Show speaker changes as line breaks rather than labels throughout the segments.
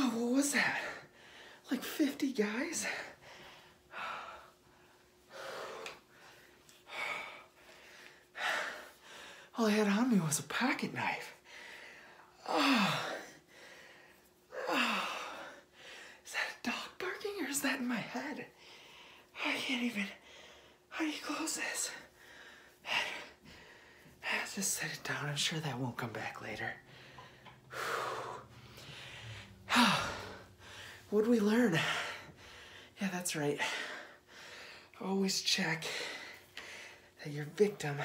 Oh, was that? Like 50 guys?
All I had on me was a pocket knife.
Oh. oh. Is that a dog barking or is that in my head? I can't even. How do you close this?
I'll just set it down. I'm sure that won't come back later. Oh. What'd we learn? Yeah, that's right always check that your victim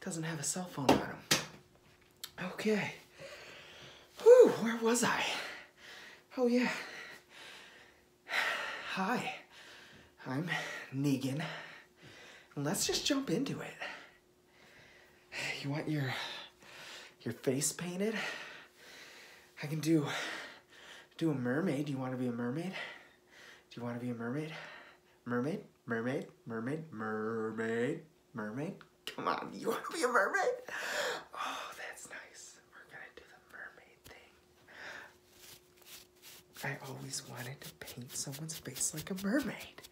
doesn't have a cell phone on him. Okay. Who? where was I? Oh yeah. Hi, I'm Negan. Let's just jump into it. You want your your face painted? I can do do a mermaid. Do You want to be a mermaid? Do you want to be a mermaid? Mermaid? Mermaid? Mermaid? Mermaid? Mermaid? Come on, you want to be a mermaid? Oh, that's nice. We're going to do the mermaid thing. I always wanted to paint someone's face like a mermaid.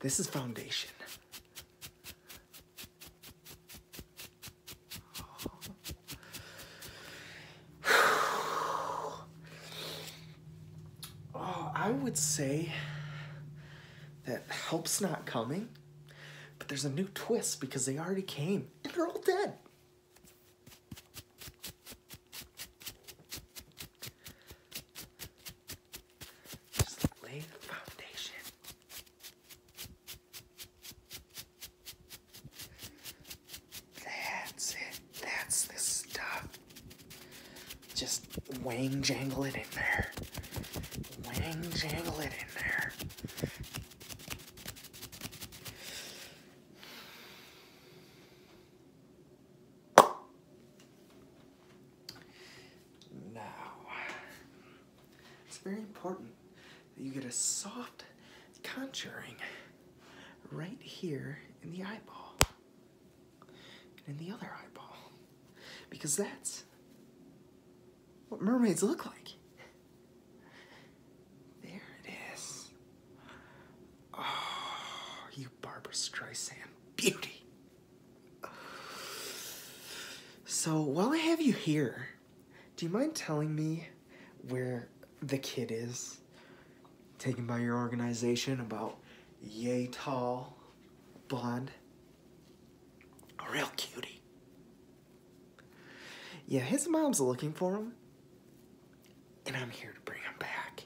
This is foundation. oh, I would say that help's not coming, but there's a new twist because they already came
and they're all dead.
Just lay the foundation. That's it. That's the
stuff. Just wang jangle it in there. Wang jangle it in there.
Now, it's very
important you get a soft contouring right here in the eyeball and in the other eyeball
because that's what mermaids look like. There it is. Oh,
you Barbara Streisand beauty. So while I have you here, do you mind telling me where the kid is taken by your organization about yay tall, blonde, a real cutie? Yeah, his mom's looking for him, and I'm here to bring him back.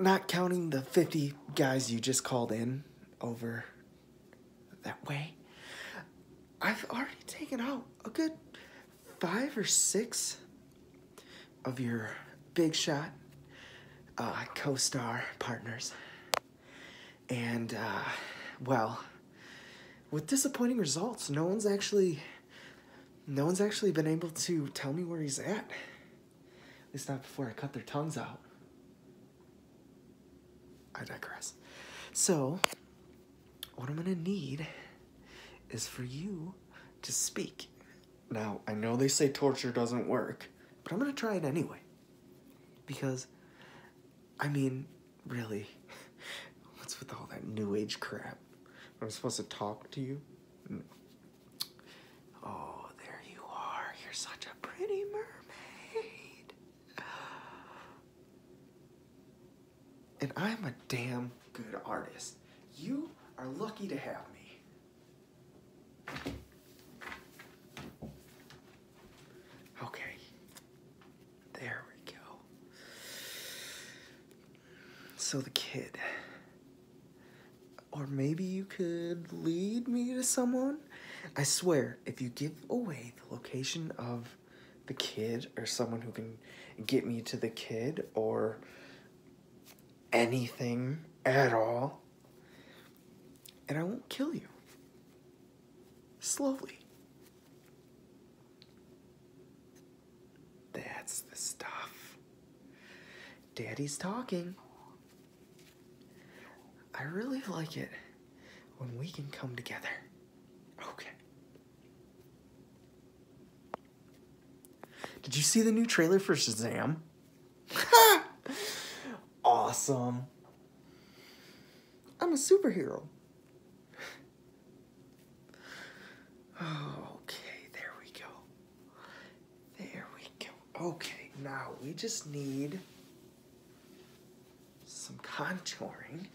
Not counting the 50 guys you just called in over that way. I've already taken out a good five or six of your big shot uh, co-star partners. And, uh, well, with disappointing results, no one's actually, no one's actually been able to tell me where he's at. At least not before I cut their tongues out. I digress. So, what I'm gonna need is for you to speak. Now, I know they say torture doesn't work, but I'm gonna try it anyway. Because, I mean, really, what's with all that new age crap? I'm supposed to talk to you? Mm. Oh, there you are. You're such a pretty mermaid. And I'm a damn good artist. You are lucky to have me. Okay. There we go. So the kid. Or maybe you could lead me to someone? I swear, if you give away the location of the kid or someone who can get me to the kid or anything at all.
And I won't kill you. Slowly. That's the stuff. Daddy's talking.
I really like it when we can come together. Okay. Did you see the new trailer for Shazam? awesome.
I'm a superhero.
Okay, there we go. There we go. Okay, now we just need some contouring,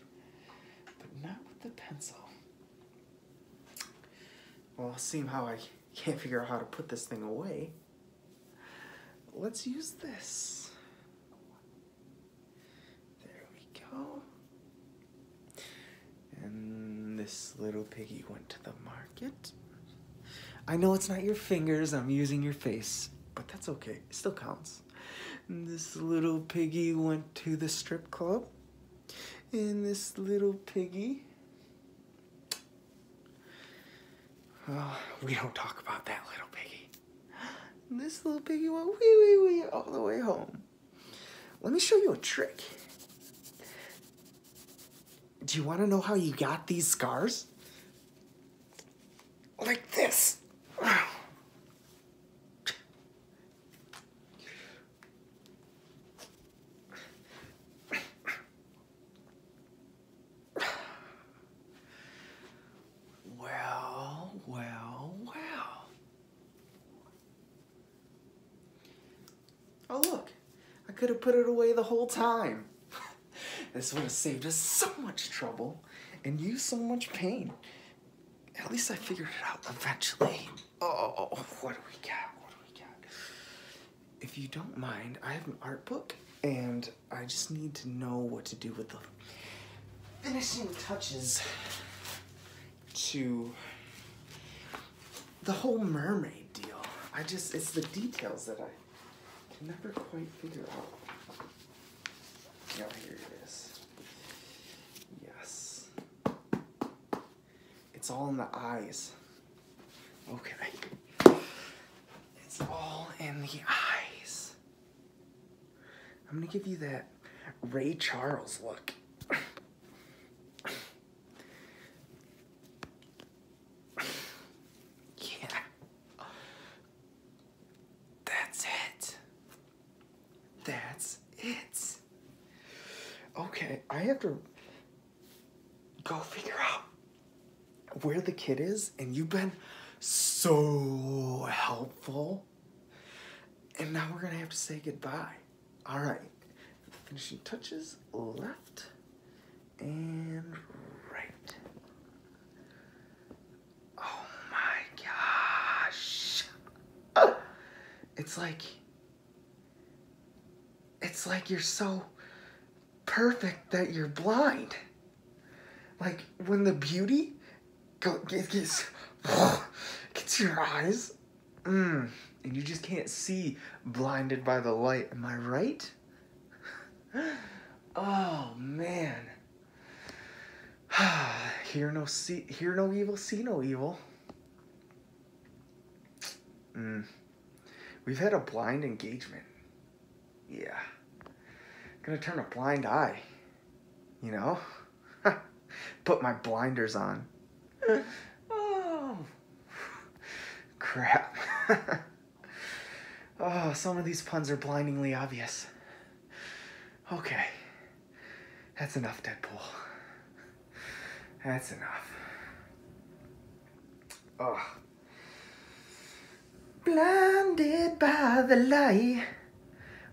but not with the pencil.
Well, see how I can't figure out how to put this thing away, let's use
this.
There we go.
And this little piggy went to the
market.
I know it's not your fingers, I'm using your face, but that's okay, it still counts. And this little piggy went to the strip club.
And this little piggy. Oh, we don't talk about that little piggy. this little piggy went wee wee wee all the way home. Let me show you a trick. Do
you want to know how you got these scars? like this.
Well, well, well.
Oh, look.
I could have put it away the whole time. this would have saved us so much trouble and you so much pain. At least I figured it out eventually.
Oh, what do we got? What do we got?
If you don't mind, I have an art book and I just need to know what to do with the finishing touches to the whole mermaid deal. I just, it's the details that I can never quite figure out. Yeah, here it is. Yes. It's all in the eyes. Okay. It's all in the eyes. I'm gonna give you that Ray Charles look.
yeah. That's it. That's it. Okay, I have to
go figure out where the kid is, and you've been so helpful. And now we're gonna have to say goodbye.
All right, finishing touches left and right. Oh my gosh.
It's like, it's like you're so perfect that you're blind. Like when the beauty go, gets, gets your eyes, mm, and you just can't see blinded by the light. Am I right? Oh man. hear no see hear no evil, see no evil. Mm. We've had a blind engagement. Yeah. Gonna turn a blind eye. You know? Put my blinders on.
oh.
Crap. oh, some of these puns are blindingly obvious. Okay. That's enough, Deadpool. That's enough. Ugh.
Blinded by the light,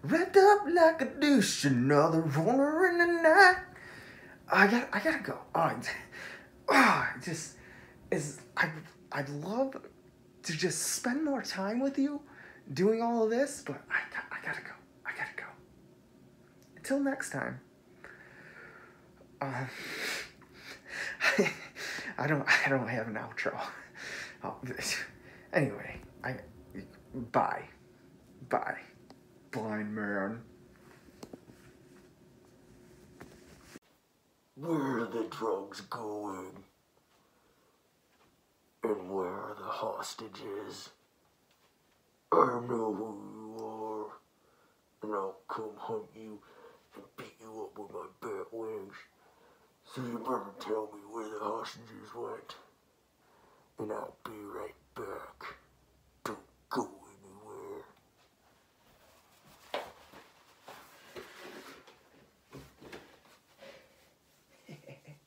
wrapped up like a douche, another runner in the night. I got, I gotta go. Oh, just is I, I love
to just spend more time with you doing all of this, but I, I gotta go. I gotta go. Until next time. Um, I, don't I don't have an outro. Oh, anyway, I bye. Bye. Blind man.
Where are the drugs going? And where are the hostages? I know who you are. And I'll come hunt you and beat you up with my bat wings. So you better tell me where the hostages went. And I'll be right back. Don't go anywhere.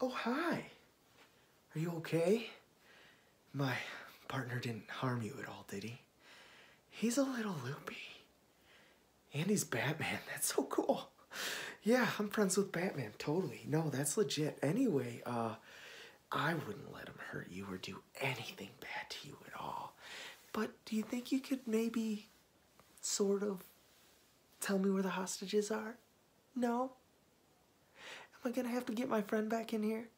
Oh, hi. Are you okay? My
partner didn't harm you at all, did he? He's a little loopy. And he's Batman. That's so cool. Yeah, I'm friends with Batman, totally. No, that's legit. Anyway, uh, I wouldn't let him hurt you or do anything bad to you
at all. But do you think you could maybe sort of tell me where the hostages are? No? Am I gonna have to get my friend back in here?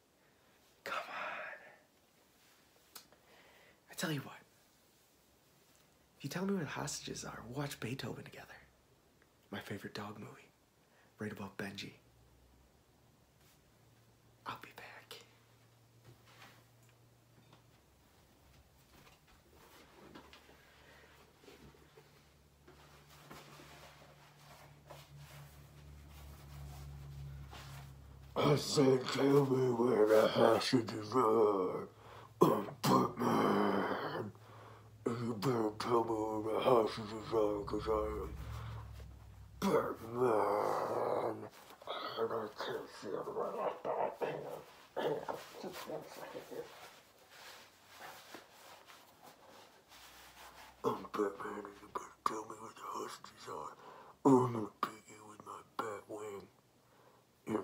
Come on. I tell you
what. If you tell me where the hostages are, watch Beethoven together. My favorite dog movie. Right above Benji.
I'll be back.
I said, tell me where the hostages are. I'm oh, Batman. And you better tell me where the hostages are, because I am Batman. I'm not to tilt that. just one second I'm Batman you better tell me where the hostages are. I'm going to beat you with my bat wing in your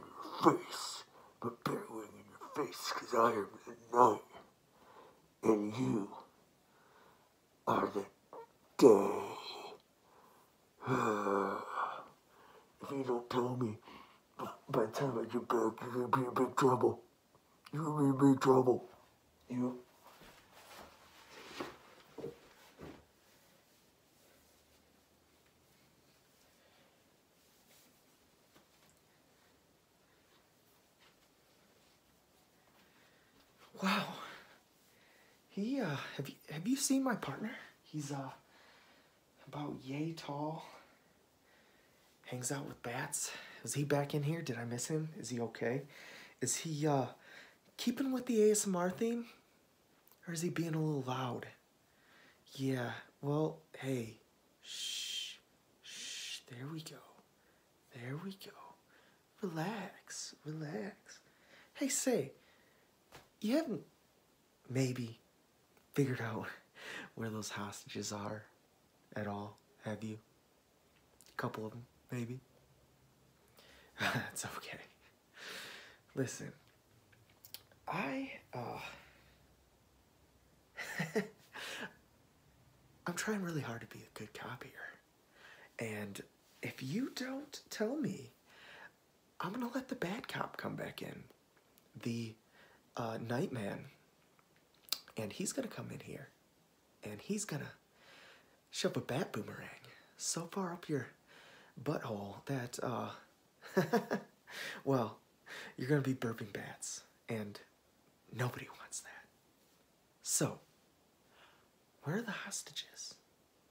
face. My bat wing in your face, because I am the night And you are the day. if you don't tell me by the time I get back, you're gonna be in big trouble. You're gonna be in big trouble. You.
Wow. He, uh, have you, have you seen my partner? He's, uh, about yay tall. Hangs out with bats. Is he back in here? Did I miss him? Is he okay? Is he, uh, keeping with the ASMR theme? Or is he being a little loud? Yeah, well, hey, shh, shh, there
we go. There we go. Relax, relax. Hey, say, you haven't
maybe figured out where those hostages are at all, have you? A couple of them, maybe? That's okay. Listen, I, uh, I'm trying really hard to be a good cop here. And if you don't tell me, I'm gonna let the bad cop come back in, the uh, nightman, and he's gonna come in here, and he's gonna shove a bat boomerang so far up your butthole that, uh, well, you're gonna be burping bats, and nobody wants that. So,
where are the hostages?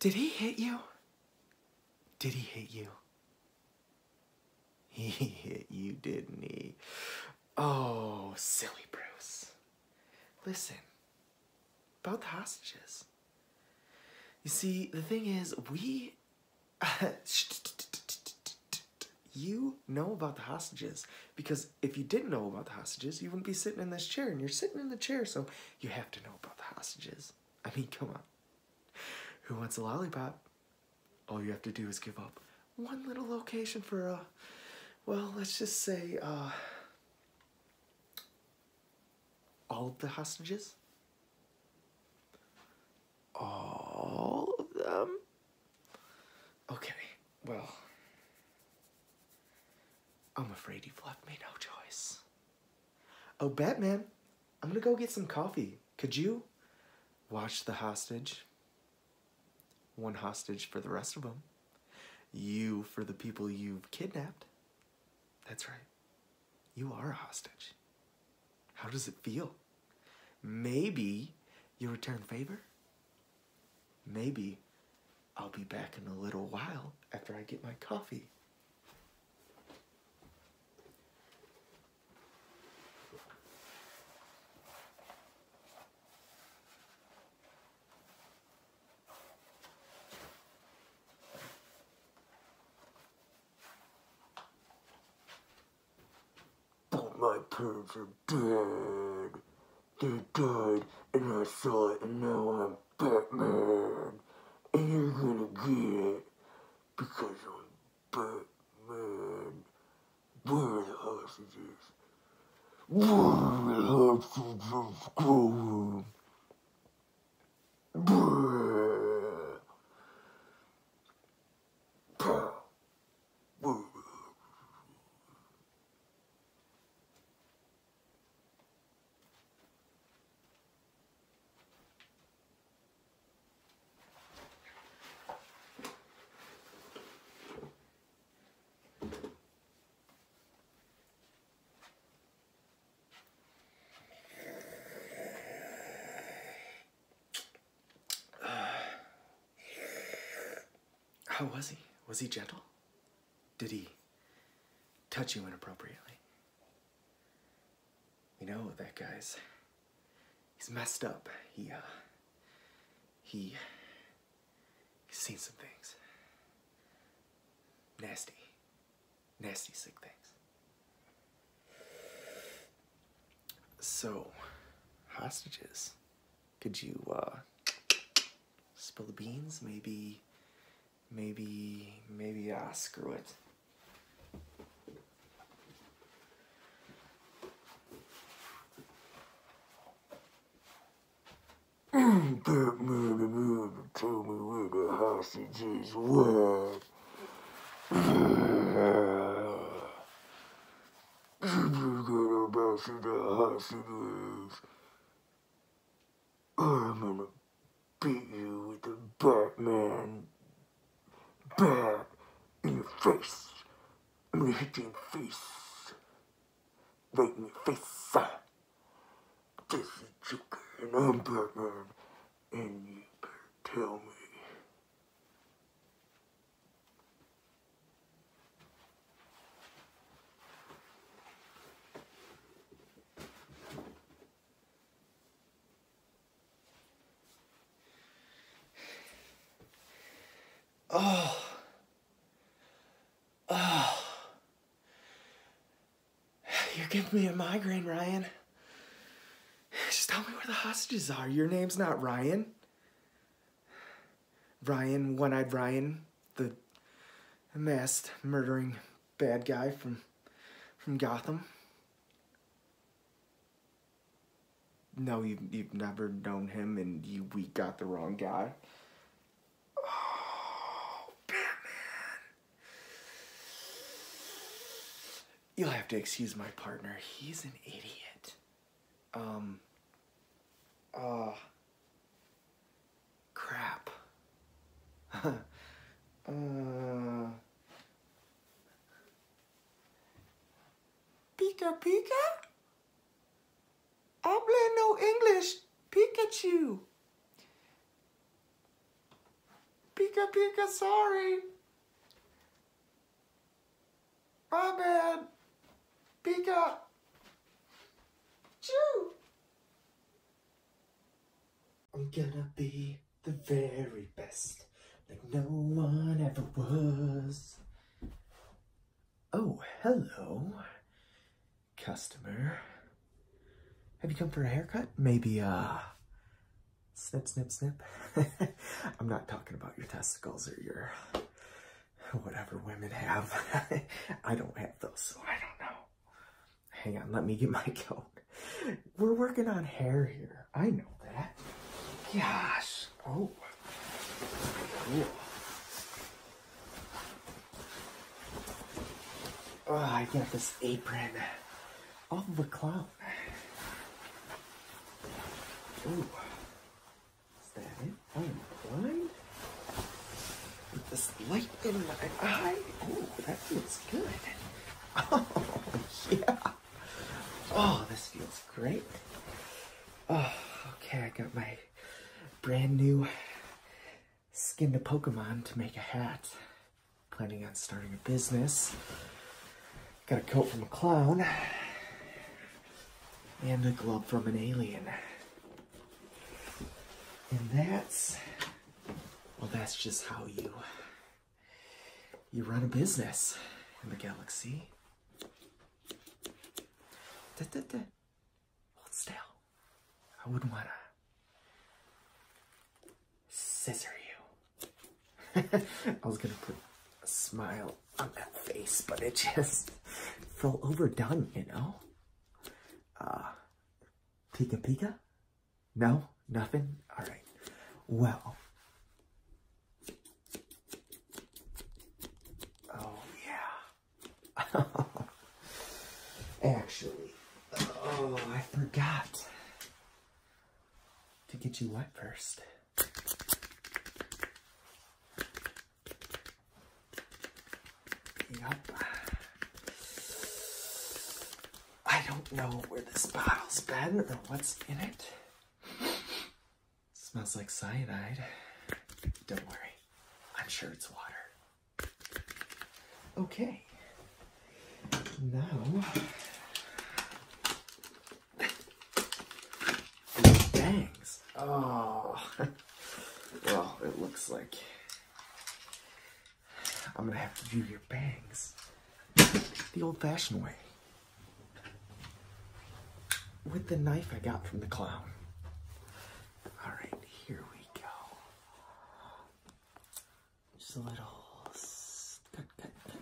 Did he hit you? Did he hit you? He hit you, didn't he? Oh, silly Bruce. Listen, about the hostages. You see, the thing is, we. you know about the hostages because if you didn't know about the hostages, you wouldn't be sitting in this chair, and you're sitting in the chair, so you have to know about the hostages. I mean, come on. Who wants a lollipop? All you have to do is give up
one little location for a, uh, well, let's just say, uh, all the hostages?
All of them? Okay, well, I'm afraid you've left me no choice. Oh, Batman, I'm gonna go get some coffee. Could you watch the hostage? One hostage for the rest of them. You for the people you've kidnapped. That's right. You are a hostage. How does it feel? Maybe you return favor? Maybe I'll be back in a little while after I get my
coffee. birds are dead. They died, and I saw it, and now I'm Batman. And you're gonna get it because I'm Batman. Where are the hostages? Where are the hostages going?
How ah. ah, was he? Was he gentle? Did he touch you inappropriately? You know, that guy's. He's messed up. He, uh. He. He's seen some things. Nasty. Nasty, sick things. So, hostages could you uh, spill the beans? Maybe, maybe, maybe, ah,
screw it. that murder man tell me where the hostages were. I'm gonna beat you with a Batman bat in your face. I'm hitting face. Right in your face. This is Joker and I'm Batman. And you better tell me.
Oh. Oh. You're giving me a migraine,
Ryan. Just tell me where the hostages are. Your name's not Ryan. Ryan, One Eyed Ryan, the masked murdering bad guy from, from Gotham. No, you've, you've never known him, and you, we got the wrong guy. Oh, Batman. You'll have to excuse my partner. He's an idiot. Um. Uh.
Crap. Pika uh. Pika? I blend no English. Pikachu. Pika Pika, sorry.
My bad. Pika. Choo!
I'm gonna be
the very best, like no one ever was. Oh, hello,
customer.
Have you come for a haircut? Maybe, uh, snip, snip, snip. I'm not talking about your testicles or your whatever women have. I don't have those, I don't know. Hang on, let me get my coat. We're working on hair here. I know that.
Gosh. Oh. Cool.
Oh, I got this apron
off of a clown.
Ooh. Is that it? I am blind? With this light in my eye? Oh, that feels good. Oh, yeah. Oh,
this feels great. Oh, okay, I got my brand new skinned a Pokemon to make a hat. Planning on starting a business. Got a coat from a clown. And a glove from an alien. And that's, well, that's just how you, you run a business in the galaxy. Da, da, I wouldn't want to scissor you. I was going to put a smile on that face, but it just felt overdone, you know? Uh, Pika Pika? No? Nothing? Alright.
Well. Oh, yeah. Actually.
Oh, I forgot. To get you wet first. Yep. I don't know where this bottle's been or what's in it. Smells like cyanide. Don't worry, I'm sure it's water.
Okay.
Now. Bangs. Oh.
Well, it looks like I'm gonna have to do your bangs the old fashioned way with the knife I got from the clown. Alright, here we
go. Just a little cut, cut, cut,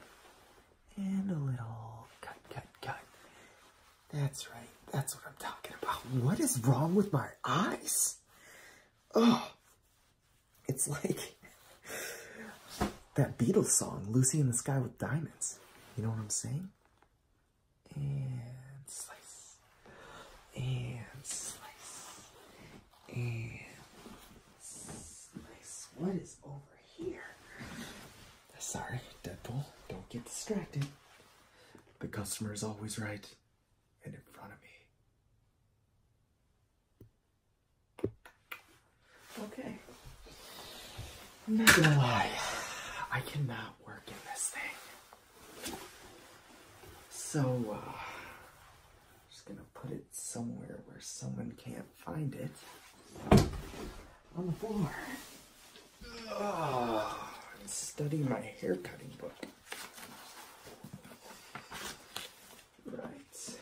and a little cut, cut, cut, that's right. That's what I'm talking about. What is wrong with my eyes? Oh,
it's like that Beatles song, Lucy in the Sky with Diamonds. You know what I'm saying? And slice.
And slice. And slice. What is over here? Sorry, Deadpool.
Don't get distracted. The customer is always right and in front of me. Okay. I'm not gonna lie, I cannot work in this thing. So, uh, I'm just gonna put it somewhere where someone can't find it on the floor. Uh, ah, study my hair cutting book. Right.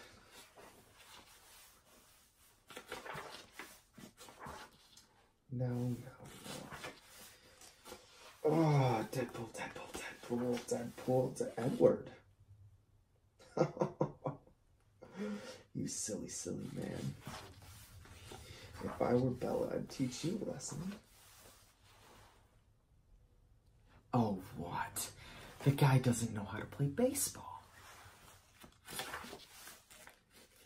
No, Oh, Deadpool, Deadpool, Deadpool, Deadpool to Edward. you silly, silly man. If I were Bella, I'd teach you a lesson. Oh, what? The guy doesn't know how to play baseball.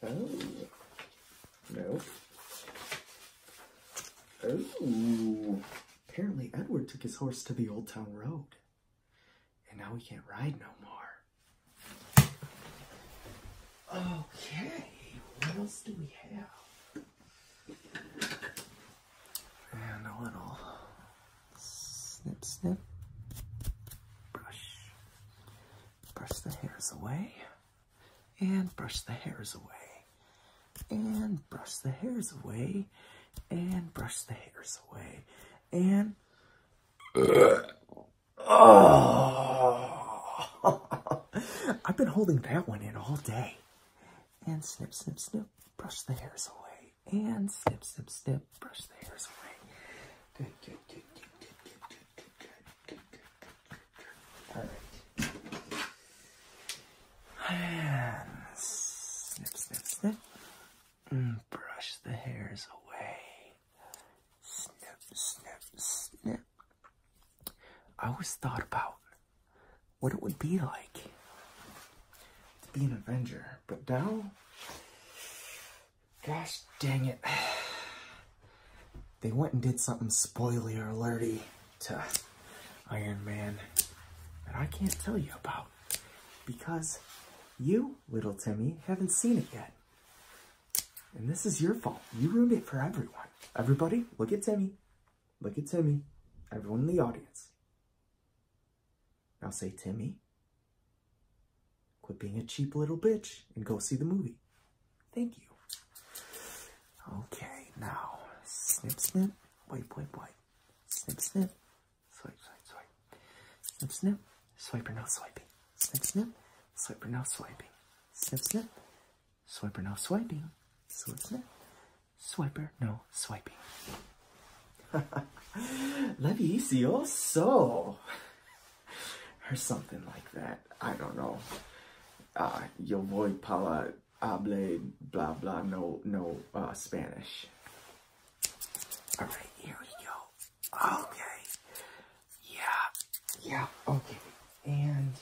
Oh. No. Oh. Apparently, Edward took his horse to the Old Town Road. And now he can't ride no more. Okay, what else do we have? And a little
snip, snip, brush. Brush the hairs away, and brush the hairs away, and brush the hairs away, and brush the hairs away, and.
I've been holding that one in all day. And snip, snip, snip,
brush the hairs away. And snip, snip, snip, brush the hairs away. Good, good, good, good, good, good, good, good, good, good, good, good. All right. And snip, snip, snip. Mm, brush the hairs away. Snip, snip, snip. I always thought about what it would be
like to be an Avenger, but now, gosh dang it, they went and did something or alerty to Iron Man that I can't tell you about because you, little Timmy, haven't seen it yet. And this is your fault. You ruined it for everyone. Everybody, look at Timmy. Look at Timmy. Everyone in the audience. Now say, Timmy, quit being a cheap little bitch and go see the movie.
Thank you.
Okay, now, snip, snip, wipe, wipe, wipe. Snip, snip, swipe, swipe, swipe. Snip, snip, swipe or no swiping. Snip, snip, swipe or no swiping. Snip, snip, Swiper, no swiping. Swiper,
no swiping. So Or something like that. I don't know. Uh, your voice, power, para uh, blah blah no no uh, Spanish. All right, here we go. Okay. Yeah. Yeah. Okay. And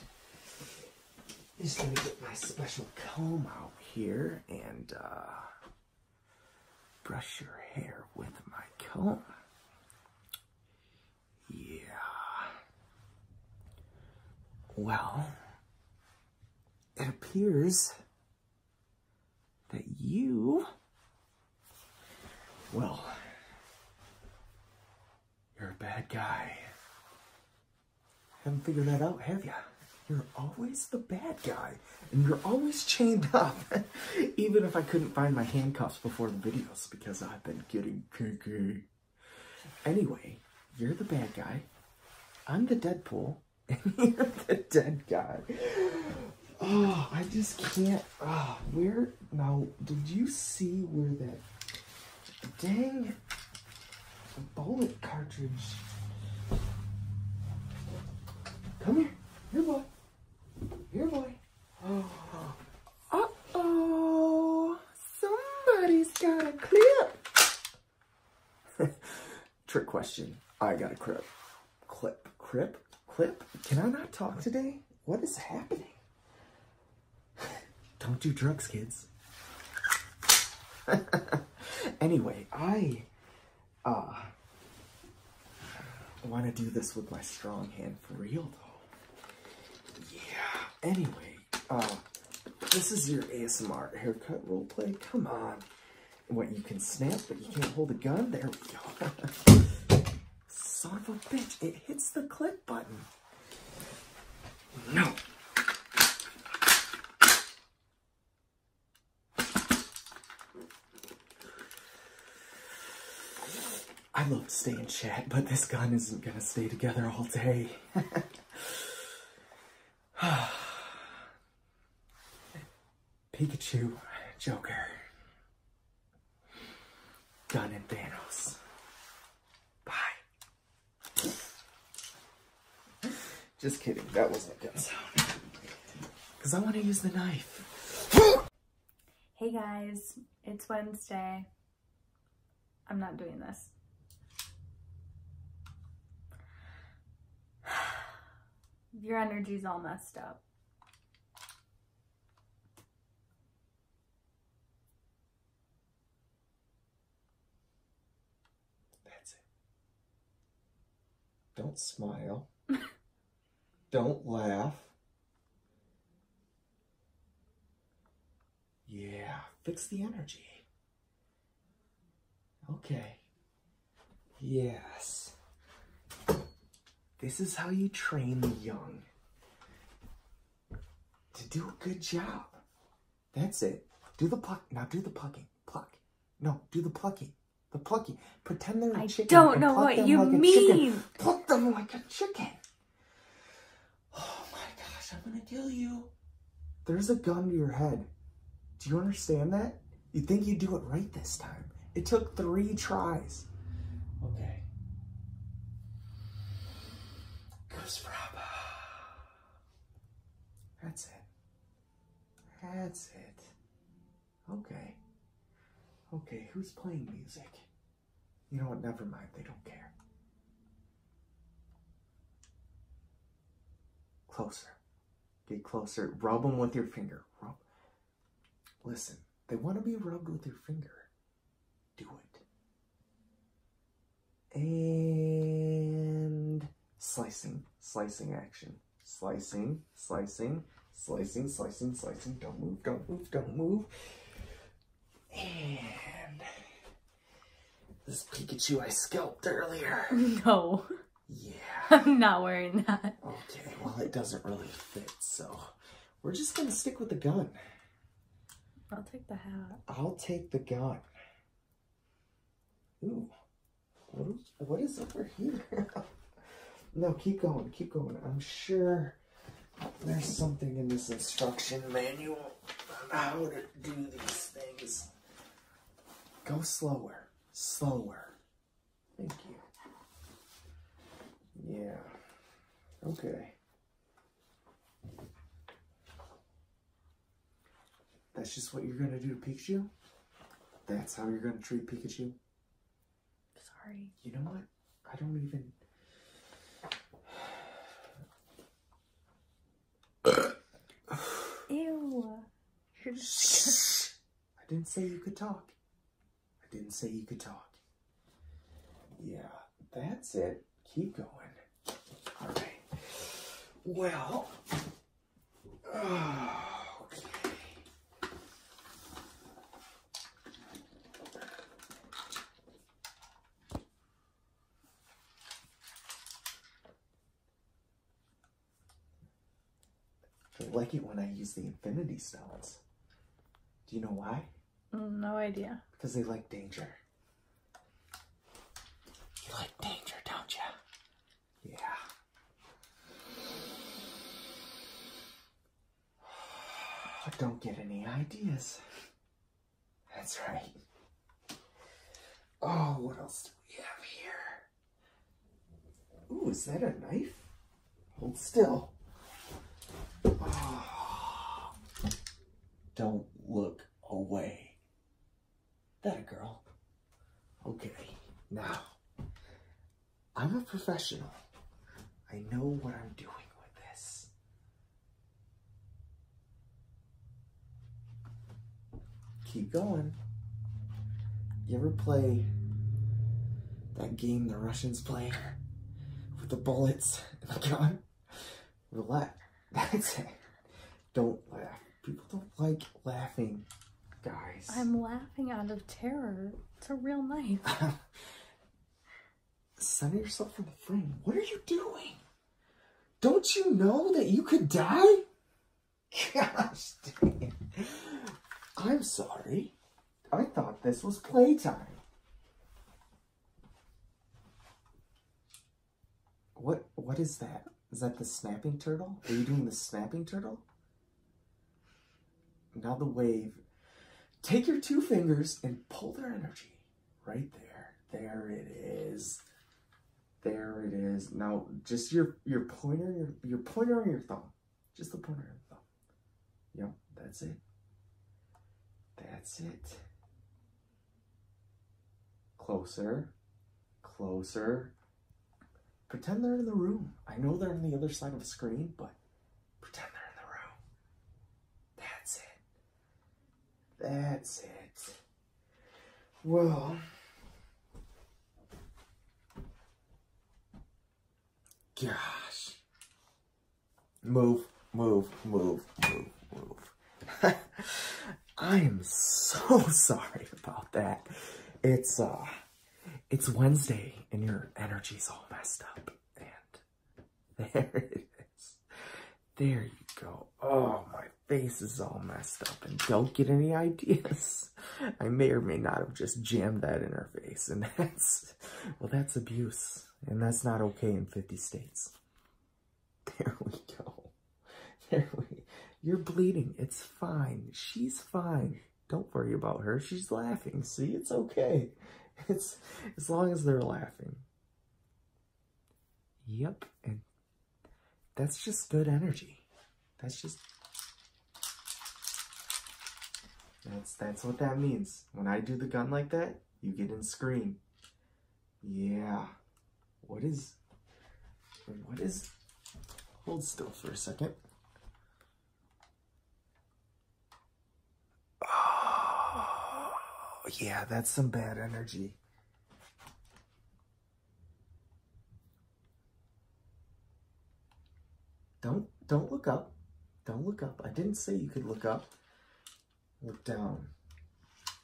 just gonna get my special comb out
here and uh, brush your hair with my comb. Yeah. Well, it appears that you, well, you're a bad guy. Haven't figured that out, have you? You're always the bad guy, and you're always chained up. Even if I couldn't find my handcuffs before the videos, because I've been getting kinky. Anyway, you're the bad guy. I'm the Deadpool, the dead guy. Oh, I just can't. Ah, where now? Did you see where that? Dang a bullet cartridge.
Come here. Here, boy. Here, boy. Oh. Uh-oh.
Somebody's got a clip. Trick question.
I got a clip. Clip. Clip. Clip.
Can I not talk today?
What is happening? Don't do drugs, kids. anyway, I uh, want to do this with my strong hand for real, though. Yeah. Anyway, uh, this is your ASMR haircut roleplay. Come on. What, you can snap, but you can't hold a gun? There we go.
Son of a bitch, it hits the clip button. No.
I love to stay in chat, but this gun isn't gonna stay together all day. Pikachu, Joker, Gun and Thanos. Bye.
Just kidding, that wasn't a good sound.
Because I want to use the knife.
hey guys, it's Wednesday. I'm not doing this.
Your energy's all messed up.
That's it.
Don't smile. Don't laugh. Yeah, fix the energy. Okay. Yes. This is how you train the young to do a good job. That's it. Do the pluck. Now do the plucking. Pluck. No, do the plucking. The plucking. Pretend they're a I chicken. I don't know what you mean.
Pluck them like a chicken. Oh my gosh, I'm gonna kill you.
There's a gun to your head. Do you understand that? You think you do it right this time. It took three tries. Okay.
Goose that's it. That's it. Okay.
Okay, who's playing music? You know what? Never mind. They don't care. Closer. Get closer. Rub them with your finger. Rub. Listen, they want to be rubbed with your finger. Do it and slicing, slicing action. Slicing, slicing, slicing, slicing, slicing. Don't move, don't move, don't move. And this Pikachu I scalped earlier.
No. Yeah. I'm not wearing that. Okay, well
it doesn't really fit, so we're just gonna stick with the gun.
I'll take the hat.
I'll take
the gun. Ooh, what is, over here? no, keep going, keep going. I'm sure there's something in this instruction
manual on how to do these things. Go slower, slower. Thank you. Yeah. Okay. That's just what you're going to do to Pikachu? That's how you're going to treat Pikachu? Sorry. You know what? I don't
even...
Ew. you I
didn't say you
could talk. I didn't say you could talk. Yeah that's it. Keep going. All right. Well, okay. I like it when I use the infinity stones. Do you know why?
Mm, no
idea.
Because they like danger.
You like danger, don't you? Yeah. don't get any ideas. That's right. Oh, what else do we have here? Ooh, is that a knife? Hold still.
Ah. Don't look away. That girl. Okay, now,
I'm a professional. I know what I'm doing with this. Keep going. You ever play that game the Russians play with the bullets and the gun? relax. That's it. Don't laugh. People don't like laughing, guys.
I'm laughing out of terror. It's a real knife.
Center yourself from the frame. What are you doing? Don't you know that you could die?
Gosh dang. I'm sorry. I thought this was playtime. What what is that? Is that the snapping turtle? Are you doing the snapping turtle? Now the wave. Take your two fingers and pull their energy right there. There it is. There it is. Now just your your pointer, your, your pointer on your thumb. Just the pointer on your thumb. Yep, that's it. That's it. Closer, closer. Pretend they're in the room. I know they're on the other side of the screen, but pretend
they're in the room.
That's it. That's it. Well, gosh. Move, move, move, move, move. I'm so sorry about that. It's, uh, it's Wednesday and your energy is all messed up. And there it is. There you go. Oh, my face is all messed up and don't get any ideas. I may or may not have just jammed that in her face. And that's, well, that's abuse. And that's not okay in 50 states. There we go. There we You're bleeding. It's fine. She's fine. Don't worry about her. She's laughing. See, it's okay. It's as long as they're laughing. Yep, and that's just good energy. That's just That's that's what that means. When I do the gun like that, you get in scream. Yeah. What is, what is, hold still for a second. Oh, yeah, that's some bad energy. Don't, don't look up. Don't look up. I didn't say you could look up. Look down.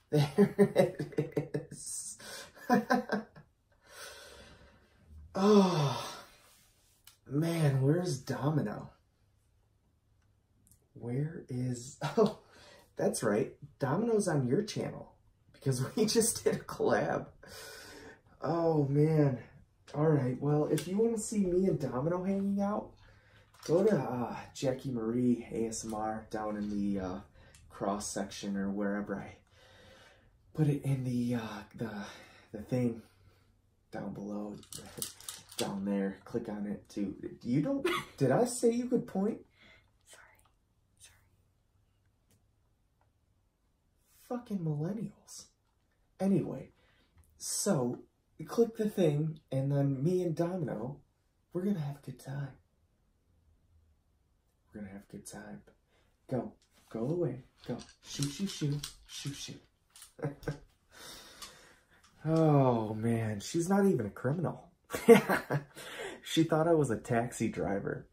There it is. oh, man, where's Domino? Where is... Oh, that's right. Domino's on your channel because we just did a collab. Oh, man. All right. Well, if you want to see me and Domino hanging out, go to uh, Jackie Marie ASMR down in the uh, uh, cross section or wherever I put it in the uh, the the thing down below, down there. Click on it too. You don't. did I say you could point? Sorry, sorry. Fucking millennials. Anyway, so click the thing, and then me and Domino we're gonna have a good time. We're gonna have a good time. Go, go away. Go, shoo, shoo, shoo, shoo, shoo. oh man, she's not even a criminal. she thought I was a taxi driver.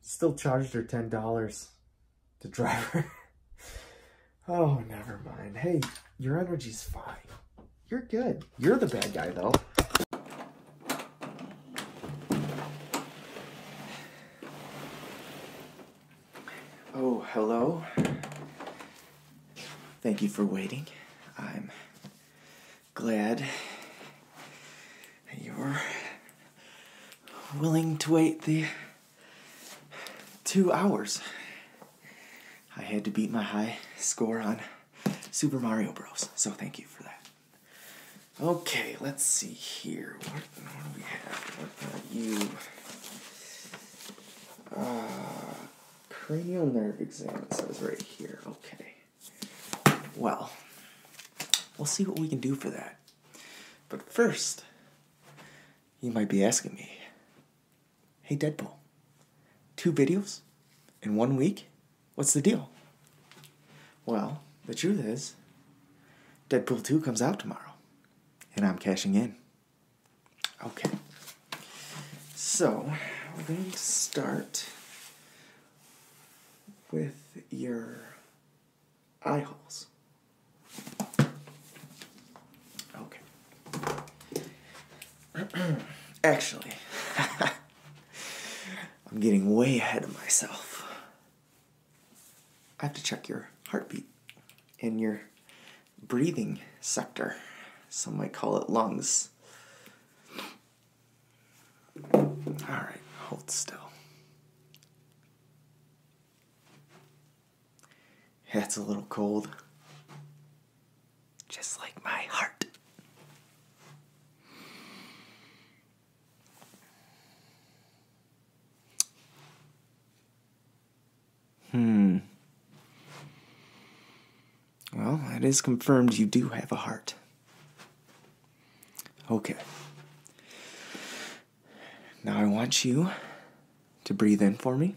Still charged her ten dollars to drive her. oh, never mind. Hey, your energy's fine. You're good. You're the bad guy, though. Oh, hello. Thank you for waiting. I'm glad you're willing to wait the two hours. I had to beat my high score on Super Mario Bros. So thank you for that. Okay, let's see here. What, what do we have? What are you? Uh, cranial nerve exam, it says right here. Okay. Well, we'll see what we can do for that. But first, you might be asking me, Hey, Deadpool, two videos in one week? What's the deal? Well, the truth is, Deadpool 2 comes out tomorrow, and I'm cashing in. Okay. So, we're going to start with your
eye holes. Okay. Actually,
I'm getting way ahead of myself. I have to check your heartbeat and your breathing sector. Some might call it lungs. All right, hold still. Yeah, it's a little cold
just like my heart.
Hmm. Well, it is confirmed you do have a heart. Okay. Now I want you to breathe in for me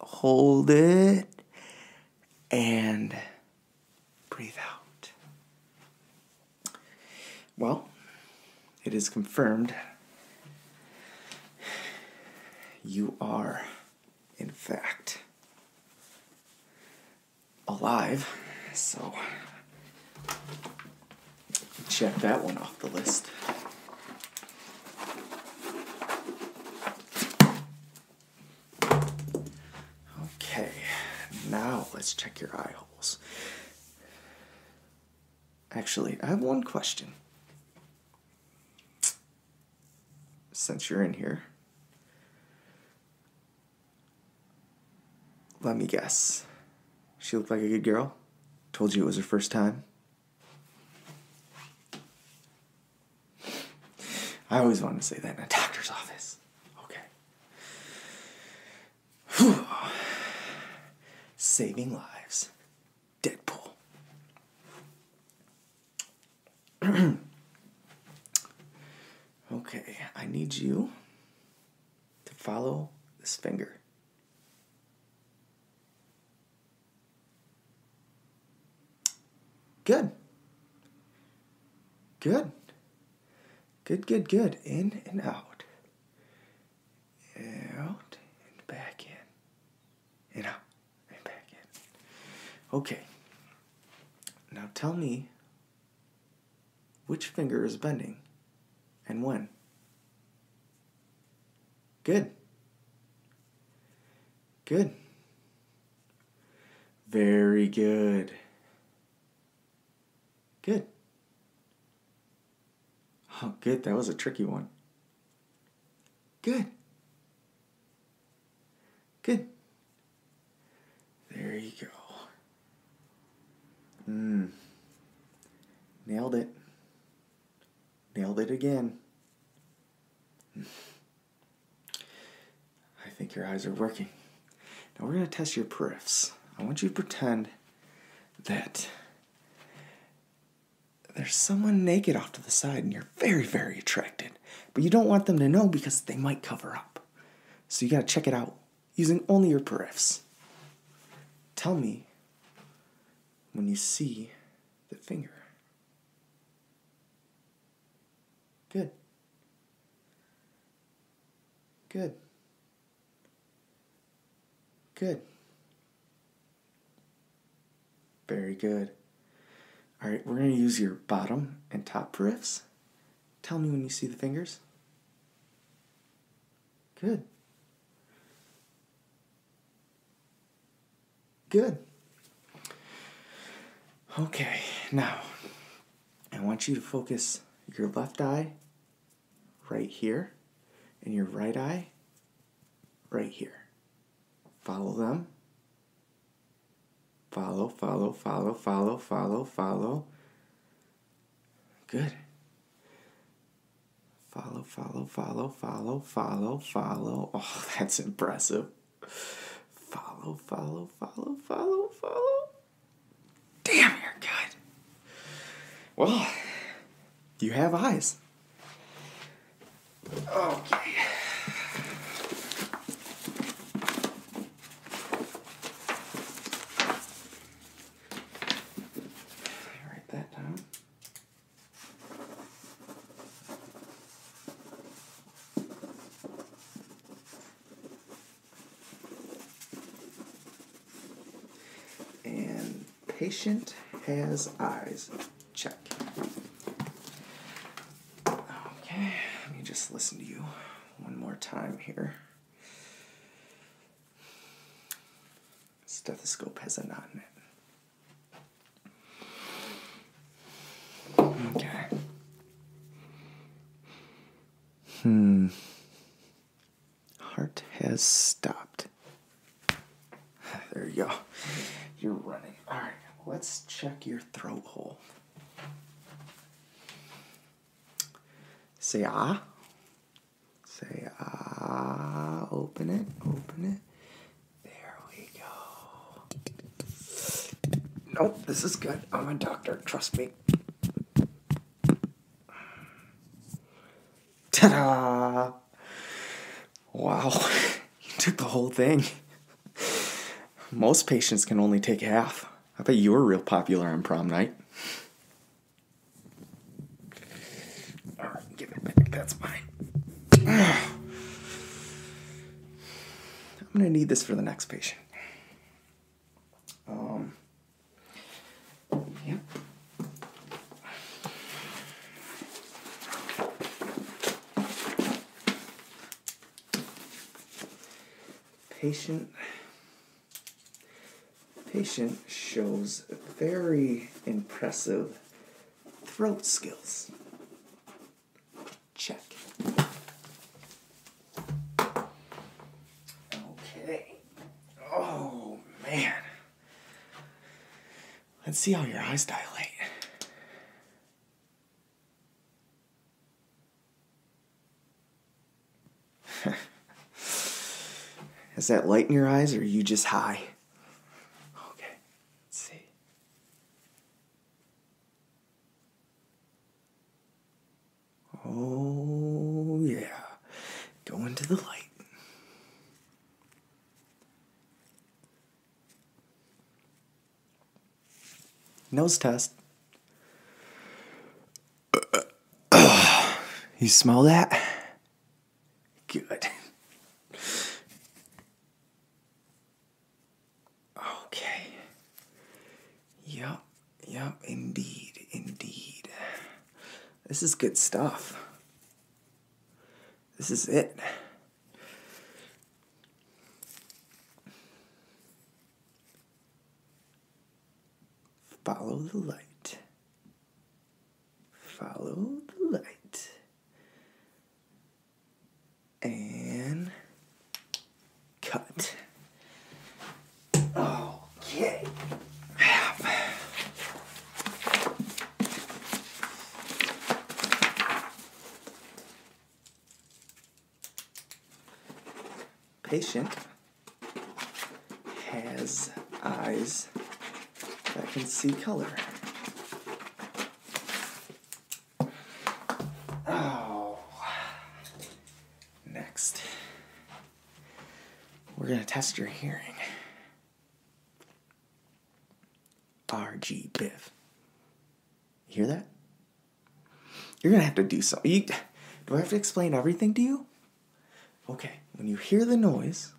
hold it and breathe out. Well, it is confirmed you are, in fact, alive. So, check that one off the list. Okay, now let's check your eye holes. Actually, I have one question. Since you're in here, let me guess. She looked like a good girl? Told you it was her first time? I always wanted to say that in a doctor's office. Okay. Saving lives. Deadpool. okay, I need you to follow this finger. Good. Good. Good, good, good. In and out. Out and back in. And out and back in. Okay. Now tell me which finger is bending and when. Good. Good. Very good. Good. Oh, good. That was a tricky one.
Good. Good. There you go. Mmm.
Nailed it. Nailed it again. Hmm. I think your eyes are working. Now we're going to test your periffs. I want you to pretend that there's someone naked off to the side and you're very, very attracted, but you don't want them to know because they might cover up. So you got to check it out using only your periffs. Tell me when you see the finger.
Good. Good. Good.
Very good. All right, we're going to use your bottom and top riffs. Tell me when you see the fingers. Good. Good. Okay, now I want you to focus your left eye right here and your right eye right here. Follow them. Follow, follow, follow, follow, follow, follow. Good. Follow follow, follow, follow, follow, follow, Oh, that's impressive. Follow, follow, follow, follow, follow. Damn, you're good. Well, you have eyes.
Okay. Write that down.
And patient has eyes.
Check. Okay, let me just listen to you one more time here.
Stethoscope has a knot in it. Okay. Hmm.
Heart has stopped. There you go. You're running. All right, let's check your throat hole. Say ah. Say ah. Open it. Open it. There we go.
Nope, this is good. I'm a doctor, trust me.
Ta da! Wow, you took the whole thing. Most patients can only take half. I bet you were real popular on prom night give it back. That's mine. I'm gonna need this for the next patient. Um, yeah. Patient patient shows very impressive throat skills. Check.
Okay. Oh,
man. Let's see how your eyes dilate. Is that light in your eyes or are you just high? Okay, let's see.
Oh, yeah.
go into the light. Nose test. you smell that? Good. Okay. Yep, yep, indeed, indeed. This is good stuff. This
is it. Follow the light.
Follow the light
and cut. Okay.
Patient has eyes that can see color. Oh. Next, we're going to test your hearing. RG Biv. You hear that? You're going to have to do something. do I have to explain everything to you? Okay, when you hear the noise,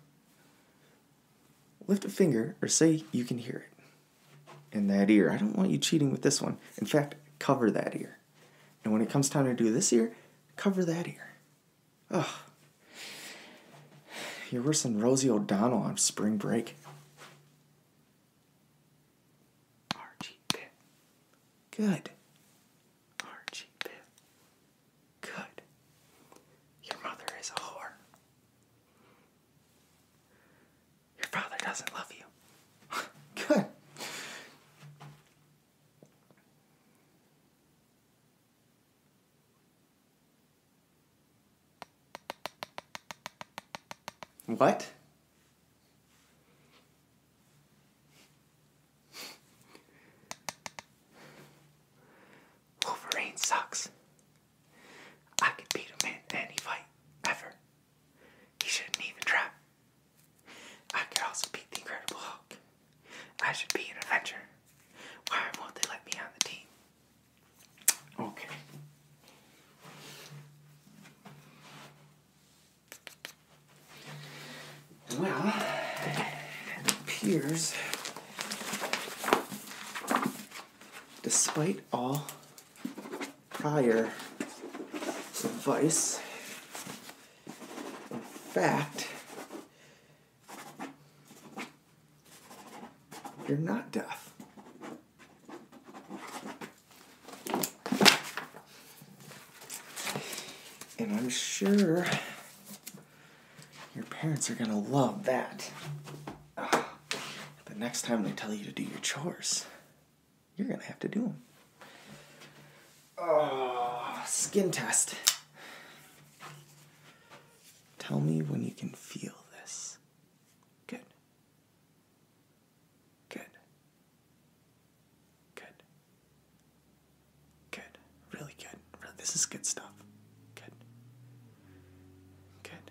lift a finger or say you can hear it in that ear. I don't want you cheating with this one. In fact, cover that ear. And when it comes time to do this ear, cover that ear. Ugh. Oh. You're worse than Rosie O'Donnell on spring break.
Archie Good. Archie Good.
Your mother is a whore. Your father doesn't love you.
Good.
What?
Wolverine sucks. I could beat him in any fight ever. He shouldn't even try. I could also beat the Incredible Hulk. I should be an Avenger. Why won't they let me on the team? Okay.
Well, it appears, despite all prior advice. In fact, you're not deaf. And I'm sure your parents are going to love that. The next time they tell you to do your chores, you're gonna have to do them. Ah, skin test. Tell me when you can feel this. Good. Good.
Good. Good. Really good. This is good stuff. Good. Good.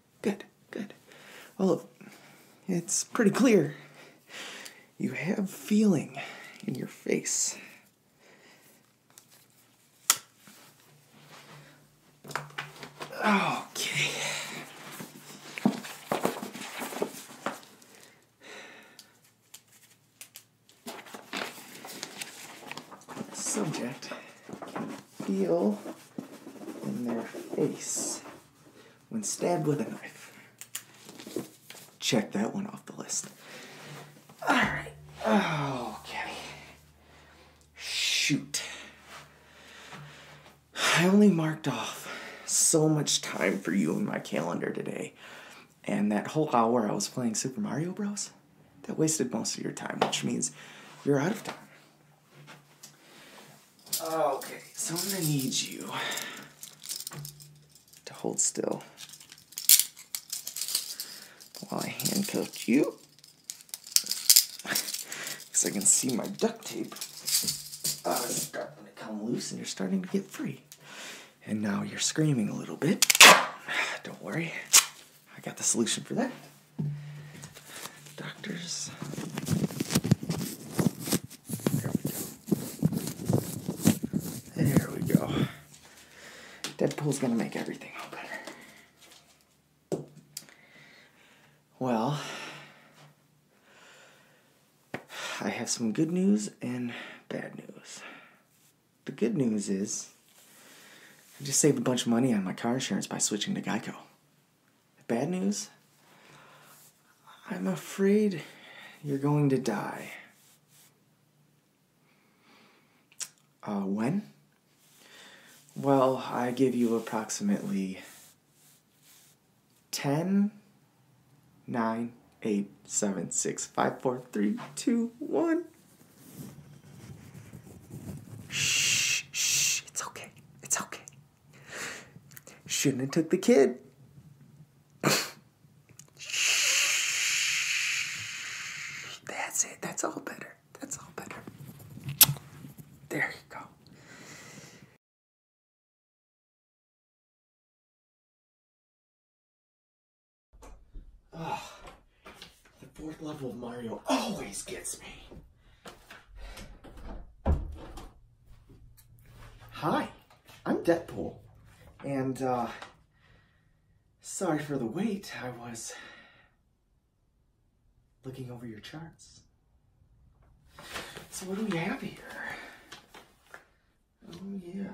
good, good. Well, it's pretty clear. You have feeling in your face.
Okay.
Subject feel in their face
when stabbed with a knife. Check that one off the list. All right. Okay. Shoot. I only marked off so much time for you in my calendar today. And that whole hour I was playing Super Mario Bros., that wasted most of your time, which means you're out of time. Okay, so I'm gonna need you to hold still while I handcuff you. Because I can see my duct tape. Ah, starting to come loose and you're starting to get free. And now you're screaming a little bit. Don't worry, I got the solution for that. Doctors. There we go. There we go. Deadpool's gonna make everything all better. Well, I have some good news and bad news. The good news is I just saved a bunch of money on my car insurance by switching to Geico. Bad news? I'm afraid you're going to die. Uh, when? Well, I give you approximately 10, 9, 8, 7, 6, 5, 4, 3, 2, 1. Shh, shh, it's okay, it's okay. Shouldn't have took the
kid. That's it. That's all better. That's all better. There you go.
Ugh, ah, the fourth level
of Mario always gets me. Hi, I'm Deadpool, and uh, sorry for the wait. I was looking over your charts. So what do we have here? Oh yeah.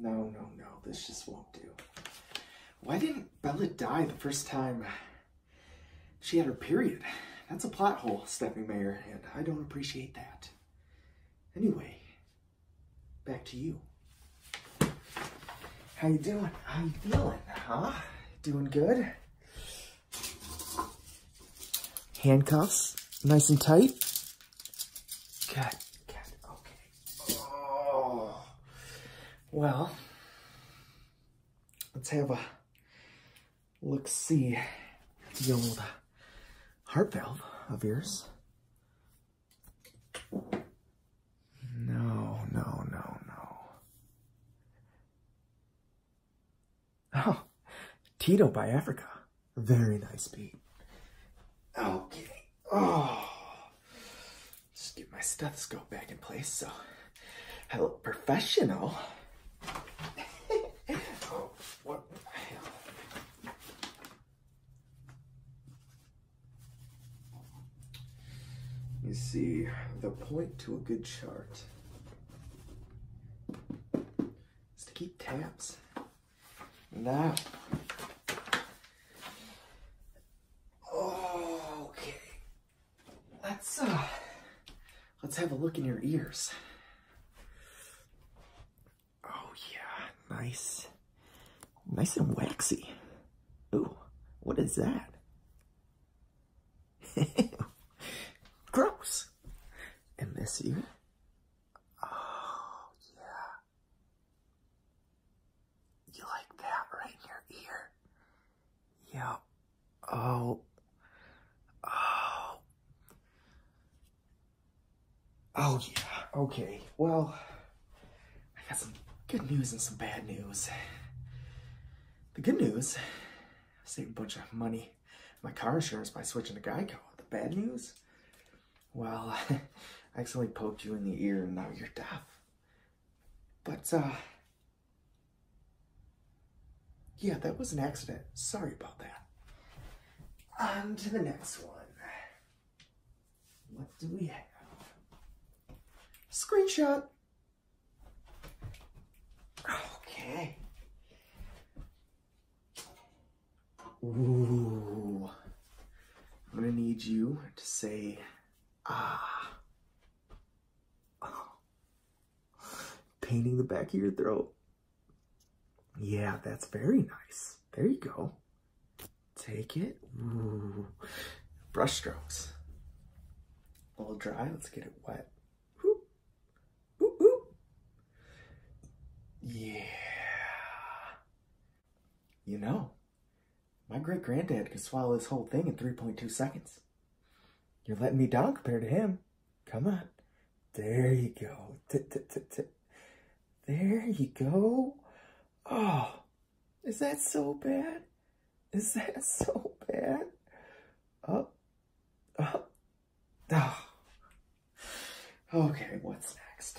No, no, no, this just won't do. Why didn't Bella die the first time she had her period? That's a plot hole, Stephanie Mayer, and I don't appreciate that. Anyway, back to you. How you doing? How you feeling, huh? Doing good? Handcuffs, nice and
tight. okay. Oh. Well, let's have a
look-see the old heart valve of yours. No, no, no, no. Oh, Tito by Africa. Very nice beat. Okay. Oh. Just get my stethoscope back in place so I look professional. oh, what the hell? You see, the point to a good chart is to keep tabs. Now,
Okay.
Let's uh let's have a look in your ears.
Oh yeah, nice. Nice and waxy.
Ooh, what is that? Gross. And this ear? Oh yeah.
You
like that right in your ear?
Yeah. Oh. Oh. Oh, yeah. Okay. Well,
I got some good news and some bad news. The good news, I saved a bunch of money my car insurance by switching to Geico. The bad news? Well, I accidentally poked you in the ear and now you're deaf. But, uh, yeah, that was an accident. Sorry about that. On to the next one.
What do we have?
Screenshot.
Okay.
Ooh. I'm gonna need you to say Ah. Painting the back of your throat. Yeah, that's very nice. There you go. Take it.
Ooh.
Brush strokes. A dry. Let's get it wet. yeah. You know, my great granddad could swallow this whole thing in 3.2 seconds. You're letting me down compared to him. Come on. There you go.
there you go. Oh, is that so bad? Is that so bad? Up, up, oh.
Okay, what's next?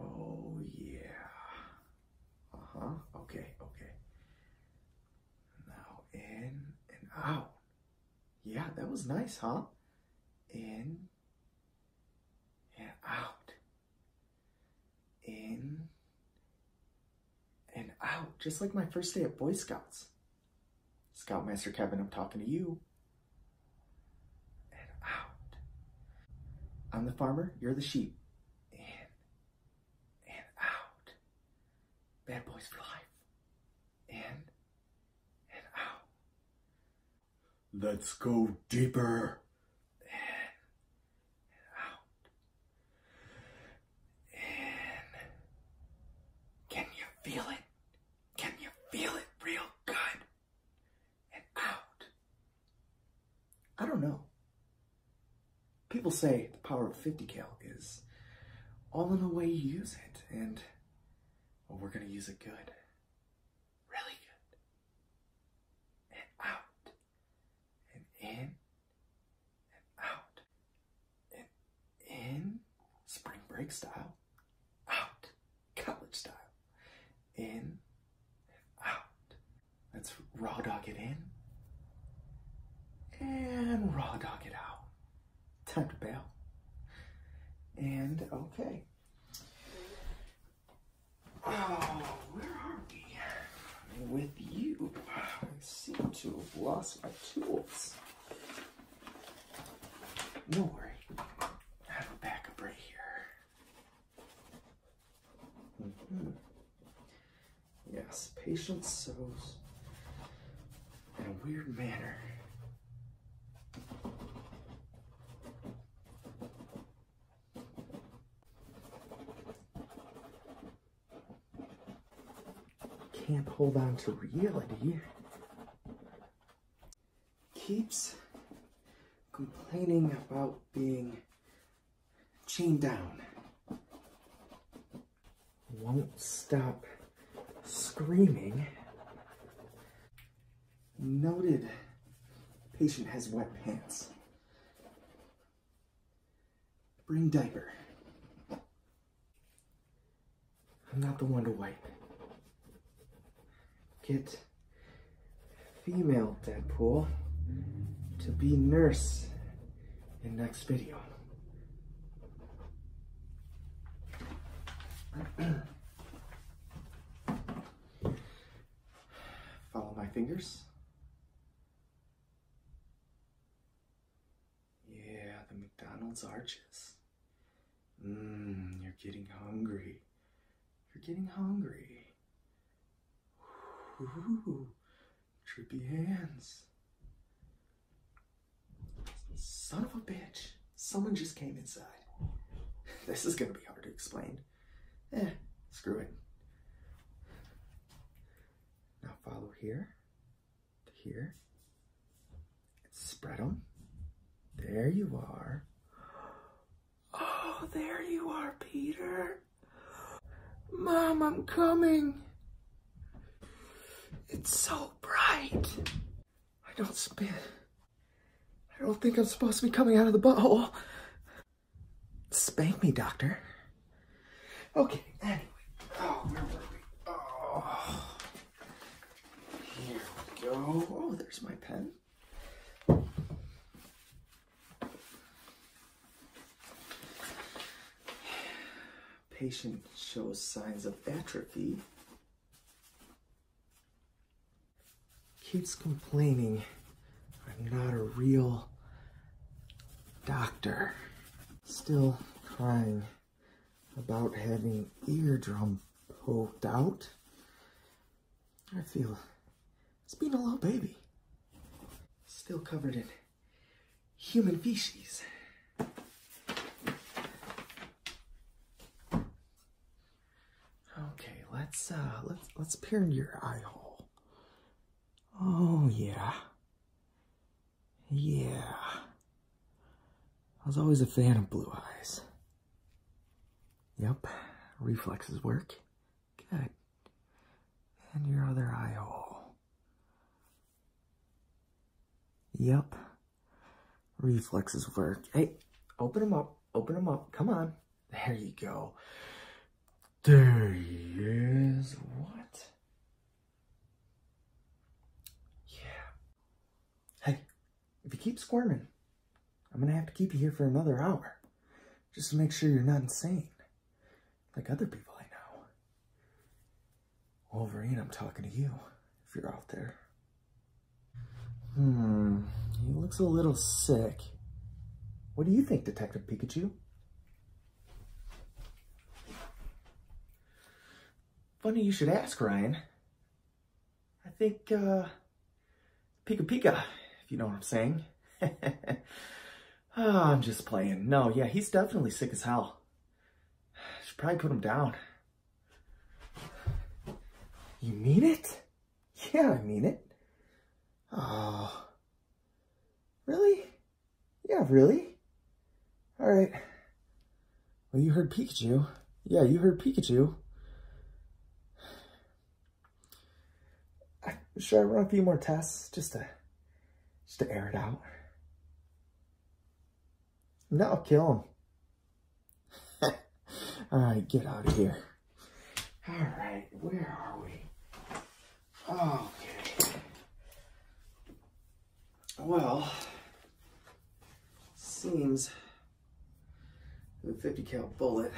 Oh, yeah. Uh-huh. Okay, okay. Now in and out.
Yeah, that was nice, huh? In and out. In and out. Just like my first day at Boy Scouts. Scoutmaster Kevin, I'm talking to you. And out. I'm the farmer, you're the sheep
in
and out. Bad boys for life. In
and out. Let's go deeper. In and out.
In. Can you feel it? Can you feel it real good?
and out. I don't know. People say the power of 50 cal is all in the way you use it, and we're going to use it good. Really
good. And out. And in. And out. And in. Spring
break style. Out. College style in, and out. Let's raw dog it in
and
raw dog it out. Time to bail. And okay.
Oh, where are we? With you, I seem to have lost my tools. No worry, I have a backup right here. Mm-hmm. Yes,
patience sows in a weird manner. Can't hold on to reality. Keeps complaining about being chain down. Won't stop screaming. Noted patient has wet pants. Bring diaper. I'm not the one to wipe. Get female Deadpool to be nurse in next video. Follow my fingers. Yeah, the McDonald's arches. Mmm, you're getting hungry. You're getting hungry. Ooh, trippy hands. Son of a bitch. Someone just came inside. This is gonna be hard to explain. Eh, screw it. Now follow here to here. And spread them. There you are. Oh, there you are, Peter.
Mom, I'm coming. It's so bright.
I don't spin. I don't think I'm supposed to be coming out of the butthole.
Spank me, doctor.
Okay, anyway. Oh, where were we?
Oh. Here we go. Oh, there's my pen. Patient shows signs of atrophy. Keeps complaining I'm not a real doctor. Still crying about having eardrum poked out. I feel it's been a little baby. Still covered in human feces. Okay, let's uh let's let's peer into your eye hole. Oh yeah. Yeah. I was always a fan of blue eyes. Yep, reflexes work.
Good. And your
other eye hole. Yep. Reflexes work. Hey, open them up. Open them up. Come on. There you go. There is What? Yeah. Hey, if you keep squirming, I'm going to have to keep you here for another hour just to make sure you're not insane, like other people I know. Wolverine, I'm talking to you, if you're out there. Hmm, he looks a little sick. What do you think, Detective Pikachu? Funny you should ask, Ryan.
I think, uh,
Pika Pika, if you know what I'm saying. Ah, I'm just playing. No, yeah, he's definitely sick as hell. Should probably put him down. You mean it? Yeah, I mean it. Oh. Really? Yeah, really? Alright. Well, you heard Pikachu. Yeah, you heard Pikachu. Should I run a few more tests just to, just to air it out? that will kill him. All right, get out of here.
All right, where are we? Okay. Well,
seems the 50 cal bullet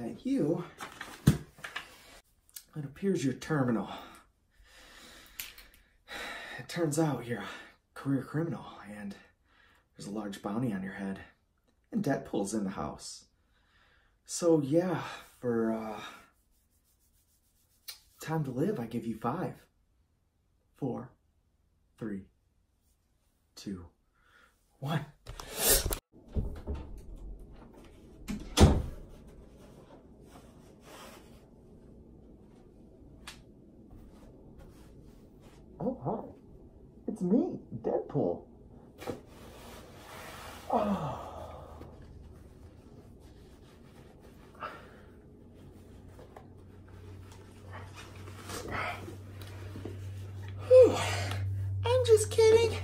at you, it appears you're terminal. It turns out you're a career criminal and there's a large bounty on your head and debt pulls in the house. So yeah, for uh, time to live, I give you five, four, three, two, one. Oh, hi. It's me, Deadpool. Oh.
I'm just kidding.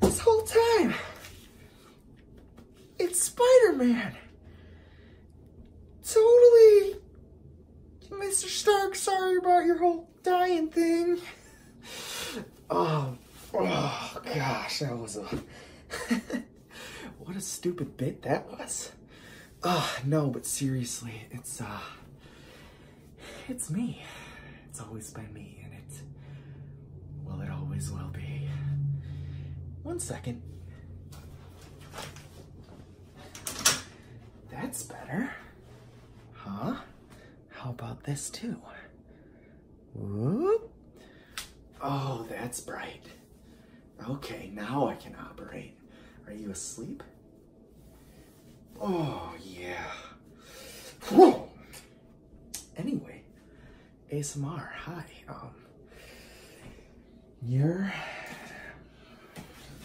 This whole time, it's Spider-Man.
Totally, Mr. Stark, sorry about your whole dying thing. Oh, oh
gosh, that was a, what a stupid bit that was. Oh, no, but seriously, it's, uh, it's me. It's always been me, and it. Well, it always will be. One second. That's better. Huh? How about this, too? Whoop. Oh, that's bright. Okay, now I can operate. Are you asleep? Oh, yeah. Anyway, ASMR, hi. Um, you're,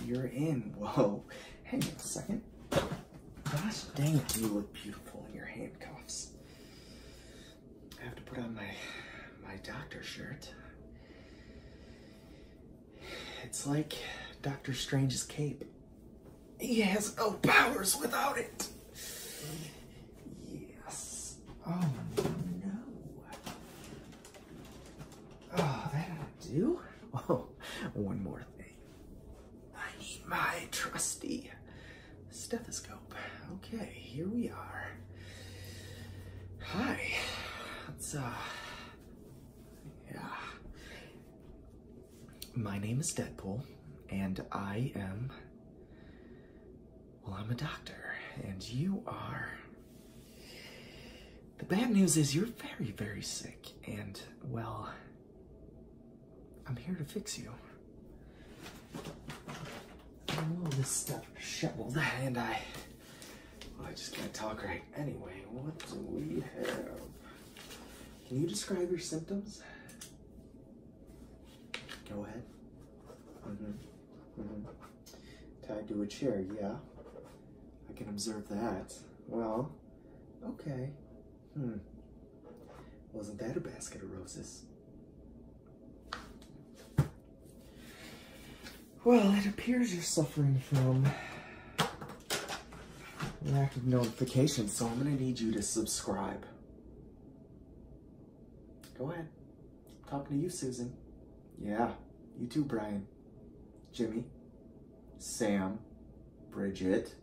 you're in. Whoa. Hang on a second. Gosh dang you look beautiful in your handcuffs. I have to put on my, my doctor shirt. It's like Doctor Strange's cape. He has no powers without it. Yes. Oh no. Oh, that ought do. Oh, one more thing.
I
need my trusty stethoscope. Okay, here we are. Hi. let uh
yeah my name is Deadpool, and I am. Well, I'm a doctor, and you are. The bad news is you're very, very sick, and, well, I'm here to fix you. I'm all this stuff shoveled, and I. Well, I just can't talk right. Anyway, what do we have? Can you describe your symptoms? Go ahead. mm Tied to a chair, yeah. I can observe that. Well, okay. Hmm. Wasn't that a basket of roses? Well, it appears you're suffering from lack of notifications, so I'm gonna need you to subscribe. Go ahead. talking to you, Susan. Yeah, you too, Brian. Jimmy, Sam, Bridget.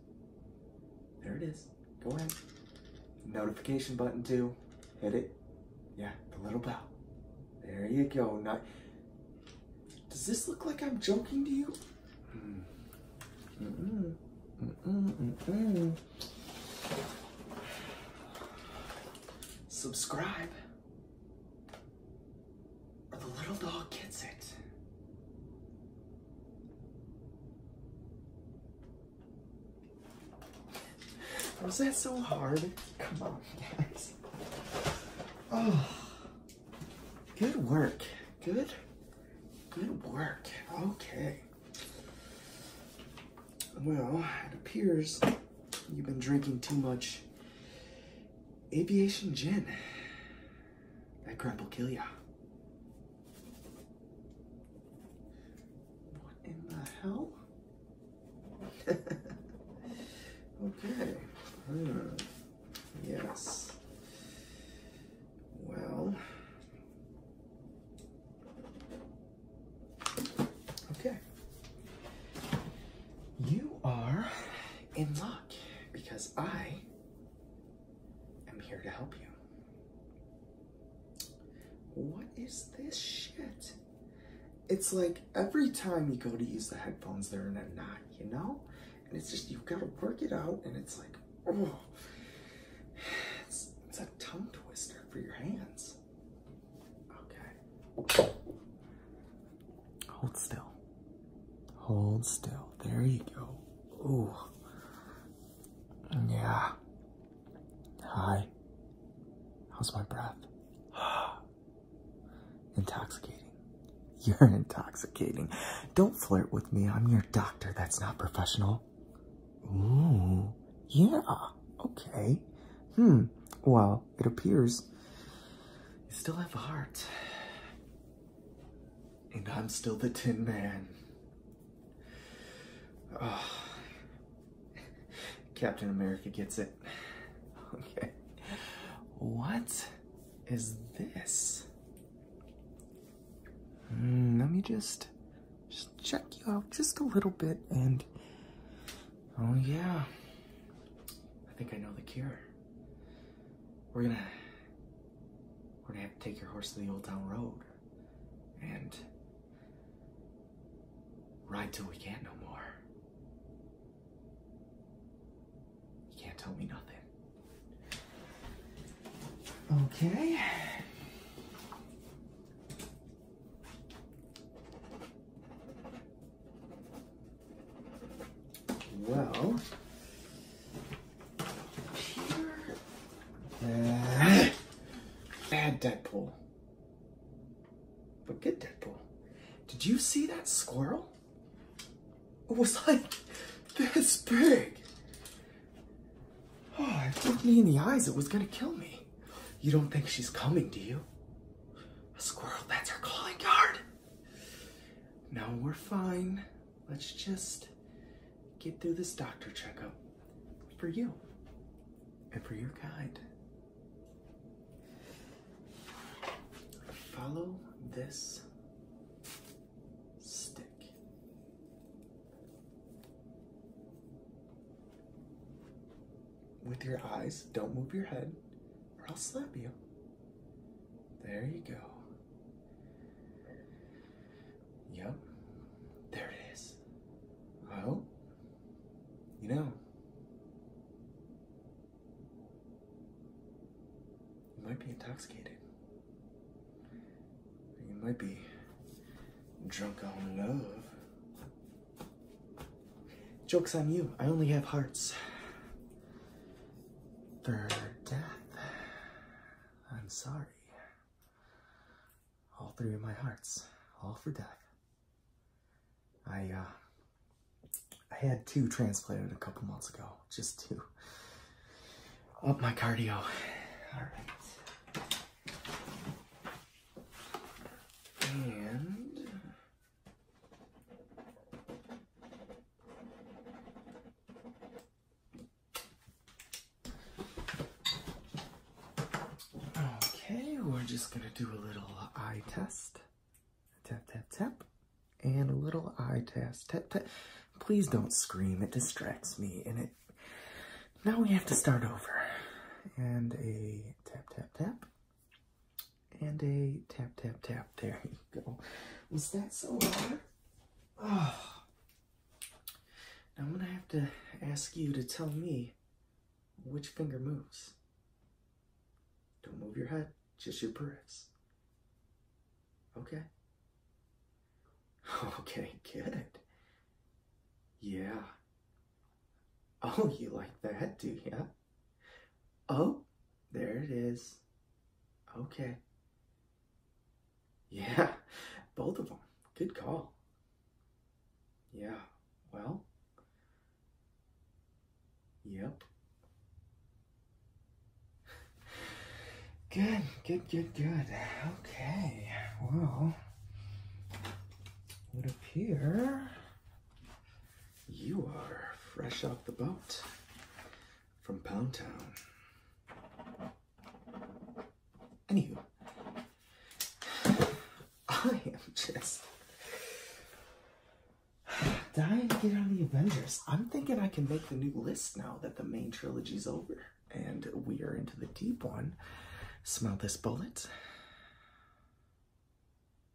There it is. Go ahead. Notification button too. Hit it. Yeah, the little bell. There you go. Not. Does this look like I'm joking to you?
Mm -mm, mm
Subscribe, or the little dog gets it. Was that so hard? Come on, guys. Oh.
Good work. Good. Good work. Okay. Well, it appears you've been drinking too much aviation gin. That crap will kill ya. What in the hell? okay.
Hmm. Yes. Well.
Okay. You are in luck because I am here to help you. What
is this shit?
It's like every time you go to use the headphones, they're in a knot, you know? And it's just, you've got to work it out. And it's like, oh, it's, a tongue twister for your hands. Okay. Hold still. Hold still. There you go. Oh. Yeah. Hi. How's my breath? Intoxicating. You're intoxicating. Don't flirt with me. I'm your doctor. That's not professional. Ooh, yeah. Okay. Hmm. Well, it appears you still have a heart. And I'm still the Tin Man. Oh. Captain America gets it.
Okay. What is this? Mm, let me just just check you out just a little bit and oh yeah i think i
know the cure we're gonna we're gonna have to take your horse to the old town road and ride till we can't no more you can't tell me nothing.
Okay.
Well,
uh, bad Deadpool, Forget Deadpool. Did you see that squirrel? It
was like this big.
Oh, it looked me in the eyes. It was gonna kill me. You don't think she's coming, do you? A squirrel, that's her calling card. No, we're fine. Let's just get through this doctor checkup for you and for your guide.
Follow this stick. With
your eyes, don't move your head
or I'll slap you. There you go. Yep, there it is. Well, you know,
you might be intoxicated. You might be drunk on love. Joke's on you. I only have hearts. For death. I'm sorry. All three of my hearts. All for death. I, uh, I had two transplanted a couple months ago just to up my cardio. All right. And okay, we're just gonna do a little eye test. Tap, tap, tap. And a little eye test. Tap, tap. Please don't scream, it distracts me, and it. Now we have to start over. And a tap, tap, tap. And a tap, tap, tap. There you go. Was that so hard? Oh. Now I'm gonna have to ask you to tell me which finger moves. Don't move your head, just your press. Okay. Okay, good. Yeah. Oh, you like that, do yeah. Oh, there it is. Okay. Yeah, both of them. Good call. Yeah, well. Yep.
Good, good, good, good. Okay, well, it would appear
you are fresh off the boat from Pound Town.
Anywho, I am just
dying to get on the Avengers. I'm thinking I can make the new list now that the main trilogy's over and we are into the deep one. Smell this bullet.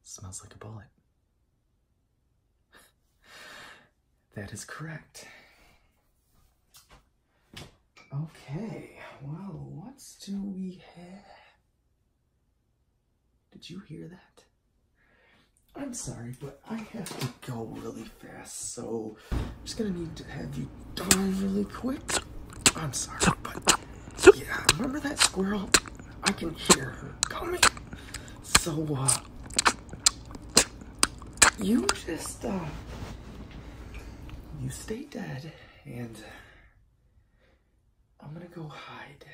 Smells like a bullet. that is correct. Okay, well, what do we have? Did you hear that? I'm sorry, but I have to go really fast, so I'm just gonna need to have you
die really quick.
I'm sorry, but
yeah, remember that squirrel? I can hear her coming. So, uh, you just, uh, you stay dead, and I'm gonna go
hide.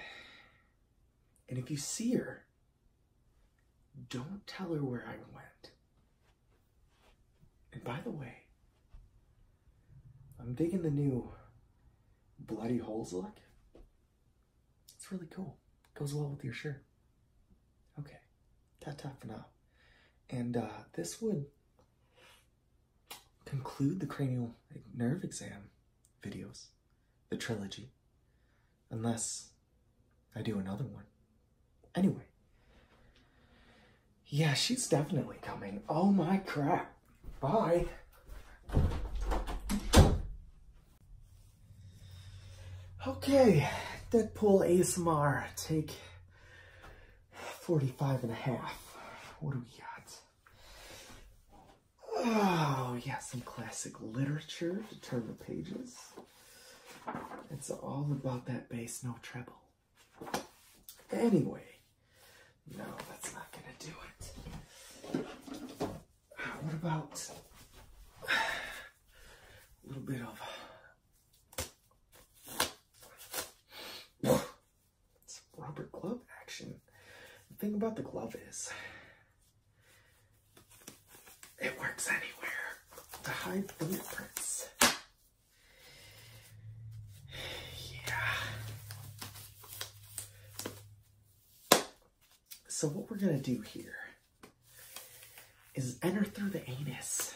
And if you see her, don't tell her where I went. And by the way, I'm digging the new bloody holes look.
It's really cool.
Goes well with your shirt. Okay, ta, ta for now. And uh, this would conclude the cranial nerve exam videos, the trilogy. Unless I do another one. Anyway. Yeah, she's definitely coming. Oh my crap. Bye. Okay, Deadpool ASMR, take 45 and a half. What do we got? Oh, yeah, some classic literature to turn the pages. It's all about that bass, no treble.
Anyway, no, that's not gonna do it. What about a little bit of
some rubber glove action? The thing about the glove is
it works anywhere to hide fingerprints. Yeah.
So what we're gonna do here is enter through the anus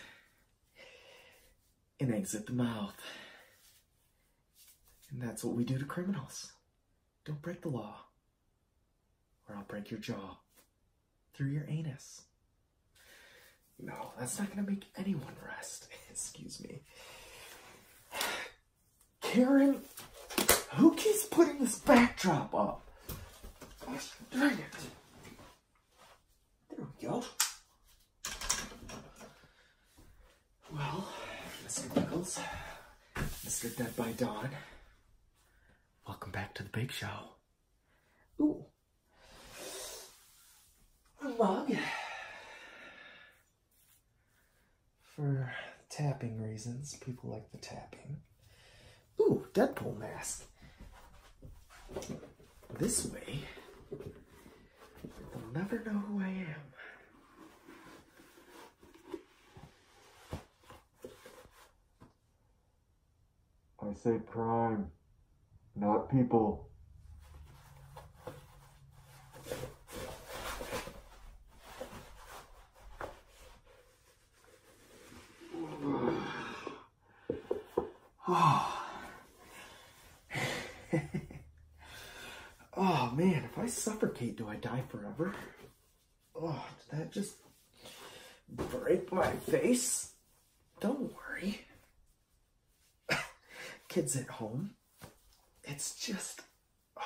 and exit the mouth. And that's what we do to criminals. Don't break the law, or I'll break your jaw through your anus. No, that's not going to make anyone rest. Excuse me.
Karen, who keeps putting this
backdrop up?
Gosh dang it. There we go.
Well, Mr.
Nichols, Mr. Dead by Dawn, welcome back to the big show.
Ooh, mug
for tapping reasons. People like the tapping. Ooh, Deadpool mask. This way, they'll never know who I am. I say crime, not people. Oh. oh man, if I suffocate, do I die forever? Oh, did that just break my face? Don't worry. Kids at home. It's just. Oh.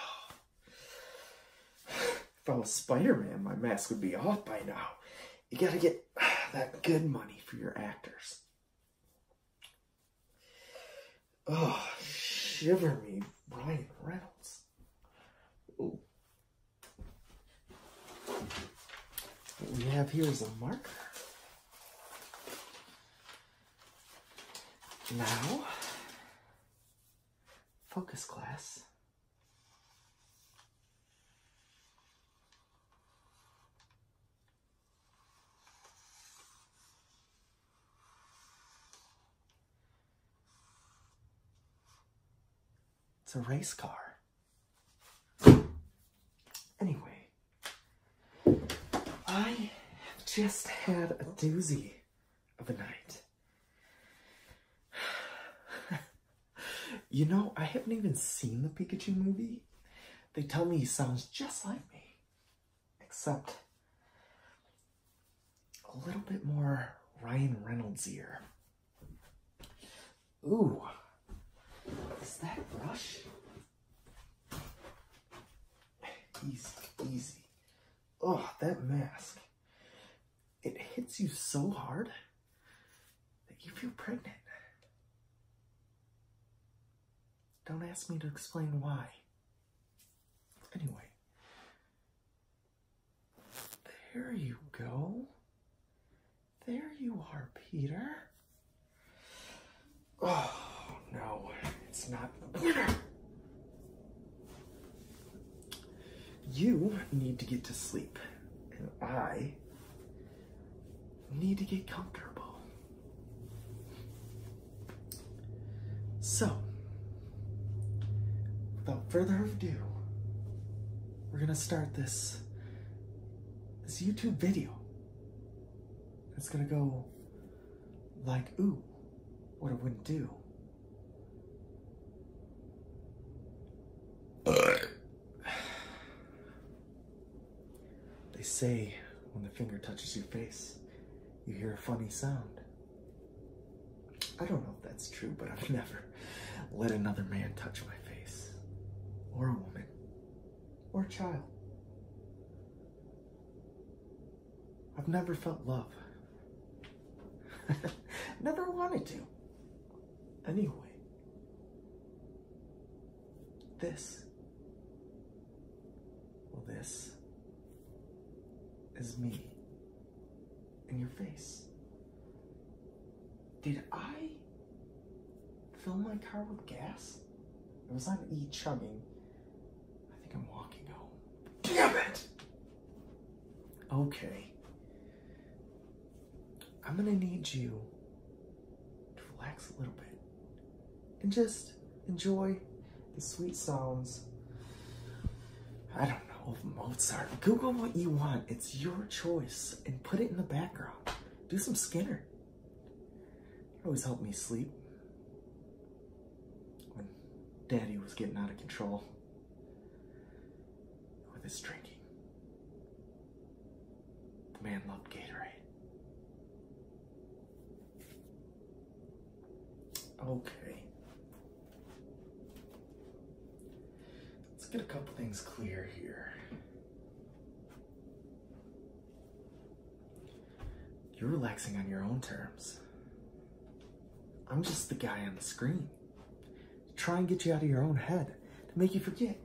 If I was Spider Man, my mask would be off by now. You gotta get that good money for your actors. Oh, shiver me, Brian Reynolds. Ooh. What we have here is a marker.
Now, focus class.
It's a race car.
Anyway, I have just had a doozy of a night.
you know, I haven't even seen the Pikachu movie. They tell me he sounds just like me, except a little bit more Ryan Reynolds ear. Ooh, is that brush? Easy, easy. Oh, that mask. It hits you so hard that you feel pregnant. Don't ask me to explain why. Anyway. There you go.
There you are,
Peter.
Oh, no, it's not the winner.
You need to get to sleep, and I need to get comfortable. So, without further ado, we're gonna start this this YouTube video. That's gonna go like, ooh, what it wouldn't do. they say when the finger touches your face, you hear a funny sound. I don't know if that's true, but I've never let another man touch my face, or a woman, or a child. I've never felt love.
never wanted to.
Anyway, this, well, this is me in your face. Did I fill my car with gas? It was on E chugging. I think I'm walking home. Damn it! Okay. I'm gonna need you to relax a little bit and just enjoy the sweet sounds. I don't know, of Mozart. Google what you want. It's your choice and put it in the background. Do some Skinner. He always helped me sleep. When Daddy was getting out of control
with his drinking. The man loved Gatorade. Okay. Let's get a
couple things clear here. You're relaxing on your own terms. I'm just the guy on the screen. Try and get you out of your own head to make you forget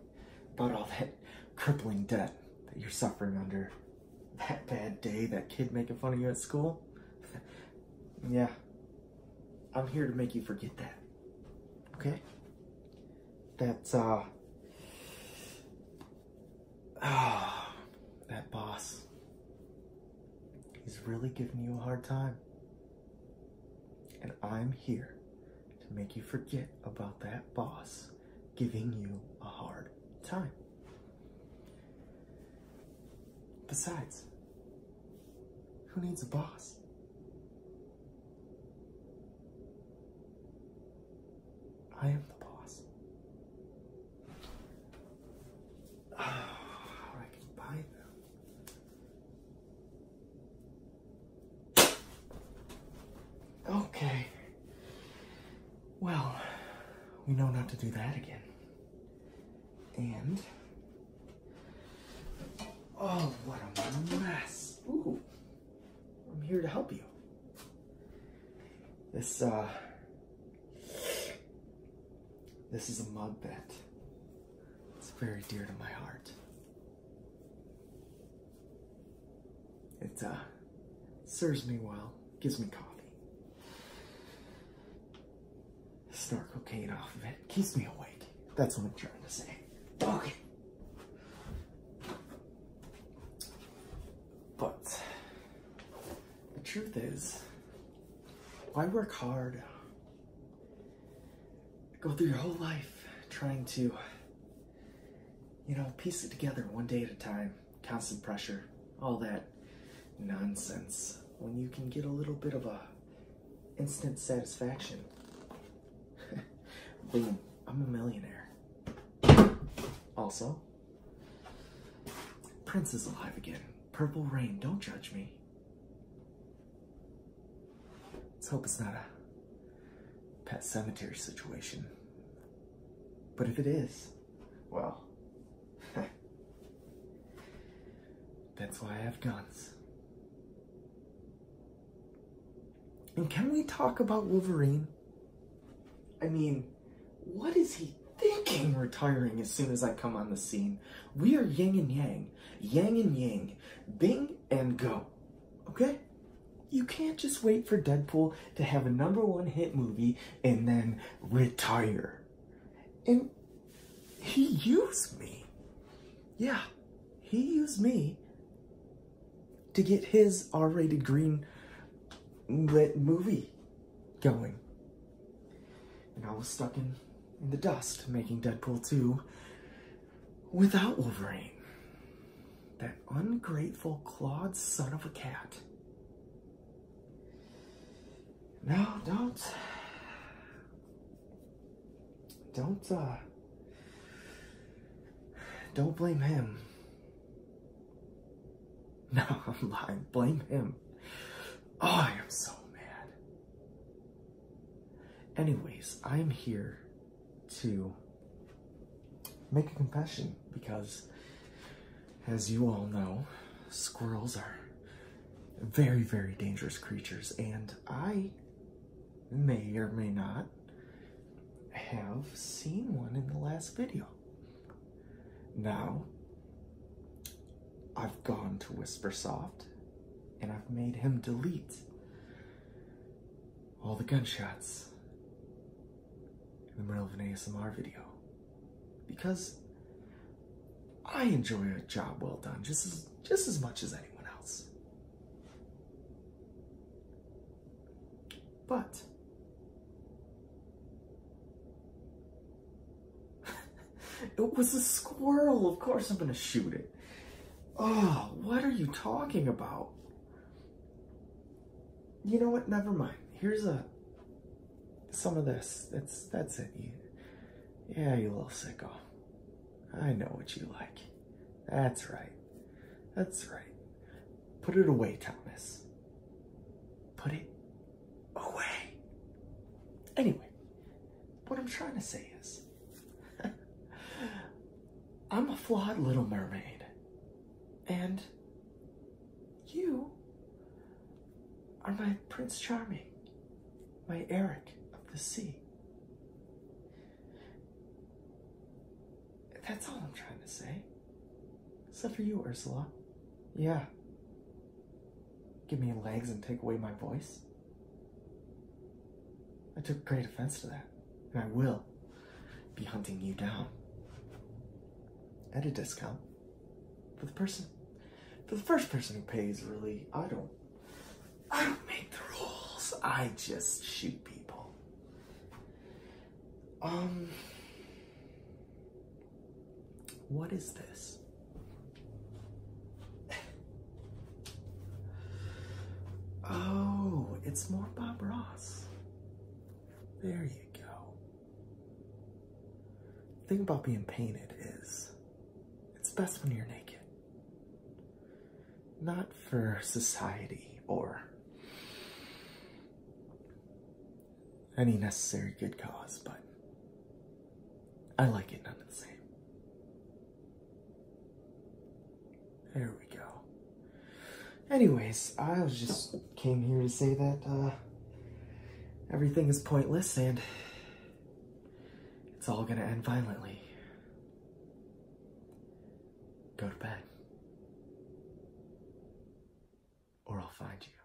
about all that crippling debt that you're suffering under. That bad day, that kid making fun of you at school. yeah, I'm here to make you forget that. Okay? That's, uh, ah, that boss. He's really giving you a hard time. And I'm here to make you forget about that boss giving you a hard time.
Besides, who needs a boss?
I am the boss. Oh, I can buy
them. Okay.
Well, we know not to do that again. And. Oh, what a mess. Ooh. I'm here to help you. This, uh, this is a mug that it's very dear to my heart. It, uh, serves me well, gives me coffee. Snark cocaine off of it, keeps me awake. That's what I'm trying to say. Okay. But the truth is, why work hard? Go through your whole life trying to, you know, piece it together one day at a time, constant pressure, all that nonsense, when you can get a little bit of a instant satisfaction Boom, I'm a millionaire. Also, Prince is alive again. Purple Rain, don't judge me. Let's hope it's not a pet cemetery situation. But if it is, well,
that's why I have guns.
And can we talk about Wolverine? I mean, what is he thinking retiring as soon as I come on the scene? We are yin and yang, yang and yang, bing and go, okay? You can't just wait for Deadpool to have a number one hit movie and then retire. And he used me. Yeah, he used me to get his R-rated green lit movie going. And I was stuck in, in the dust making Deadpool 2 without Wolverine. That ungrateful, clawed son of a cat. No, don't don't uh, don't blame him no i'm not blame him oh, i am so mad anyways i'm here to make a confession because as you all know squirrels are very very dangerous creatures and i may or may not have seen one in the last video. Now, I've gone to Whispersoft and I've made him delete all the gunshots in the middle of an ASMR video because I enjoy a job well done just as just as much as anyone else.
But it was a squirrel.
Of course I'm going to shoot it. Oh, what are you talking about? You know what? Never mind. Here's a some of this. That's that's it. yeah, you little sicko. I know what you like. That's right. That's right. Put it away,
Thomas. Put it away. Anyway, what I'm trying to say is I'm a flawed little
mermaid.
And you are my Prince Charming, my Eric of the sea. That's all I'm trying to
say. Except for you, Ursula. Yeah. Give me legs and take away my voice. I took great offense to that, and I will be hunting you down. At a discount. For the person for the first person who pays really I don't
I don't make the
rules. I just shoot people.
Um, what is this?
oh, it's more Bob Ross. There you go. The thing about being painted is it's best when you're naked not for society or any necessary good cause, but I like it none the same. There we go. Anyways, I just came here to say that uh, everything is pointless and it's all gonna end violently. Go to bed. Or I'll find you.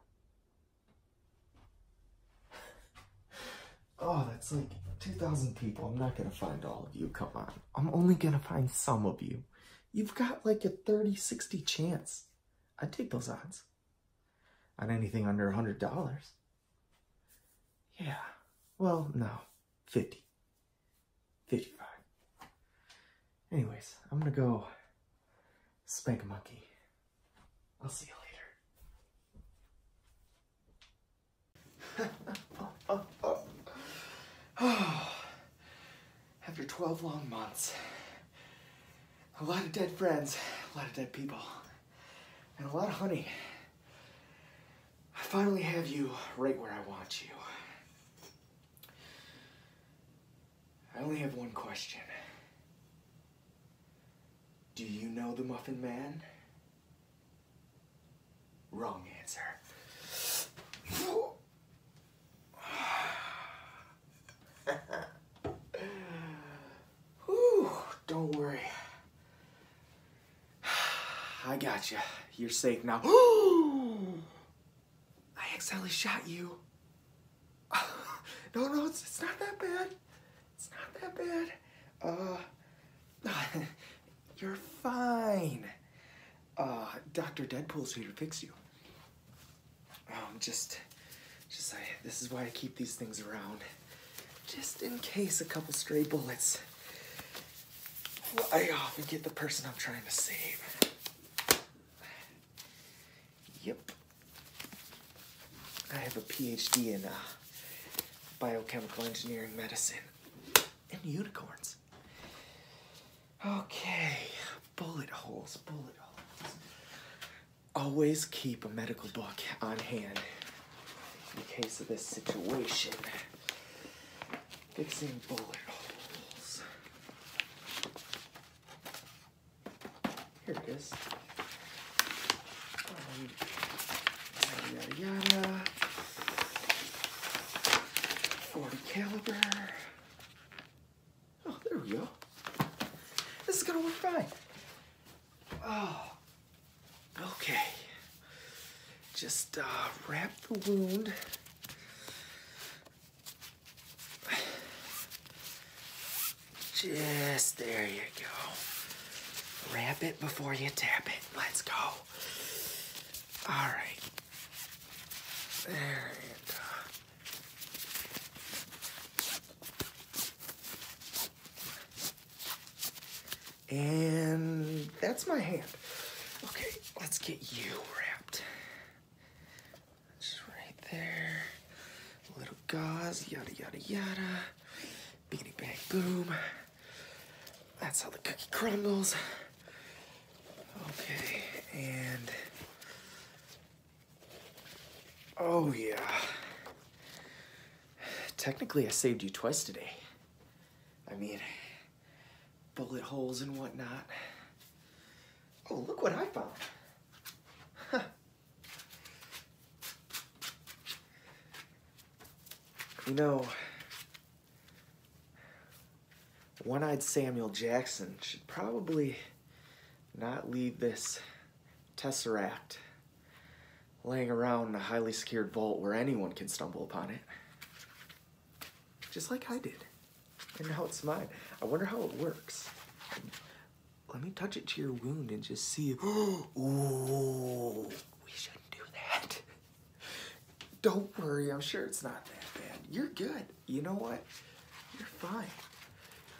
oh, that's like 2,000 people. I'm not gonna find all of you. Come on. I'm only gonna find some of you. You've got like a 30 60 chance. I'd take those odds on anything under a $100. Yeah. Well, no. 50. 55. Anyways, I'm gonna go spank a monkey. I'll see you later. After 12 long months, a lot of dead friends, a lot of dead people, and a lot of honey. I finally have you right where I want you. I only have one question. Do you know the Muffin Man? Wrong answer. don't worry. I got you. You're safe now.
I accidentally shot you. no, no, it's, not that bad. It's not that bad.
Uh, you're fine. Uh, Dr. Deadpool's here to fix you. Um, just, just I, this is why I keep these things around. Just in case a couple stray bullets I often get the person I'm trying to save. Yep. I have a PhD in uh, biochemical engineering medicine and unicorns.
Okay, bullet holes,
bullet holes.
Always keep a medical book on hand in case of this situation. Fixing bullet holes.
Here it is. Um, yada, yada, 40 caliber. Oh, there we go. This is gonna work fine.
Oh, okay. Just uh, wrap
the wound
just there you go. Wrap it before you tap it. Let's go. All right. There you go. And
that's my hand. Okay, let's get you wrapped.
Just right there. A little gauze, yada, yada, yada. Beanie bag boom. That's all the cookie crumbles. Okay, and.
Oh, yeah. Technically, I saved you twice today. I mean, bullet holes and whatnot.
Oh, look what I found. You know,
one-eyed Samuel Jackson should probably not leave this tesseract laying around in a highly secured vault where anyone can stumble upon it just like I did. And now it's mine. I wonder how it works. Let me touch it to your wound and just see. ooh, we shouldn't do that. Don't worry, I'm sure it's not that bad. You're good. You know what? You're fine.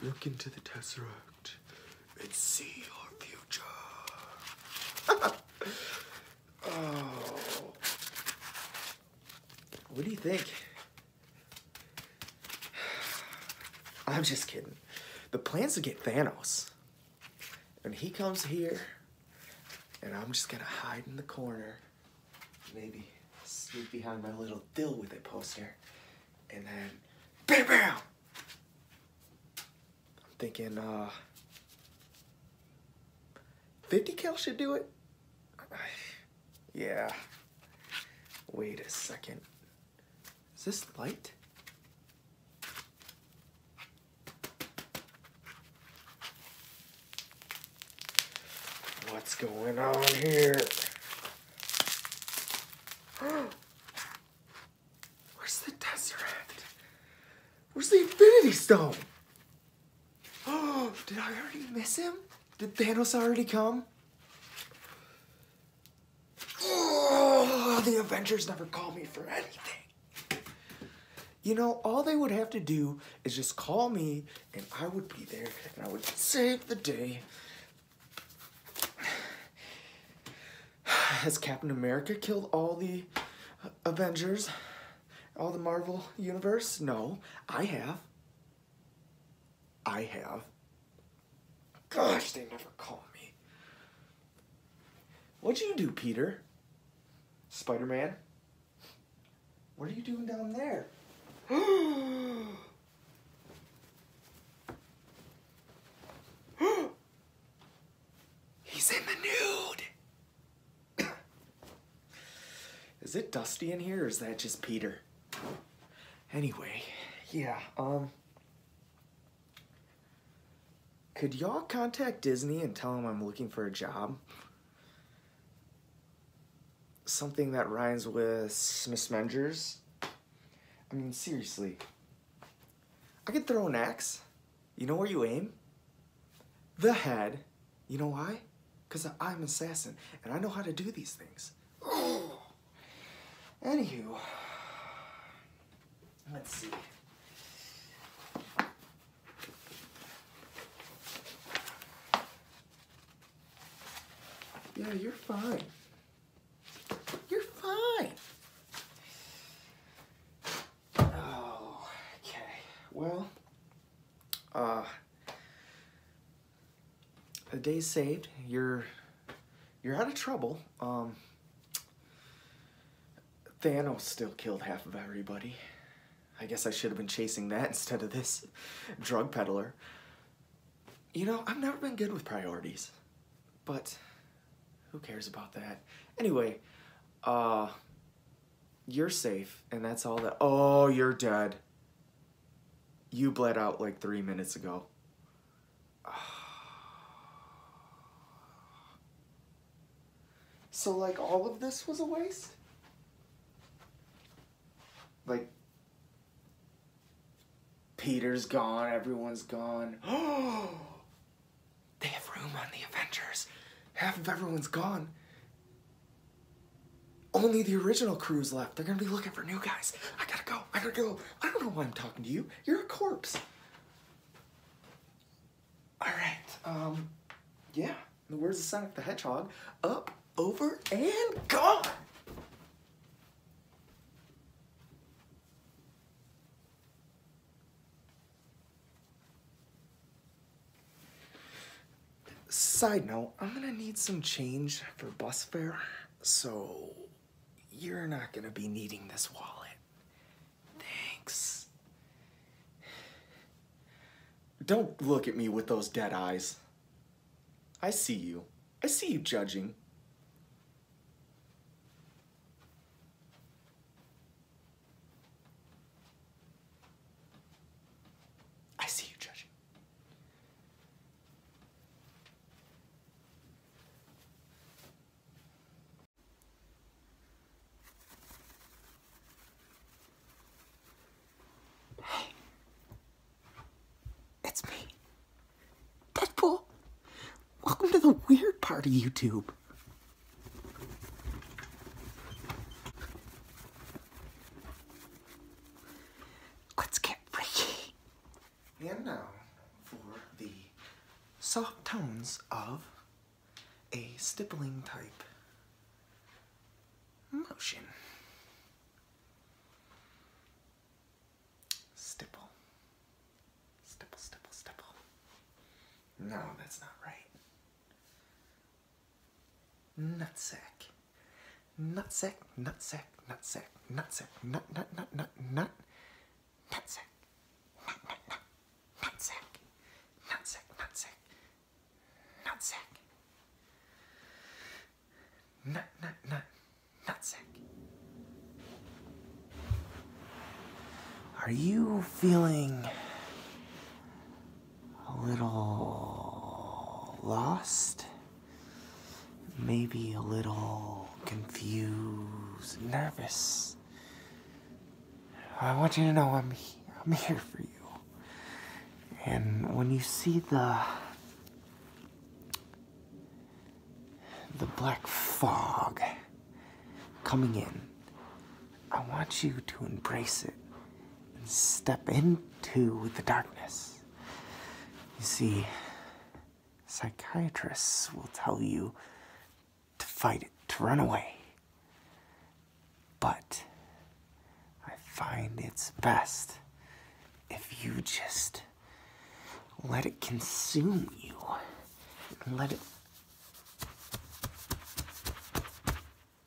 Look into the Tesseract and see your future. oh. What do you think? I'm just kidding. The plan's to get Thanos. And he comes here, and I'm just gonna hide in the corner, maybe sneak behind my little deal with a poster, and then bam bam! I'm thinking, uh,
50 cal should do it?
yeah. Wait a second. Is this light? What's going on here?
Where's the desert?
Where's the
Infinity Stone?
Oh, did I already miss him?
Did Thanos
already come? Oh, the Avengers never call me for anything. You know, all they would have to do is just call me and I would be there and I would save the day. Has Captain America killed all the Avengers? all the Marvel universe? No, I have. I have. Gosh, they never call me. What'd you do, Peter? Spider-Man?
What are you doing down there?
He's in the nude!
Is it dusty in here or is that just Peter? Anyway, yeah, um. Could y'all contact Disney and tell them I'm looking for a job? Something that rhymes with Smithmengers? I mean, seriously. I could throw an axe. You know where you aim? the head. You know why? Because I'm an assassin, and I know how to do these things.
Oh.
Anywho, let's see.
Yeah, you're fine.
You're fine. Oh, okay. Well,
uh, the day's saved. You're you're out of trouble. Um, Thanos still killed half of everybody. I guess I should have been chasing that instead of this drug peddler. You know, I've never been good with priorities, but who cares about that? Anyway, uh, you're safe, and that's all that. Oh, you're dead. You bled out like three minutes ago. So, like, all of this was a waste? Like, Peter's gone, everyone's gone. they have room on the Avengers. Half of everyone's gone. Only the original crew's left. They're gonna be looking for new guys. I gotta go. I gotta go. I don't know why I'm talking to you. You're a corpse. All right. Um, yeah. The words of Sonic the Hedgehog. Up, over, and gone. Side note, I'm gonna need some change for bus fare, so you're not gonna be needing this wallet. Thanks. Don't look at me with those dead eyes. I see you. I see you judging.
I see you judging. Hey, it's me, Deadpool. Welcome to
the weird part of YouTube. Let's get Ricky. And now for the soft tones of a stippling type motion. Stipple.
Stipple, stipple, stipple. No, that's not right. Nutsack. Nutsack, nutsack, nutsack, nutsack, nut, nut, nut, nut, nut, nutsack. Nut, nut, nut, nutsack. Nutsack, nutsack, nutsack. Nut, nut, nut, nutsack. Are you feeling
a little lost, maybe a little confused, nervous. I want you to know I'm I'm here for you. And when you see the the black fog coming in, I want you to embrace it and step into the darkness. You see, psychiatrists will tell you to fight it, to run away.
But I find it's best if you just let it consume you let it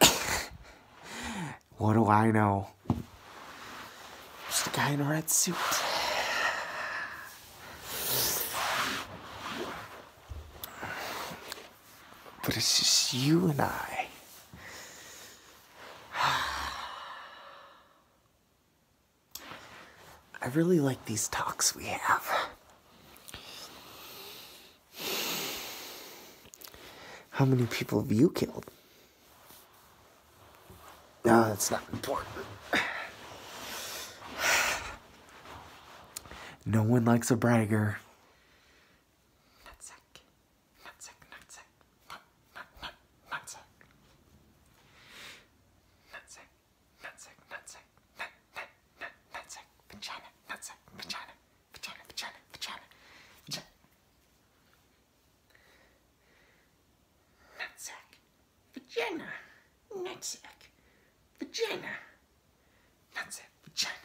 what do I know? Just a guy in a red suit. But it's just you and I. I really like these talks we have. How many people have you killed? No, that's not important. No one likes a bragger
nutsack, nutsack, nut, nut, nut, nutsack, vagina, nutsack, vagina, vagina, vagina, vagina, vagina. Nutsack, vagina, nutsack, vagina, nutsack, vagina. Nutsack.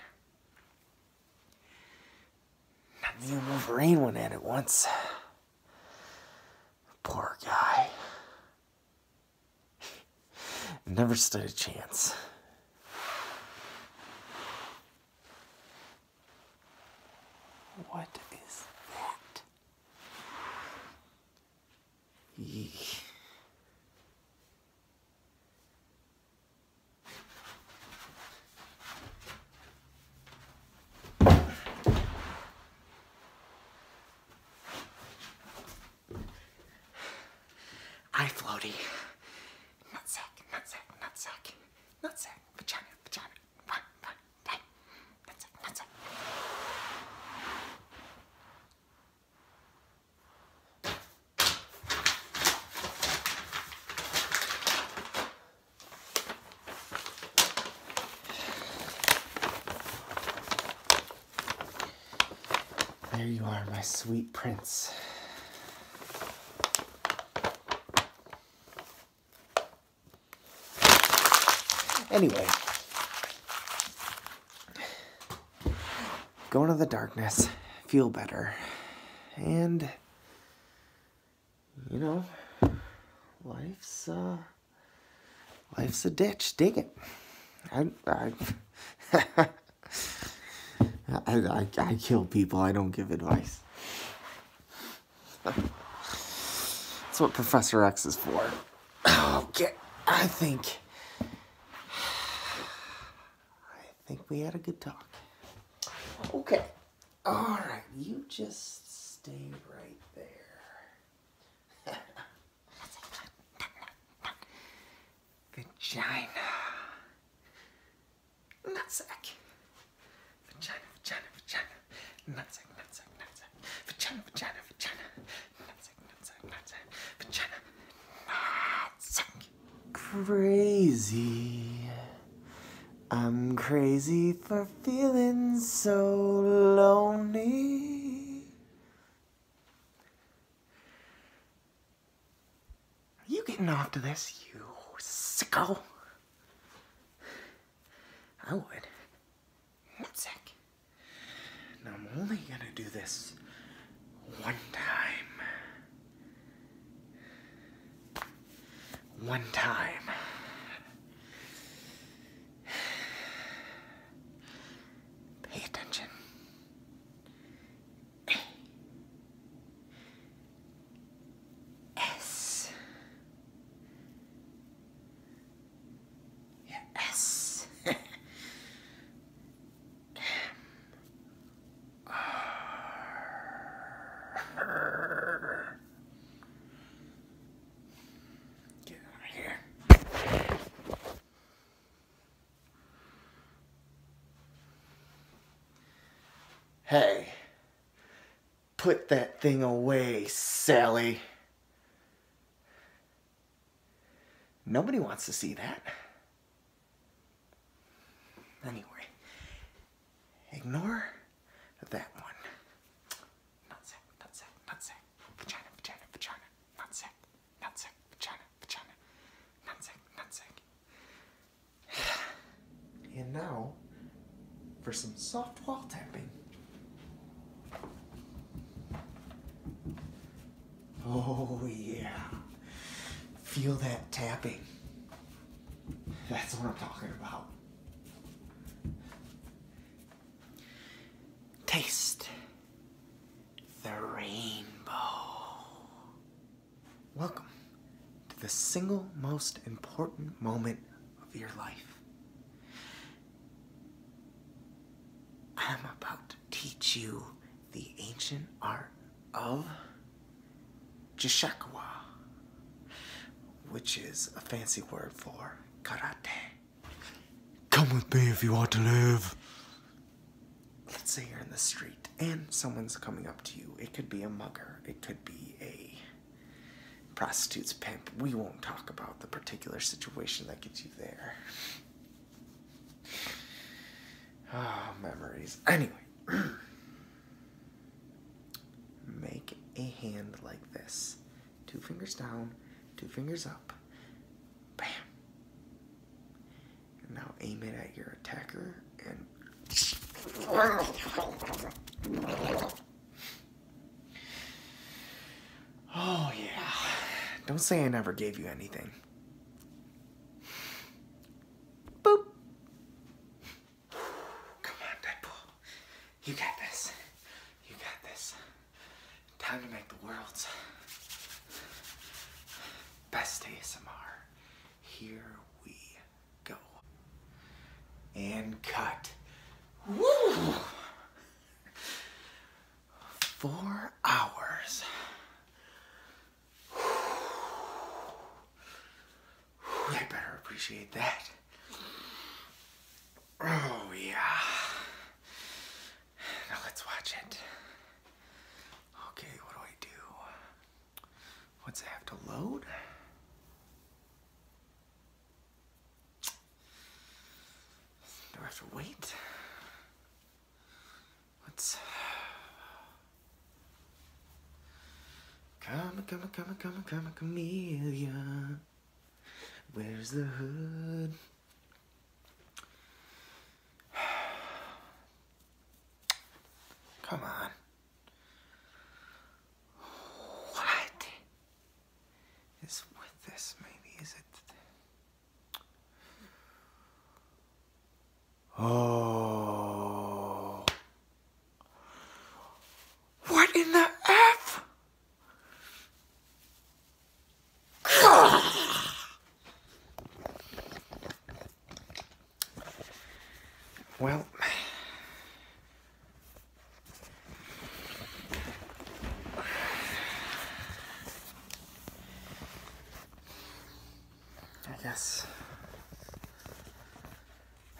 Me and Wolverine went at it once. Poor guy. Never stood a chance.
What is that?
Eek.
I floaty. Nutsack, nutsack, nutsack. Nutsack, vagina, vagina. Run, run, run. Nutsack, nutsack.
There you are, my sweet prince. Anyway, go into the darkness, feel better, and you know, life's uh Life's a ditch. Dig it. I, I, I, I, kill people. I don't give advice. That's what Professor X is for. Okay, I think... I think we had a good talk.
Okay. All right,
you just stay right there.
Vagina. Nutsack. Vagina, vagina, vagina. Nutsack, nutsack, nutsack. Vagina, vagina, vagina. Nutsack, nutsack, nutsack. Vagina. Nutsack.
Crazy. I'm crazy for feeling so lonely.
Are you getting off to this, you sicko? I would. One sec.
Now I'm only gonna do this one time. One time. Pay attention.
A S. Your S. M.
R. Get out here.
Hey, put that thing away, Sally. Nobody wants to see that. Anyway,
ignore that one. Not sack, not sack, not sack. Vagina, vagina, vagina. Not sack. Nutsack, vagina, vagina. Nutsack,
nutsack. and now for some soft wall tapping. Oh yeah. Feel that tapping. That's what I'm talking about.
Taste the rainbow.
Welcome to the single most important moment of your life. I'm about to teach you the ancient art of Jishakwa, which is a fancy word for
karate. Come with me if you want to live.
Let's say you're in the street and someone's coming up to you. It could be a mugger, it could be a prostitute's pimp. We won't talk about the particular situation that gets you there. Ah, oh, memories. Anyway, make a hand like this two fingers down, two fingers up. Bam now aim it at your attacker and.
Oh, yeah.
Don't say I never gave you anything. Boop. Come on, Deadpool. You got this. You got this. Time to make the world's best ASMR. Here we go. And cut. Woo! Four hours. They better appreciate that. Oh, yeah.
Now let's watch it. Okay, what do I do? What's it have to load? Do I have to wait? Let's.
Come, come, come, come, come, chameleon. Where's the
hood?
Come on. What is with this, maybe? Is it...
Oh... What in the F? well,
I guess,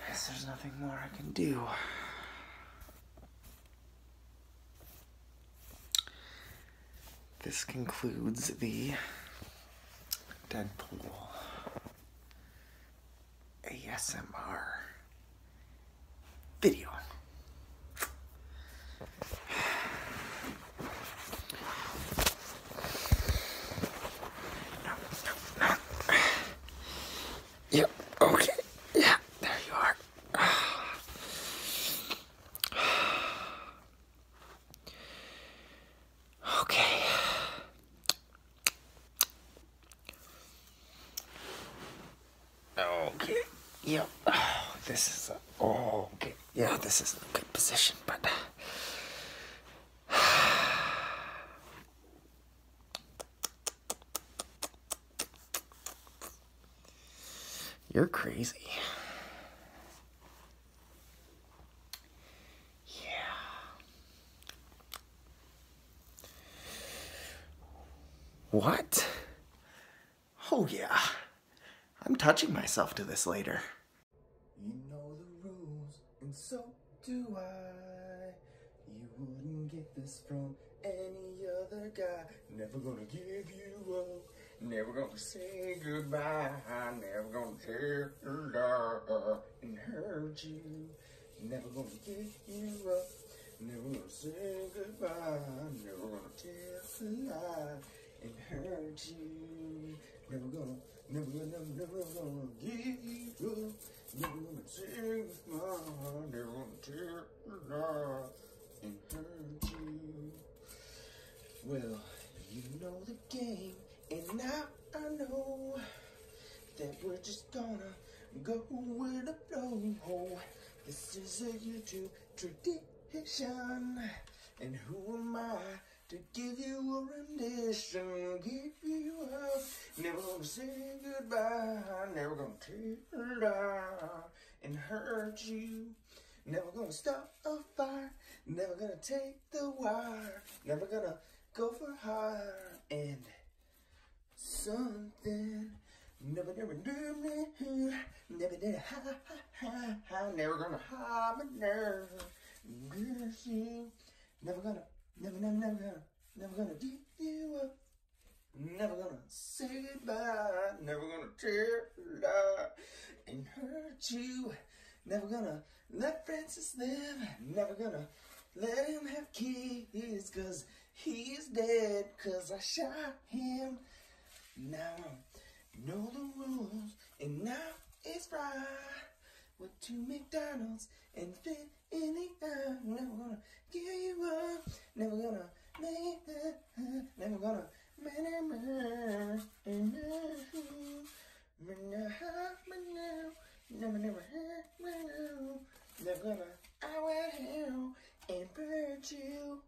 guess there's nothing more I can do
this concludes the Deadpool ASMR
video.
No, no, no. Yep, okay. Yeah, there you are. Okay. Okay. Yep. this is oh, okay. Yeah, this is a good position, but
you're crazy. Yeah. What? Oh, yeah. I'm touching myself to this later.
You know the rules, and so do I. You wouldn't get this from any other guy. Never gonna give you up. Never gonna say goodbye. Never gonna tear you and hurt you. Never gonna give you up. Never gonna say goodbye. Never gonna tell a lie and hurt you. Never gonna, never gonna, never, never gonna give up. Never gonna say goodbye. Never gonna tear you down and hurt you. Well, you know the game, and now I know that we're just gonna go with the flow. This is a YouTube tradition, and who am I to give you a rendition? Give you up, never gonna say goodbye, never gonna tear down and hurt you, never gonna stop of fire. Never gonna take the wire. Never gonna go for higher. And something. Never, never, never, never, never, never, ha, ha, ha, ha. Never gonna hide my nerve. Gonna Never gonna, never, never, never, to never gonna give you up. Never gonna say goodbye. Never gonna tear and hurt you. Never gonna let Francis live. Never gonna let him have kids cause he's dead cause I shot him. Now I know the rules and now it's Friday. We're two McDonald's and fit in the eye. Never gonna give you up. Never gonna make that Never gonna. Never, never, never gonna. I will heal and hurt you.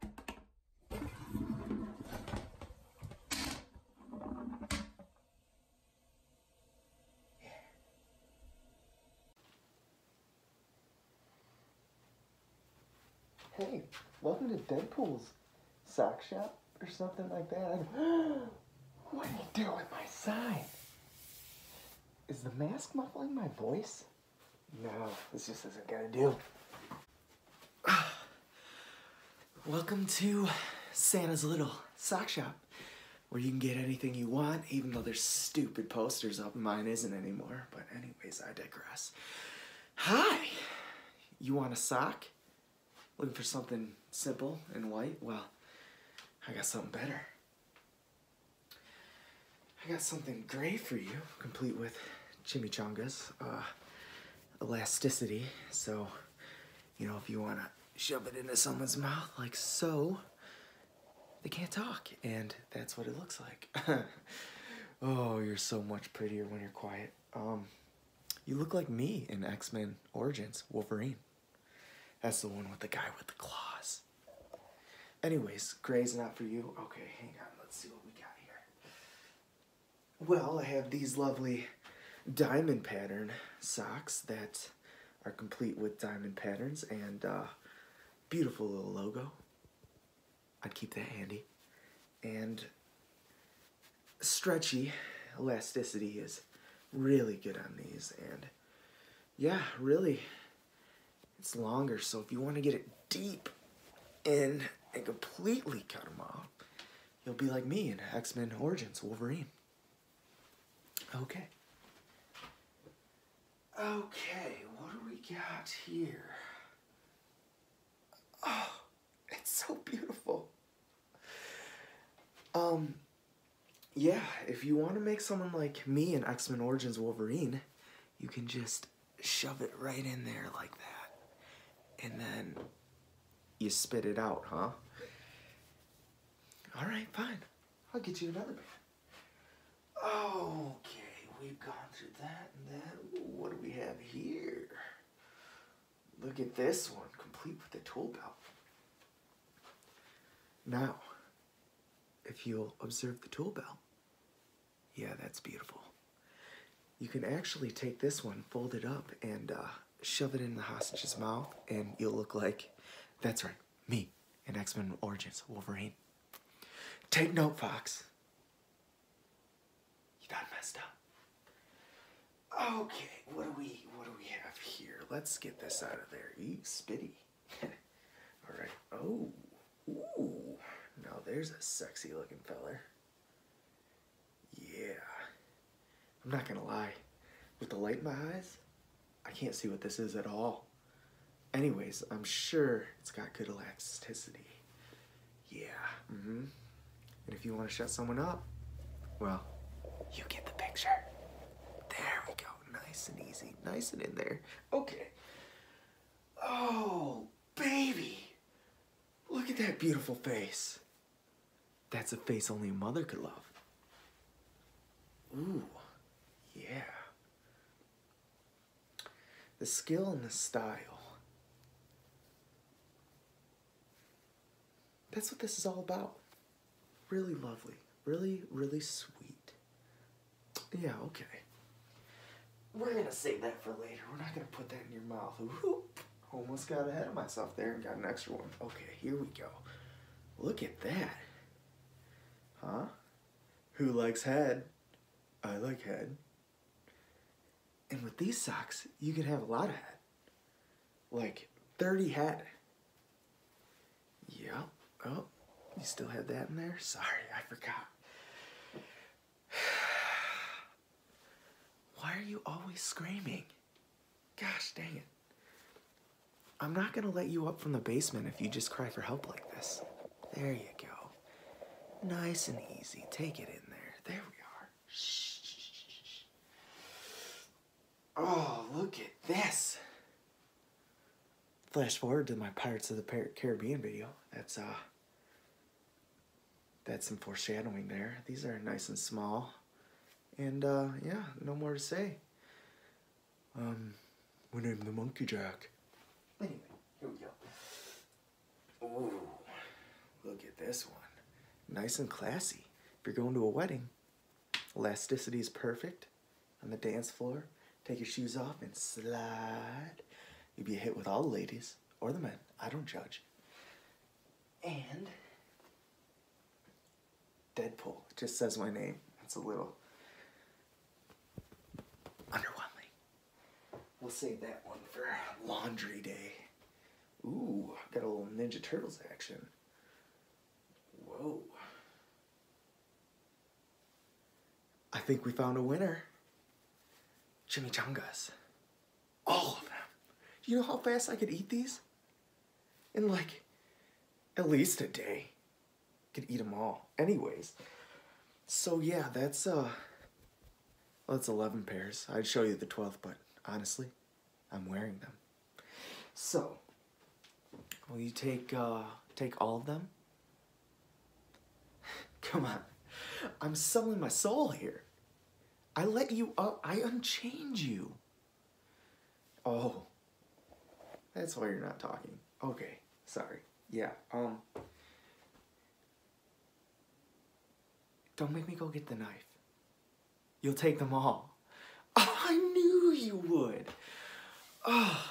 Hey, welcome to Deadpool's sock shop or something like that.
what are you doing with my
side? Is the mask muffling my voice? No, this just isn't gonna do. Welcome to Santa's Little Sock Shop, where you can get anything you want, even though there's stupid posters up. Mine isn't anymore, but anyways, I digress. Hi! you want a sock? Looking for something simple and white? Well, I got something better. I got something gray for you, complete with chimichangas, uh, elasticity. So, you know, if you want to shove it into someone's mouth like so, they can't talk. And that's what it looks like. oh, you're so much prettier when you're quiet. Um, you look like me in X Men Origins Wolverine. That's the one with the guy with the claws. Anyways, gray's not for you. Okay, hang on. Let's see what we got here. Well, I have these lovely diamond pattern socks that are complete with diamond patterns and uh, beautiful little logo. I'd keep that handy. And stretchy elasticity is really good on these. And yeah, really, it's longer. So if you want to get it deep in and completely cut them off, you'll be like me in X-Men Origins Wolverine.
Okay. Okay, what do we got here?
Oh. It's so beautiful. Um, yeah, if you want to make someone like me in X Men Origins Wolverine, you can just shove it right in there like that. And then you spit it out, huh?
All right, fine. I'll get you another band. Okay, we've gone through that and then
What do we have here? Look at this one, complete with a tool belt. Now, if you'll observe the tool belt, yeah, that's beautiful. You can actually take this one, fold it up, and uh, shove it in the hostage's mouth, and you'll look like, that's right, me in X Men Origins Wolverine. Take note, Fox. You got messed
up. Okay,
what do we what do we have here? Let's get this out of there. Eat spitty. All right. Oh, ooh. Now there's a sexy looking feller. Yeah. I'm not gonna lie. With the light in my eyes, I can't see what this is at all. Anyways, I'm sure it's got good elasticity. Yeah. Mm-hmm. And if you want to shut someone up, well, you get the picture. There we go. Nice and easy. Nice and in there. Okay. Oh, baby. Look at that beautiful face. That's a face only a mother could love. Ooh, yeah. The skill and the style. That's what this is all about. Really lovely. Really, really sweet. Yeah, okay. We're gonna save that for later. We're not gonna put that in your mouth. almost got ahead of myself there and got an extra one. Okay, here we go. Look at that. Huh? Who likes head? I like head. And with these socks, you could have a lot of head. Like 30 head. Yep. Oh, you still have that in there? Sorry, I forgot. Why are you always screaming? Gosh dang it. I'm not gonna let you up from the basement if you just cry for help like this. There you go. Nice and easy. Take it in there. There we are.
Oh, look at
this. Flash forward to my Pirates of the Caribbean video. That's, uh, that's some foreshadowing there. These are nice and small. And, uh, yeah, no more to say. Um, we named the Monkey Jack. Anyway, here we go. Ooh, look at this one. Nice and classy. If you're going to a wedding, elasticity is perfect on the dance floor. Take your shoes off and slide. You'll be hit with all the ladies or the men. I don't judge. And Deadpool just says my name. That's a little underwhelming. We'll save that one for laundry day. Ooh, got a little Ninja Turtles action. Whoa. I think we found a winner. Chimichangas. All of them. you know how fast I could eat these? In like, at least a day. Could eat them all. Anyways. So yeah, that's uh, well, it's 11 pairs. I'd show you the 12th, but honestly, I'm wearing them. So, will you take, uh, take all of them? Come on. I'm selling my soul here. I let you up. I unchange you. Oh. That's why you're not talking. Okay. Sorry. Yeah. Um, don't make me go get the knife. You'll take them all. Oh, I knew you would. Oh,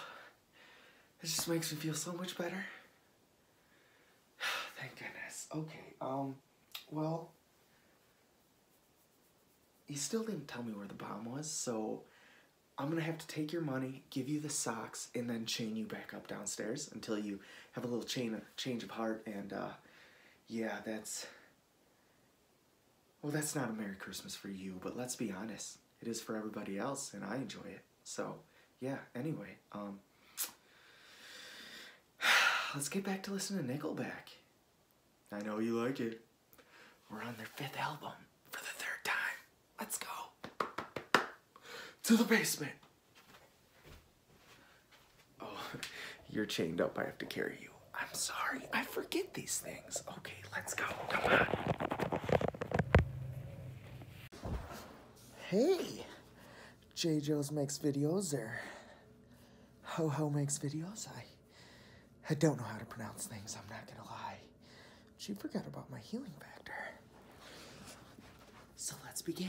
it just makes me feel so much better. Thank goodness. Okay, um, well, you still didn't tell me where the bomb was, so I'm gonna have to take your money, give you the socks, and then chain you back up downstairs until you have a little change of heart and uh, yeah, that's. Well, that's not a Merry Christmas for you, but let's be honest, it is for everybody else, and I enjoy it. So, yeah, anyway, um, let's get back to listening to Nickelback. I know you like it. We're on their fifth album for the third
time. Let's go to the basement.
Oh, you're chained up. I have to carry you.
I'm sorry. I forget these things. Okay, let's go.
Hey, J. Joe's makes videos There, Ho Ho makes videos. I, I don't know how to pronounce things. I'm not gonna lie. She forgot about my healing factor.
So let's begin.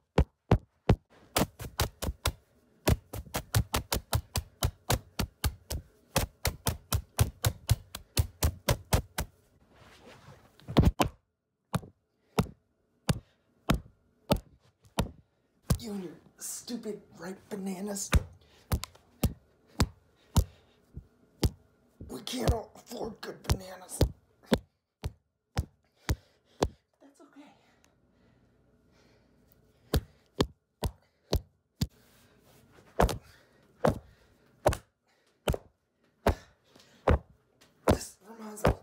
You and your stupid ripe bananas. We can't afford good bananas. That's okay. This reminds of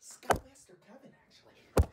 Scott Master Kevin, actually.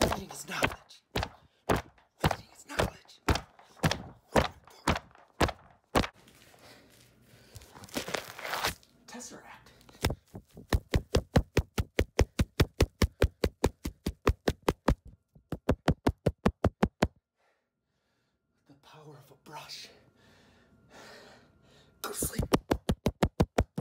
Feeding is knowledge. Feeding is knowledge. Tesseract. the power of a brush. Go sleep.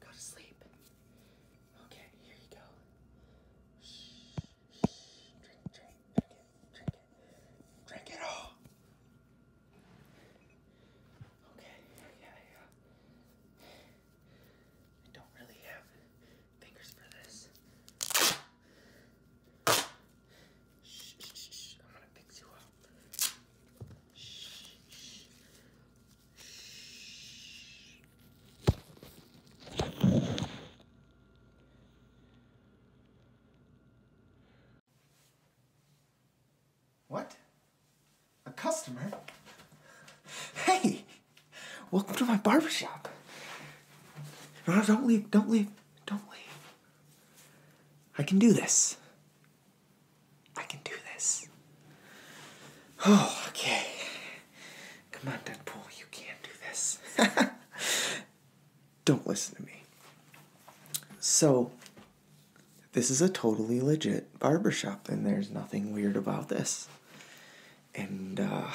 Go to sleep. Okay, here you go. Shh, shh. Drink, drink, drink it, drink it. Drink it all. Okay, yeah, yeah. I don't really have fingers for this. shh, shh. I'm gonna fix you up.
Shh, shh. What? A customer? Hey! Welcome to my barber shop. don't leave, don't leave, don't leave.
I can do this. I can do this. Oh, okay. Come on, Deadpool, you can't
do this. Don't listen to me. So, this is a totally legit barbershop, and there's nothing weird about this. And uh,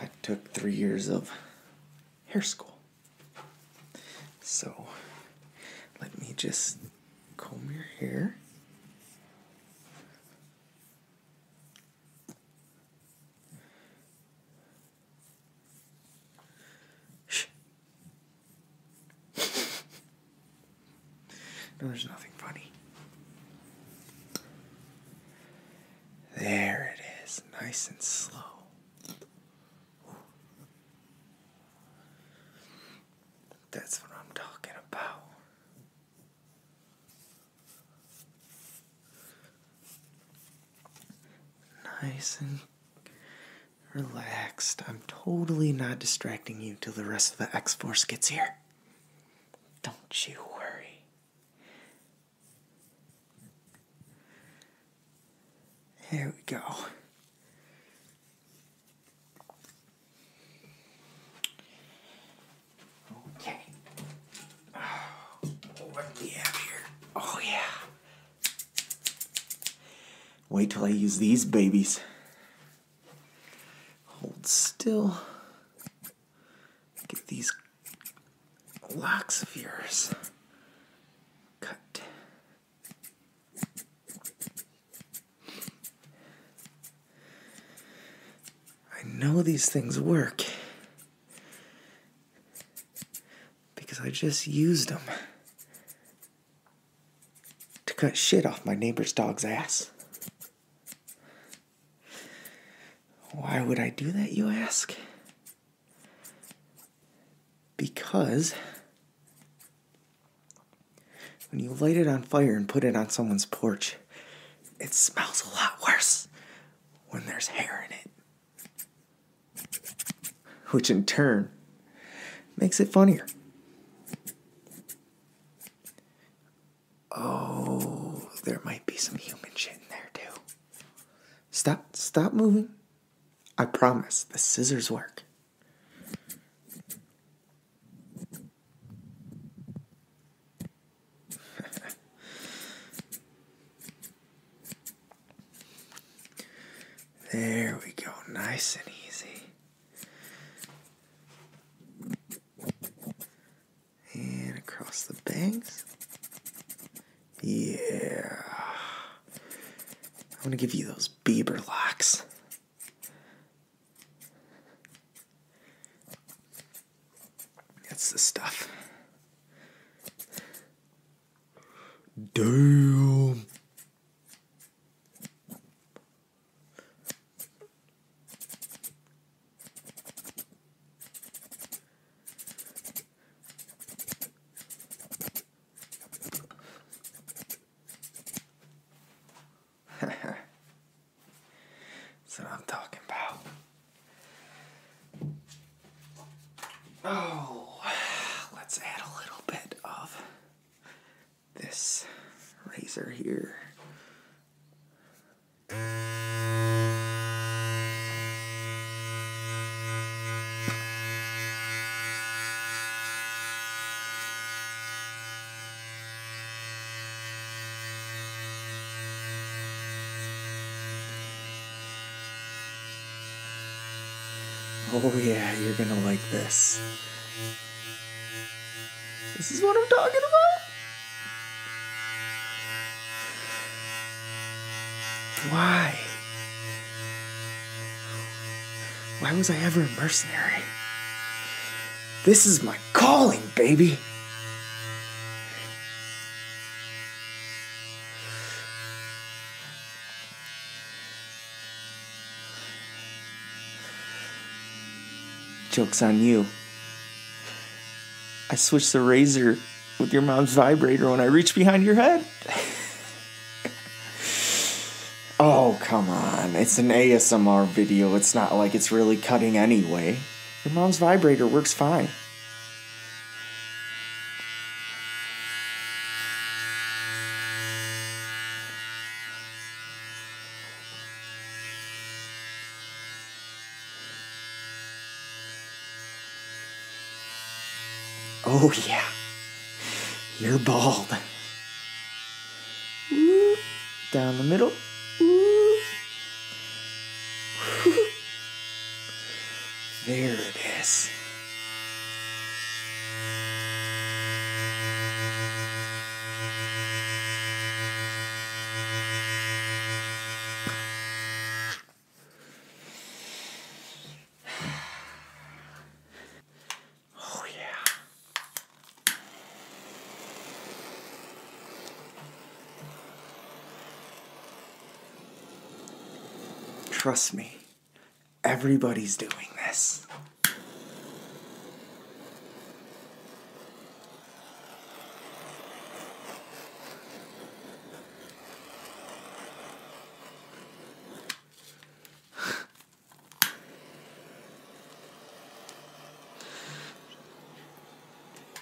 I took three years of hair school. So, let me just comb your hair. No, there's nothing funny.
There it is, nice and slow. That's what I'm talking about. Nice and
relaxed. I'm totally not distracting you till the rest of the X Force gets here. Don't you worry. Here we go. Okay. Oh, what do we have here? Oh, yeah. Wait till I use these babies. Hold
still.
Get these locks of yours cut.
I know these things work because I just used them to cut shit off my neighbor's dog's ass. Why would I do that, you ask? Because when you light it on fire and put it on someone's porch, it smells a lot worse when there's hair in it, which in turn makes it funnier. Oh, there might be some human shit in there too. Stop, stop moving. I promise the scissors work. there we go, nice and easy.
And across the bangs.
Yeah. I'm going to give you those
Bieber locks. That's the stuff.
Damn.
That's what I'm talking about. Oh, let's add a little bit of
this razor here. Oh yeah, you're gonna
like this. This is what I'm talking about. Why? Why was I ever a mercenary?
This is my calling, baby! Joke's on you. I switched the razor with your mom's vibrator when I reached behind your head. Oh, come on. It's an ASMR video. It's not like it's really cutting anyway. Your mom's vibrator works fine.
Oh, yeah. You're bald.
Down the middle.
There it is.
Oh, yeah. Trust me, everybody's doing this.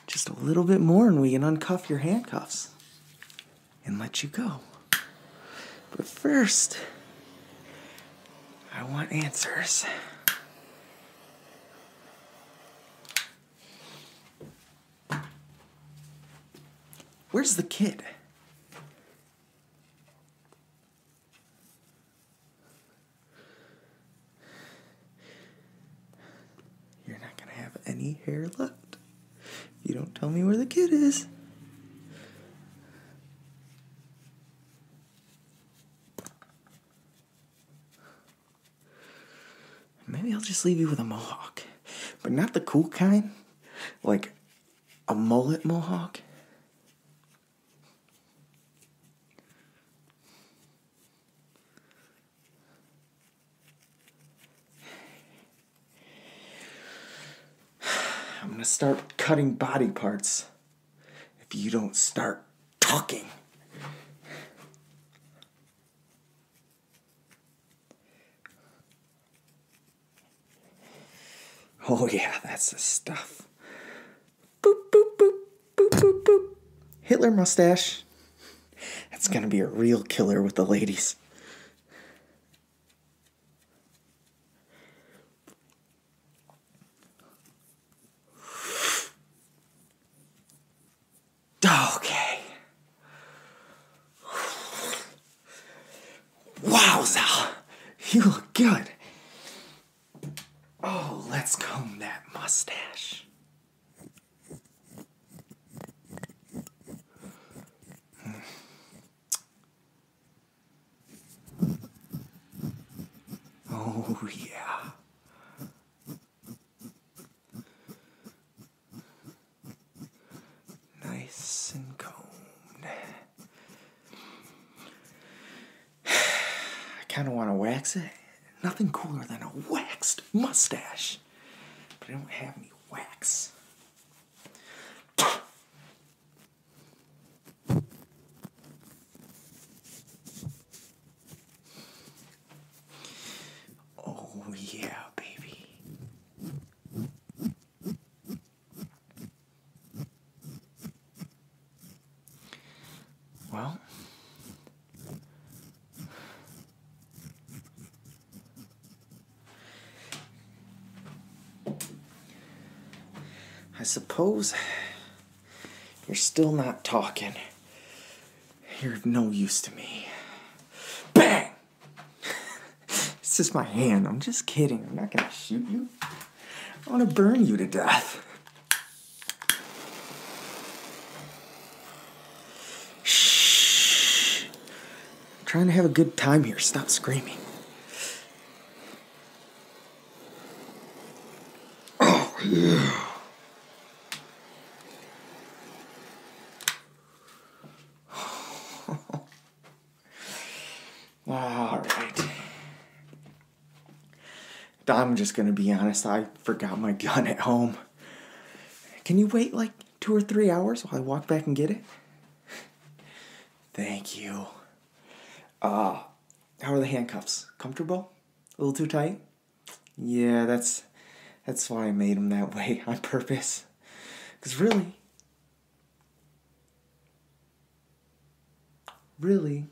Just a little bit more, and we can uncuff your handcuffs and let you go. But first, I want answers. Where's
the kid? You're not
going to have any hair left if you don't tell me where the kid is. Maybe I'll just leave you with a mohawk, but not the cool kind, like a mullet mohawk. I'm gonna start cutting body parts if you don't start
talking. Oh, yeah,
that's the stuff. Boop, boop, boop, boop, boop, boop. Hitler mustache. That's gonna be a real killer with the ladies.
Okay. Wowza! You look good. Oh, let's comb that mustache. Hmm.
Oh, yeah.
Nice and combed. I kind of want to wax it. Nothing cooler than a waxed mustache. But I don't have
any wax.
Oh, yeah, baby. Well,
I suppose you're still not talking. You're of no use to me. Bang! it's just my hand. I'm just kidding. I'm not gonna shoot you. I wanna burn
you to death.
Shh. I'm trying to have a good time here. Stop screaming.
Oh,
All right.
I'm just gonna be honest, I forgot my gun at home. Can you wait like two or three hours while I walk back and get it? Thank you. Ah, how are the handcuffs? Comfortable? A little too tight? Yeah, that's that's why I made them that way on purpose. Cause really, Really,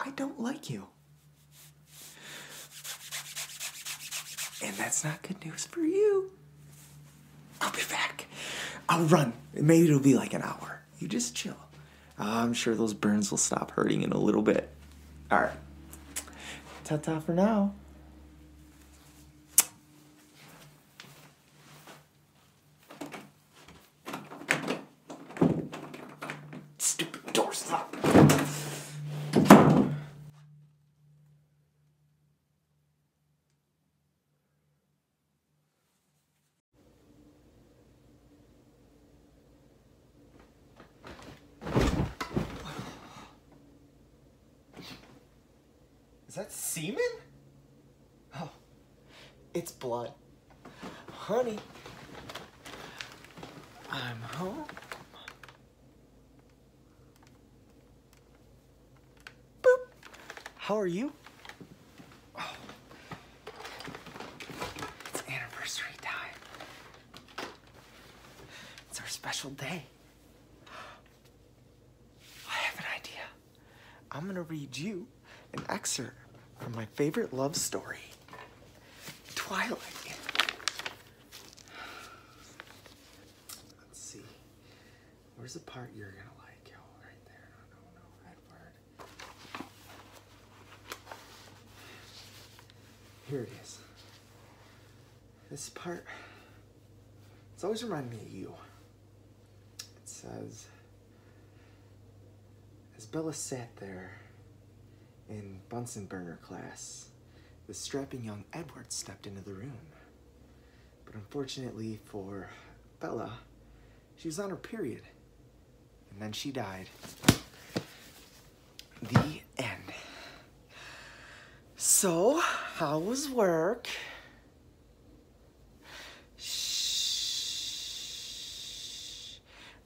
I don't like you.
And that's not good news for you.
I'll be back. I'll run. Maybe it'll be like an hour. You just chill. I'm sure those burns will stop hurting in a little bit. All right. Ta ta for now.
Stupid door stop.
Is that semen? Oh, it's blood. Honey, I'm home. Boop. How are you? Oh.
It's anniversary time. It's our special day. I have an idea.
I'm going to read you an excerpt from my favorite love story, Twilight. Let's see. Where's the part you're going to like? Oh, right there. No, no, no. Here it is. This part, it's always reminding me of you. It says, As Bella sat there in Bunsenburner class, the strapping young Edward stepped into the room. But unfortunately for Bella, she was on her period, and then she died. The end. So, how was work? Shh.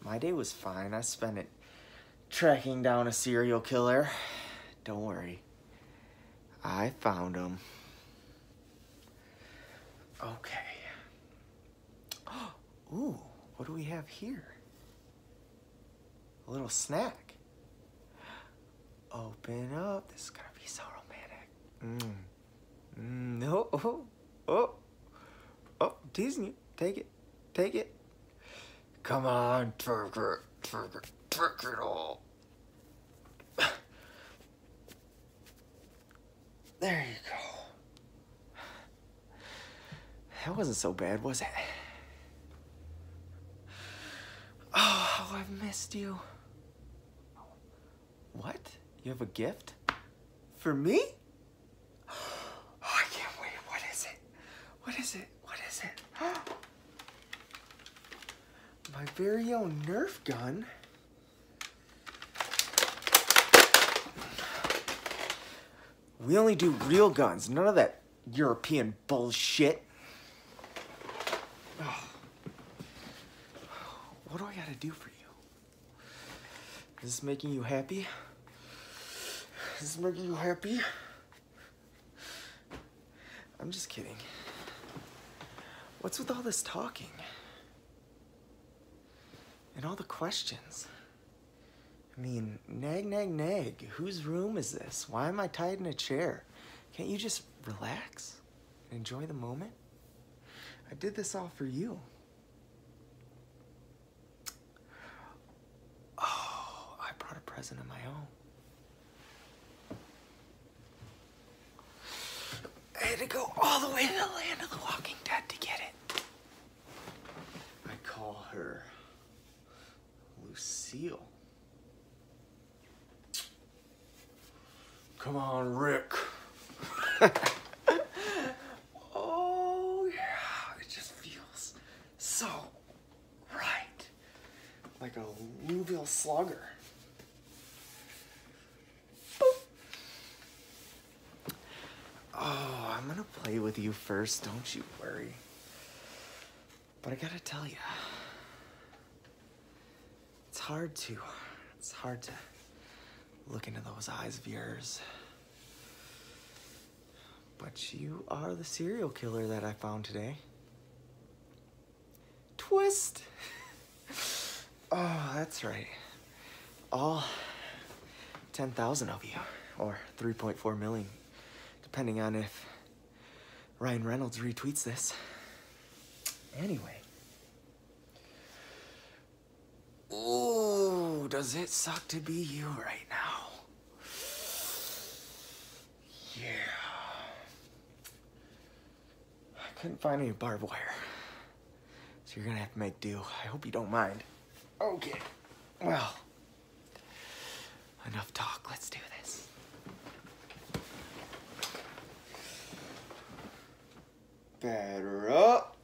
My day was fine. I spent it tracking down a serial killer. Don't worry. I found him. Okay. Ooh, what do we have here? A little snack. Open up. This is gonna be so romantic. Mmm. No. Mm, oh, oh, oh, oh, Disney,
take it, take it. Come on, twerk it, twerk it,
twerk it all. There you go.
That wasn't so bad, was it?
Oh, I've missed you.
What? You have a gift? For me?
Oh, I can't wait. What is it? What is it? What is it?
My very own Nerf gun. We only do real guns, none of that European bullshit. What do I gotta do for you? Is this making you happy? Is this making you happy? I'm just kidding. What's with all this talking? And all the questions? I mean, nag, nag, nag. Whose room is this? Why am I tied in a chair? Can't you just relax and enjoy the moment? I did this all for you. Oh, I brought a present of my own.
I had to go all the way to the land of the walking dead to get it.
I call her Lucille.
Come on, Rick. oh, yeah. It just
feels so right.
Like a Louisville slugger. Oh, I'm gonna play with you first, don't you worry. But I gotta tell you, it's hard to, it's hard to Look into those eyes of yours. But you are the serial killer that I found today. Twist! oh, that's right. All 10,000 of you, or 3.4 million, depending on if Ryan Reynolds retweets this.
Anyway, Ooh, does it suck to be you right now?
Yeah. I couldn't find any barbed wire. So you're gonna have to make do. I hope you don't mind.
Okay. Well,
enough talk. Let's do this. Better up.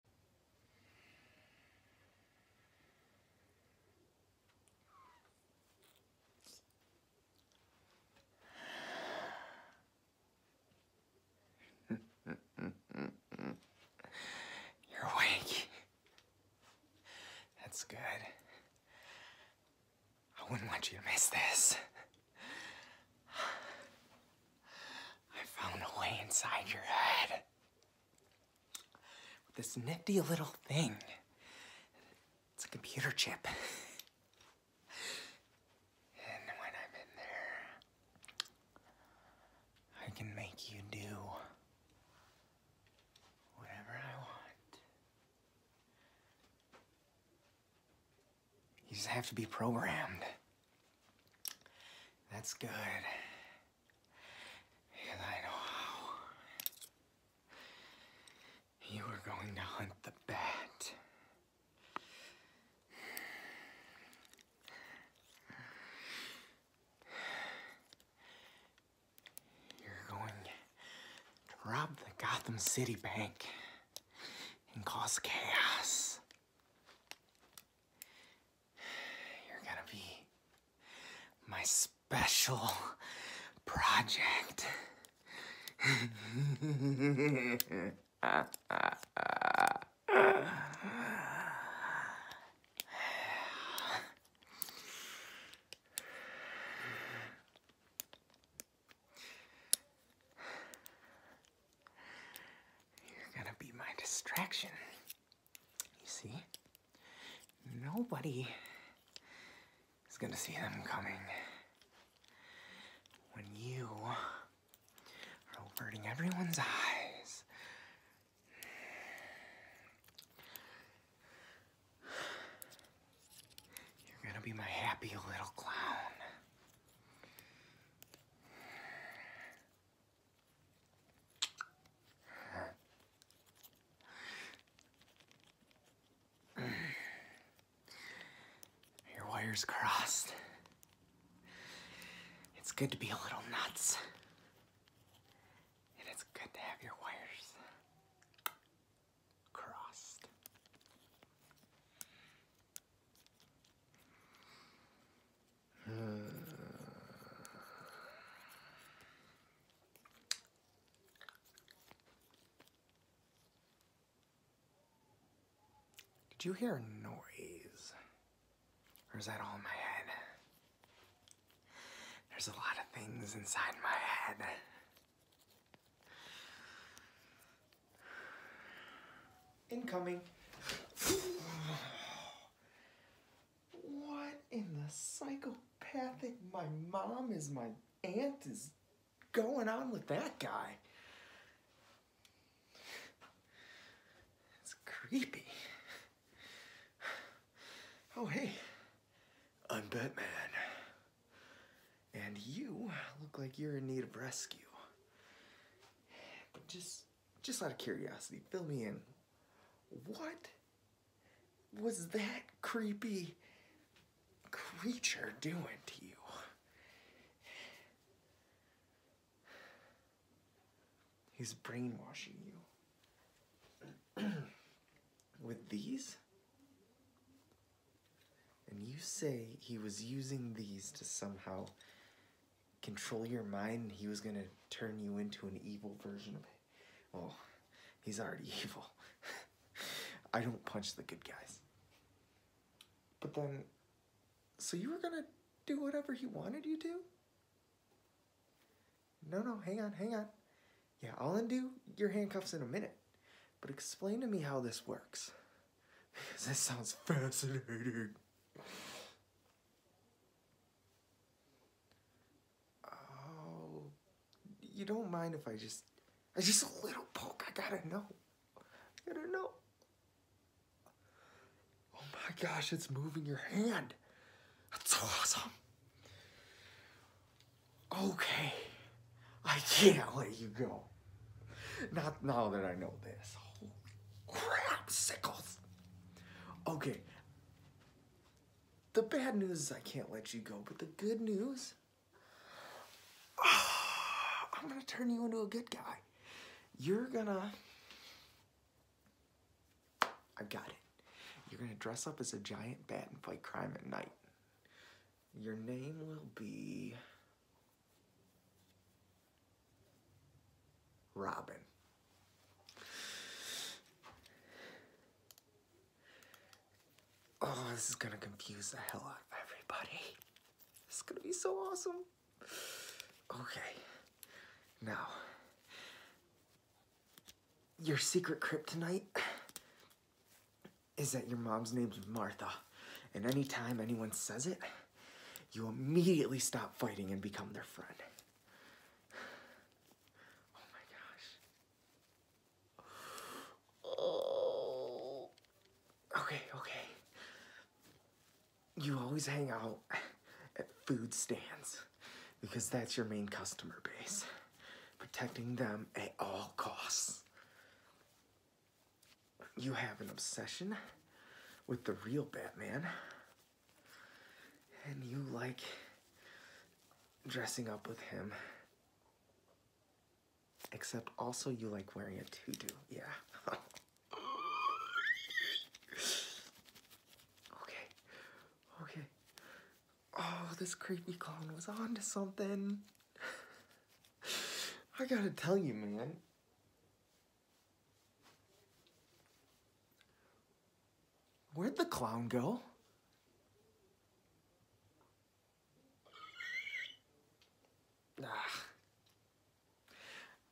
You're awake. That's good. I wouldn't want you to miss this. I found a way inside your head.
With this nifty little thing. It's a computer chip. And when I'm in there, I can make you do whatever I want. You just have to be programmed. That's good. Because I know how. You are going to hunt the bat. You're going to rob the Gotham City Bank and cause chaos.
You're gonna be my special project. You're gonna be my
distraction. You see? Nobody is gonna see them coming. When you are
averting everyone's eyes,
you're gonna be my happy little clown. Your wires crossed. It's good to be a little nuts.
it's good to have your wires crossed.
Did you hear a noise? Or is that all in my head? There's a lot of things inside my head.
Incoming. what in the psychopathic my mom is my aunt is
going on with that guy? It's creepy. Oh, hey, I'm Batman. And you look like you're in need of rescue. just just out of curiosity, fill me in. What was that creepy creature doing to you? He's brainwashing you. With these? And you say he was using these to somehow control your mind, he was gonna turn you into an evil version of it. Well, oh, he's already evil. I don't punch the good guys. But then, so you were gonna do whatever he wanted you to? No, no, hang on, hang on. Yeah, I'll undo your handcuffs in a minute. But explain to me how this works.
Because this sounds fascinating. Oh,
you don't mind if I just, I just a little poke. I gotta know. I gotta
know. Oh my gosh, it's moving your hand. That's so awesome. Okay,
I can't let you go. Not now that I know this. Crap, sickles. Okay. The bad news is I can't let you go, but the good news,
I'm gonna turn you into a good guy.
You're gonna, I've got it. You're gonna dress up as a giant bat and fight crime at night. Your name will be Robin. Oh, this is gonna confuse the hell out of
everybody. This is gonna be so awesome. Okay, now, your secret kryptonite
is that your mom's name's Martha. And anytime anyone says it, you immediately stop fighting and become their friend. Oh my gosh. Oh. Okay, okay. You always hang out at food stands because that's your main customer base. Protecting them at all costs. You have an obsession with the real Batman. And you like dressing up with him. Except also you like wearing a tutu. Yeah.
okay. Okay. Oh, this creepy clown was on to something.
I gotta tell you, man. Where'd the clown go? Ah,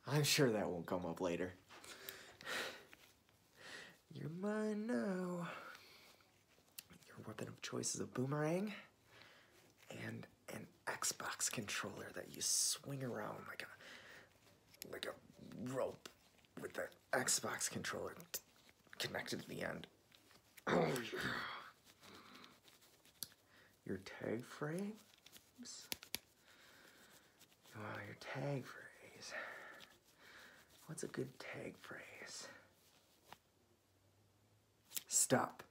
I'm sure that won't come up later. You're mine
now.
Your weapon of choice is a boomerang and an Xbox controller that you swing around like a like a rope with the Xbox controller connected to the end. Oh yeah. Your tag frames?
You your tag
phrase? What's a good tag phrase? Stop.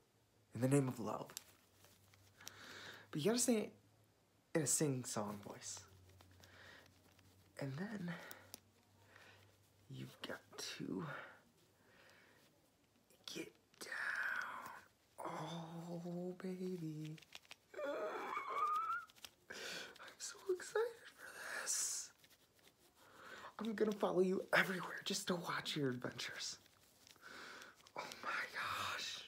In the name of love. But you gotta say in a sing-song voice. And then
you've got to get down. Oh, baby.
I'm so excited for this.
I'm gonna follow you everywhere just to watch your adventures. Oh my gosh.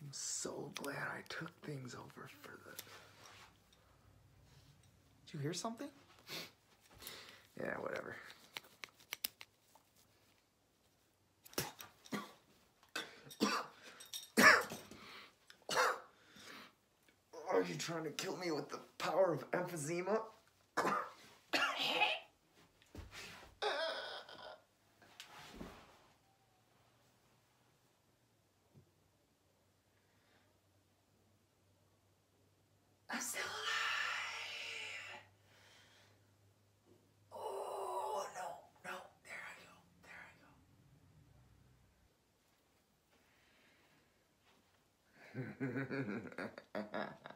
I'm so glad I took things over for the. Did you hear something? yeah, whatever. Are you trying to kill me with the power of emphysema?
I'm still alive. Oh no, no, there I
go, there I go.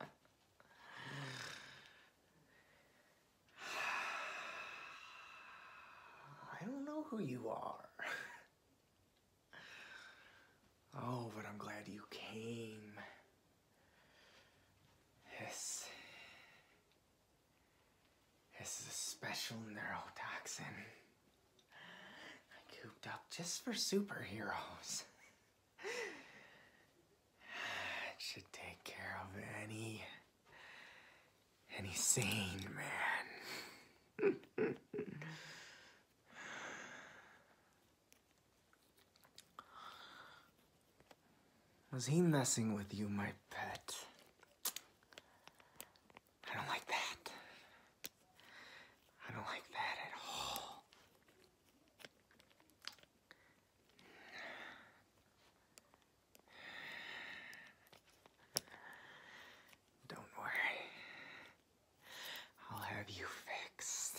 I don't know who you are. oh, but I'm glad you came. This. This is a special neurotoxin. I cooped up just for superheroes. It should take care of any, any sane man. Was he messing with you, my
pet? I don't like that. I don't like that at all. Don't worry. I'll have you fixed.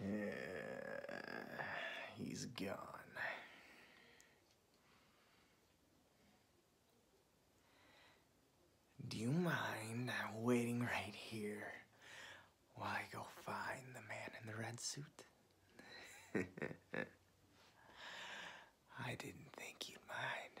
Yeah, he's gone. Do you mind waiting right here while I go find the man in the red suit?
I didn't think you'd mind.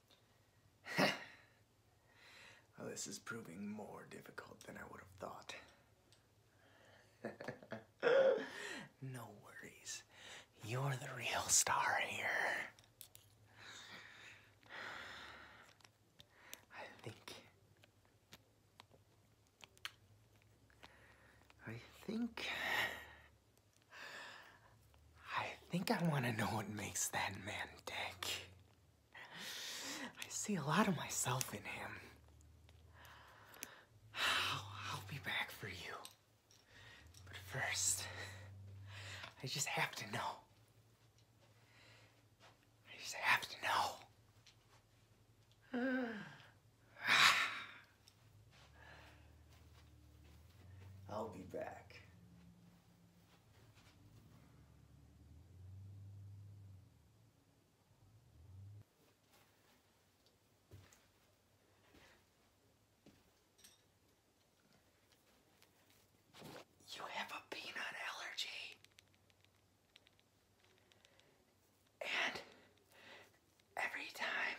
well, this is proving more difficult than I would have thought. no worries. You're the real star here. I think.
I think.
I think I want to know what makes that man tick. I see a lot of myself in him.
I'll, be back for you. But first, I just have to know. I just have
to know.
I'll be back.
You have a peanut allergy. And every time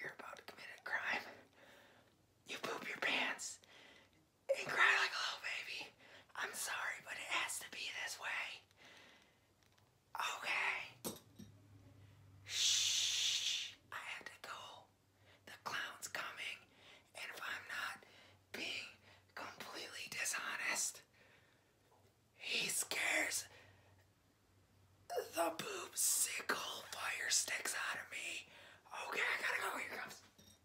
you're about to commit a crime, you poop your pants and cry like a little baby. I'm sorry, but it has to be this way. Okay. Shh. I have to go. The clown's coming. And if I'm not being completely dishonest, he scares the boob sickle fire sticks out of me. Okay, I gotta go. Here comes.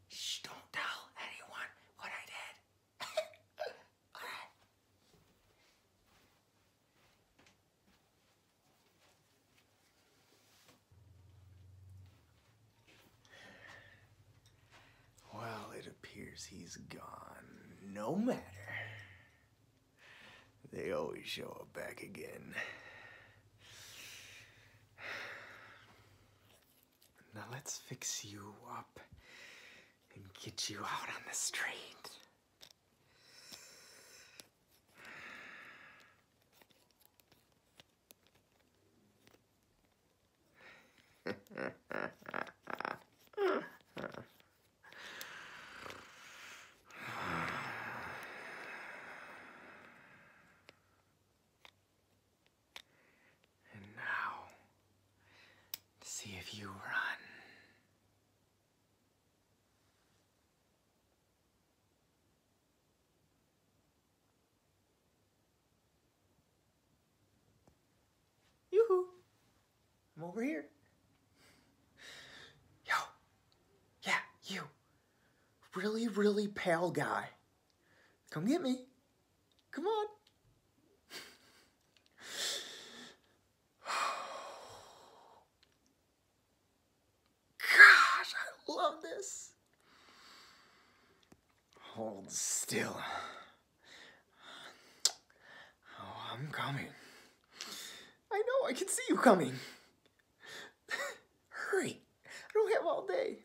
Shh, don't tell anyone what I did.
Alright. Well, it appears he's gone. No matter. They always show up back again. Now let's fix you up and get you out on the street. And now, see if you run.
Yoo-hoo! I'm over here.
Yo, yeah, you. Really, really pale guy. Come get me. Come on.
Gosh, I love this.
Hold still. Oh, I'm coming. I know, I can see you coming. Hurry. I don't have all day.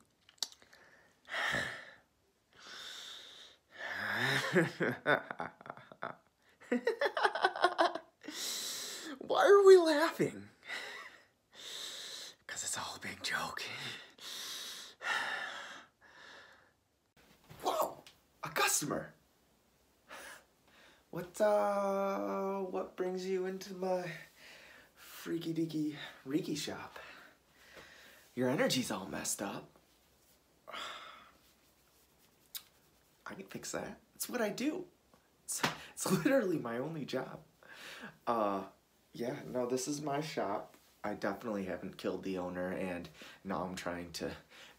Why are we laughing? Because it's all a big joke. Whoa! A customer! What, uh, what brings you into my freaky deaky reiki shop. Your energy's all messed up. I can fix that. It's what I do. It's, literally my only job. Uh, yeah, no, this is my shop. I definitely haven't killed the owner, and now I'm trying to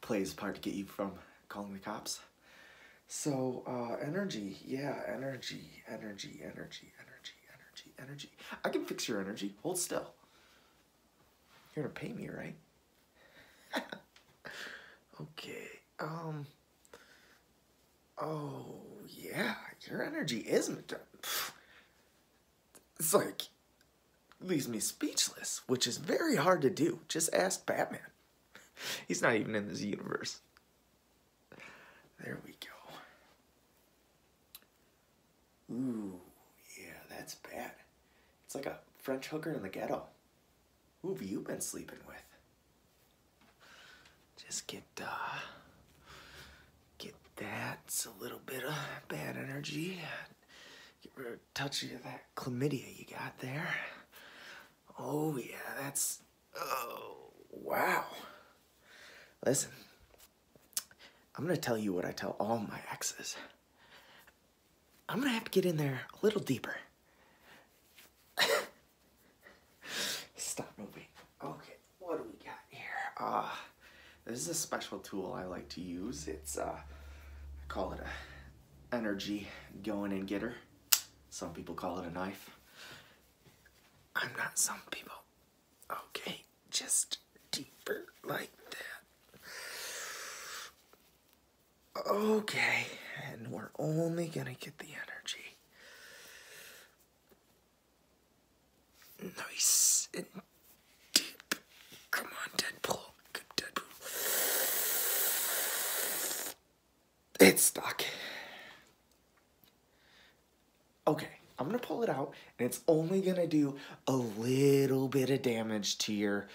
play his part to get you from calling the cops. So, uh, energy, yeah, energy, energy, energy, energy energy, energy. I can fix your energy. Hold still. You're gonna pay me, right? okay. Um. Oh yeah, your energy is it's like leaves me speechless, which is very hard to do. Just ask Batman. He's not even in this universe. There we go. Ooh, yeah, that's bad. It's like a French hooker in the ghetto. Who have you been sleeping with? Just get, uh, get that a little bit of bad energy. Get rid of touch of that chlamydia you got there. Oh yeah, that's Oh, wow. Listen, I'm going to tell you what I tell all my exes. I'm going to have to get in there a little deeper. Stop moving.
Okay, what do we got
here? Ah, this is a special tool I like to use. It's, a, uh, I call it a energy going and getter. Some people call it a knife.
I'm not some people. Okay, just deeper like that. Okay,
and we're only gonna get the energy.
Nice and deep. Come on, Deadpool. Deadpool. It's stuck
okay, I'm gonna pull it out and it's only gonna do a little bit of damage to your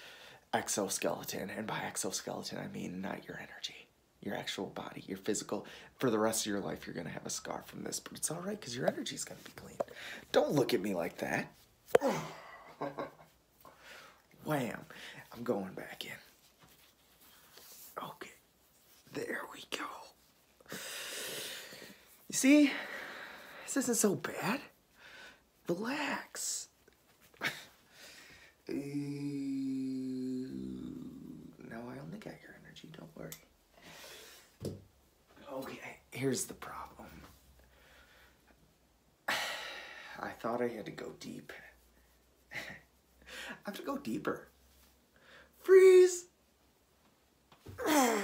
exoskeleton. And by exoskeleton, I mean not your energy, your actual body, your physical. For the rest of your life, you're gonna have a scar from this, but it's all right because your energy's gonna be clean. Don't look at me like that. Wham, I'm going back in.
Okay. There we go.
You see, this isn't so bad. Relax. Now I only got your energy, don't worry. Okay, here's the problem. I thought I had to go deep. I have to go deeper. Freeze! okay.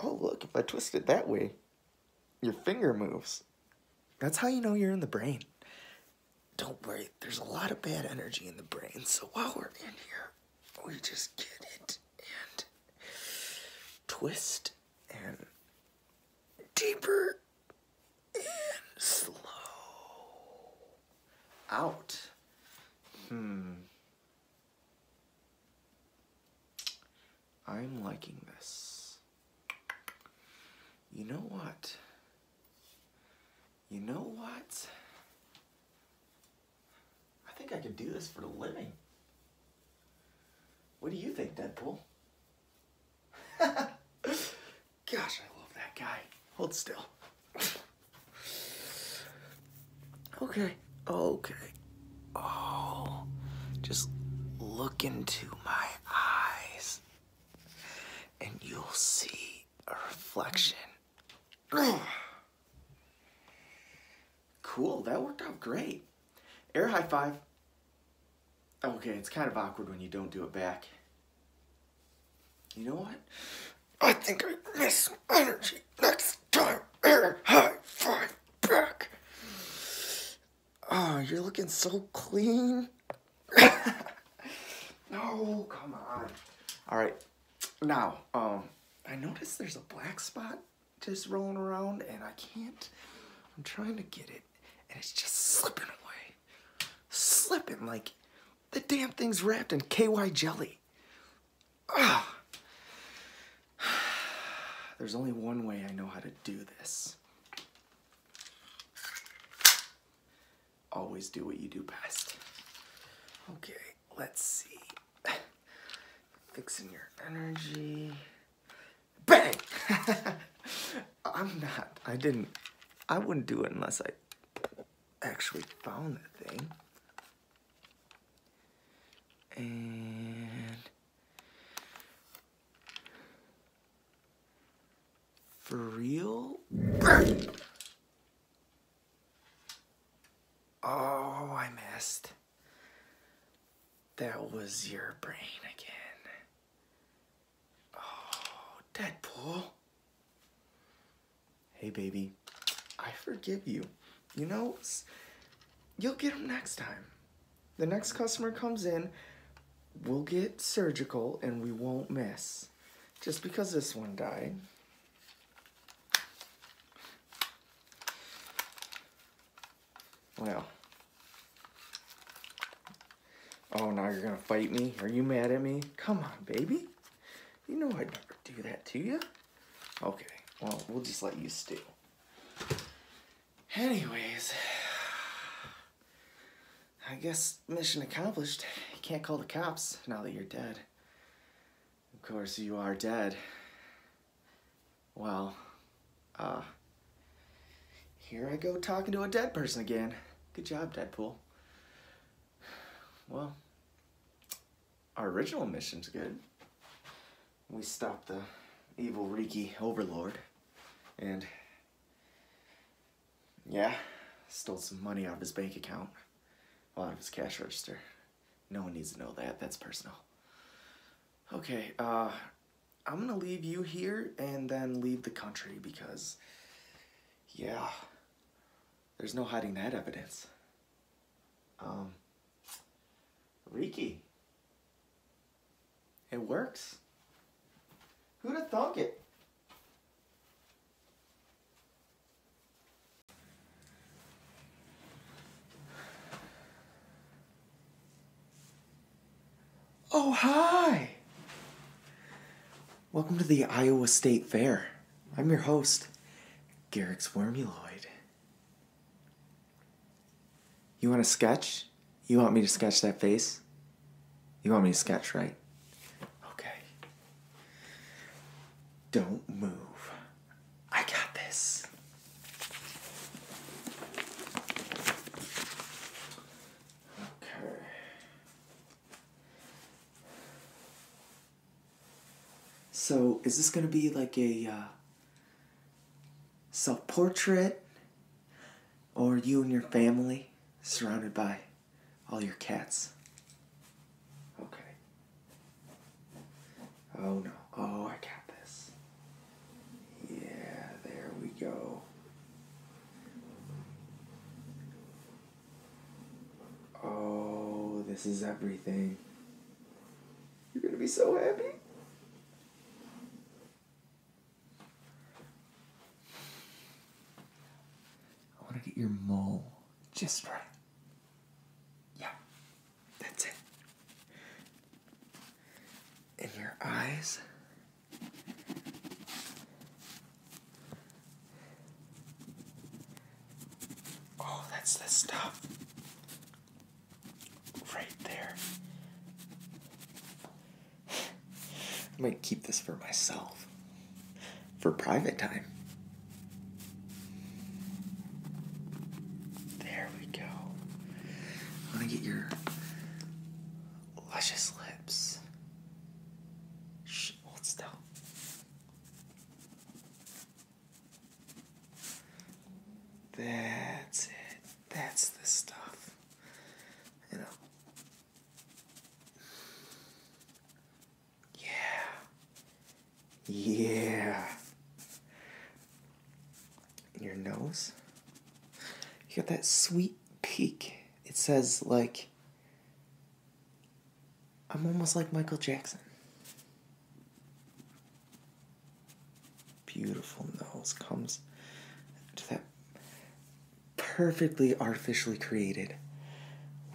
Oh, look, if I twist it that way, your finger moves. That's how you know you're in the brain. Don't worry, there's a lot of bad energy in the brain, so
while we're in here, we just get it and twist and deeper in slow
out. Hmm. I'm liking this. You know what? You know what? I think I could do this for a living. What do you think, Deadpool? Gosh, I love that guy. Hold still.
okay.
Okay. Oh, just look into my eyes and you'll see
a reflection. cool, that worked out great. Air high five. Okay, it's kind of awkward when you don't do it back. You know what? I think I miss
energy next time. Air high five back.
Oh, you're looking so clean.
no, come on.
All right, now, um, I noticed there's a black spot
just rolling around and I can't, I'm trying to get
it and it's just slipping away. Slipping like the damn thing's wrapped in KY jelly. Ugh. There's only one way I know how to do this. Always do what you do best.
Okay, let's see. Fixing your energy.
Bang! I'm
not. I didn't. I wouldn't do it unless I actually found the thing. And for real? oh, I missed. That was your brain again. Oh, Deadpool. Hey, baby. I forgive you. You know, you'll get them next time. The next customer comes in, we'll get surgical and we won't miss. Just because this one died. Well, Oh, now you're gonna fight me? Are you mad at me? Come on, baby. You know I'd never do that to you. Okay, well, we'll just let you stew. Anyways, I guess mission accomplished. You can't call the cops now that you're dead. Of course, you are dead. Well, uh, here I go talking to a dead person again. Good job, Deadpool. Well, our original mission's good. We stopped the evil Riki overlord and, yeah, stole some money out of his bank account. Well, out of his cash register. No one needs to know that. That's personal. Okay, uh, I'm gonna leave you here and then leave the country because yeah. There's no hiding that evidence. Um, Riki. It works.
Who'd have thunk it? Oh, hi!
Welcome to the Iowa State Fair. I'm your host, Garrick's Wormuloid. You want a sketch? You want me to sketch that face? You want me to sketch, right? Okay. Don't
move. I got this.
Okay. So, is this going to be like a uh, self portrait or you and your family surrounded by all your cats? Okay. Oh no. Oh, I got this. Yeah, there we go. Oh, this is everything.
You're gonna be so happy. I wanna get your mole just right. Yeah, that's it. And your eyes Oh, that's the stuff. Right there.
I might keep this for myself. For private time.
There we go. I want to get your
luscious lips. Shh, hold That's it. That's the stuff. You know. Yeah. Yeah.
your nose. You got that sweet peak. It says like I'm almost like Michael Jackson. Beautiful nose comes to that perfectly artificially created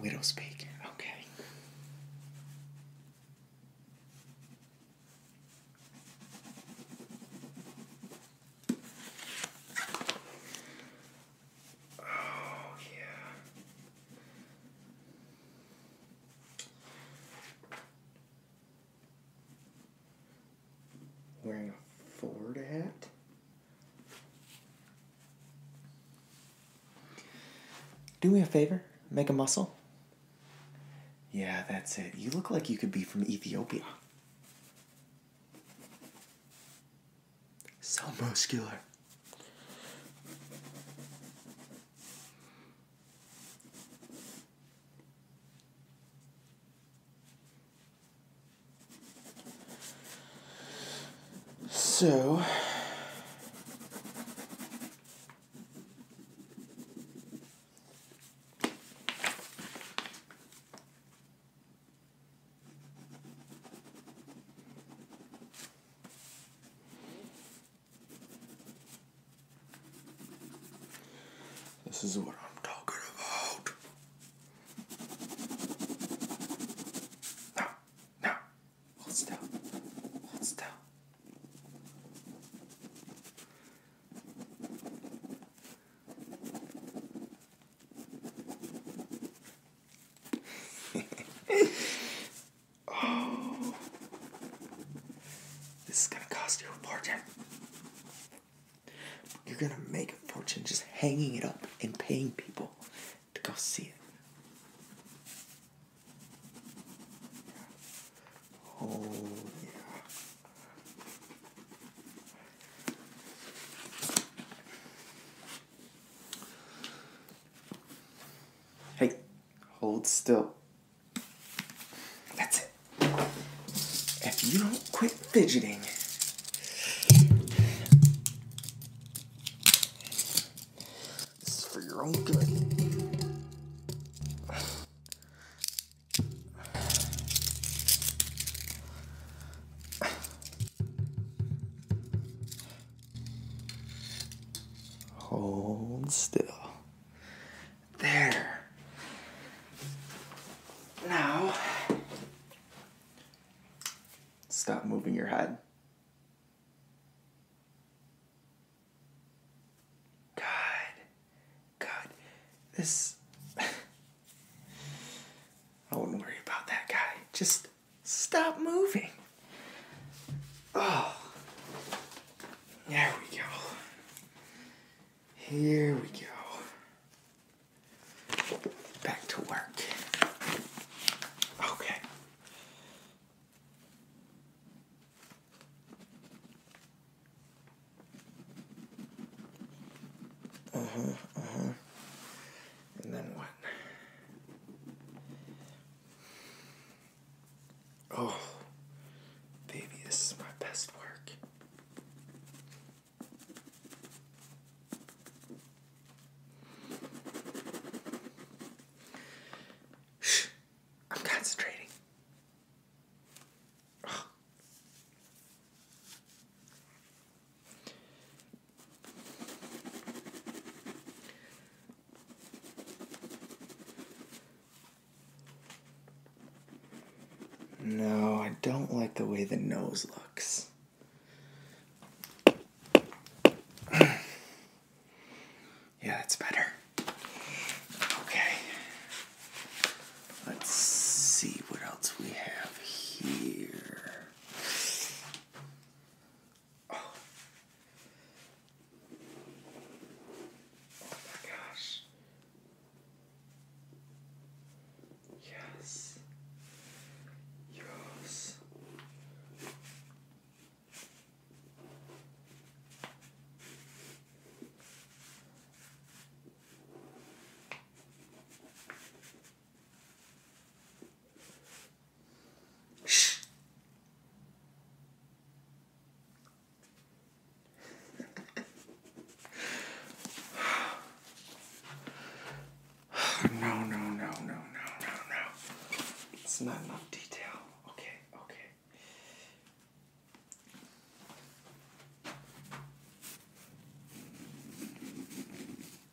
widow's peak. Okay. Oh, yeah. Wearing a Ford hat? Do me a favor, make a muscle. Yeah, that's it. You look like you could be from Ethiopia. So muscular.
So,
this is what I'm talking about. Now, now, hold still, hold still oh, this is gonna cost you a fortune.
You're gonna make a fortune just hanging it up and paying people to go see it. Oh, yeah. Hey, hold still. That's it. If you don't quit fidgeting, this is for your own good.
Hold still.
There. Now,
stop moving your
head.
God. God. This. I wouldn't worry about that guy. Just Stop moving. Oh.
There we go. Here we go. Back to work. Okay.
Uh-huh, uh-huh. And then what?
Oh, baby, this is my best work. Shh, I'm concentrating. Oh.
No, I don't like the way the nose looks.
yeah, that's better. Okay. Let's see what else we have here. Oh. oh my gosh. Yes. Yes. no, no, no, no, no, no, no. It's not enough detail. Okay, okay.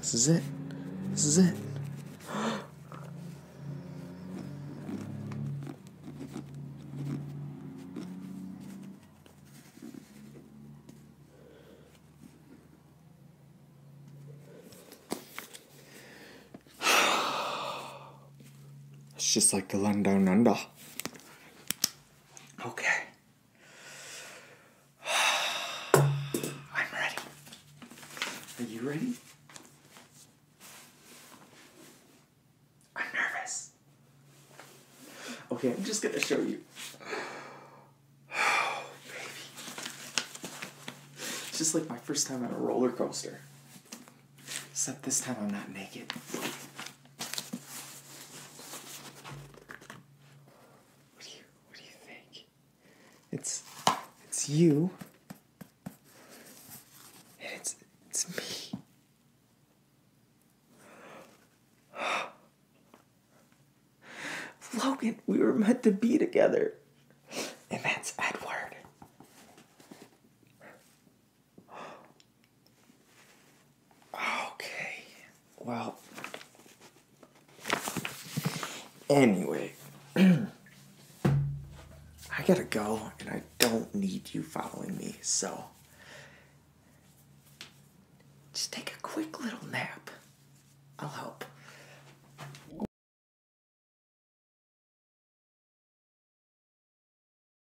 This is it. This is it.
it's just like the land down under.
Okay. I'm ready. Are you
ready? I'm nervous. Okay, I'm just gonna show you. Oh, baby. It's just like my first time on a roller coaster. Except this time I'm not naked. What do you what do you think? It's it's you. And it's it's me. Logan, we were meant to be together. And that's Edward.
Okay. Well.
Anyway. I gotta go, and I don't need you following me, so.
Just take a quick little nap. I'll help.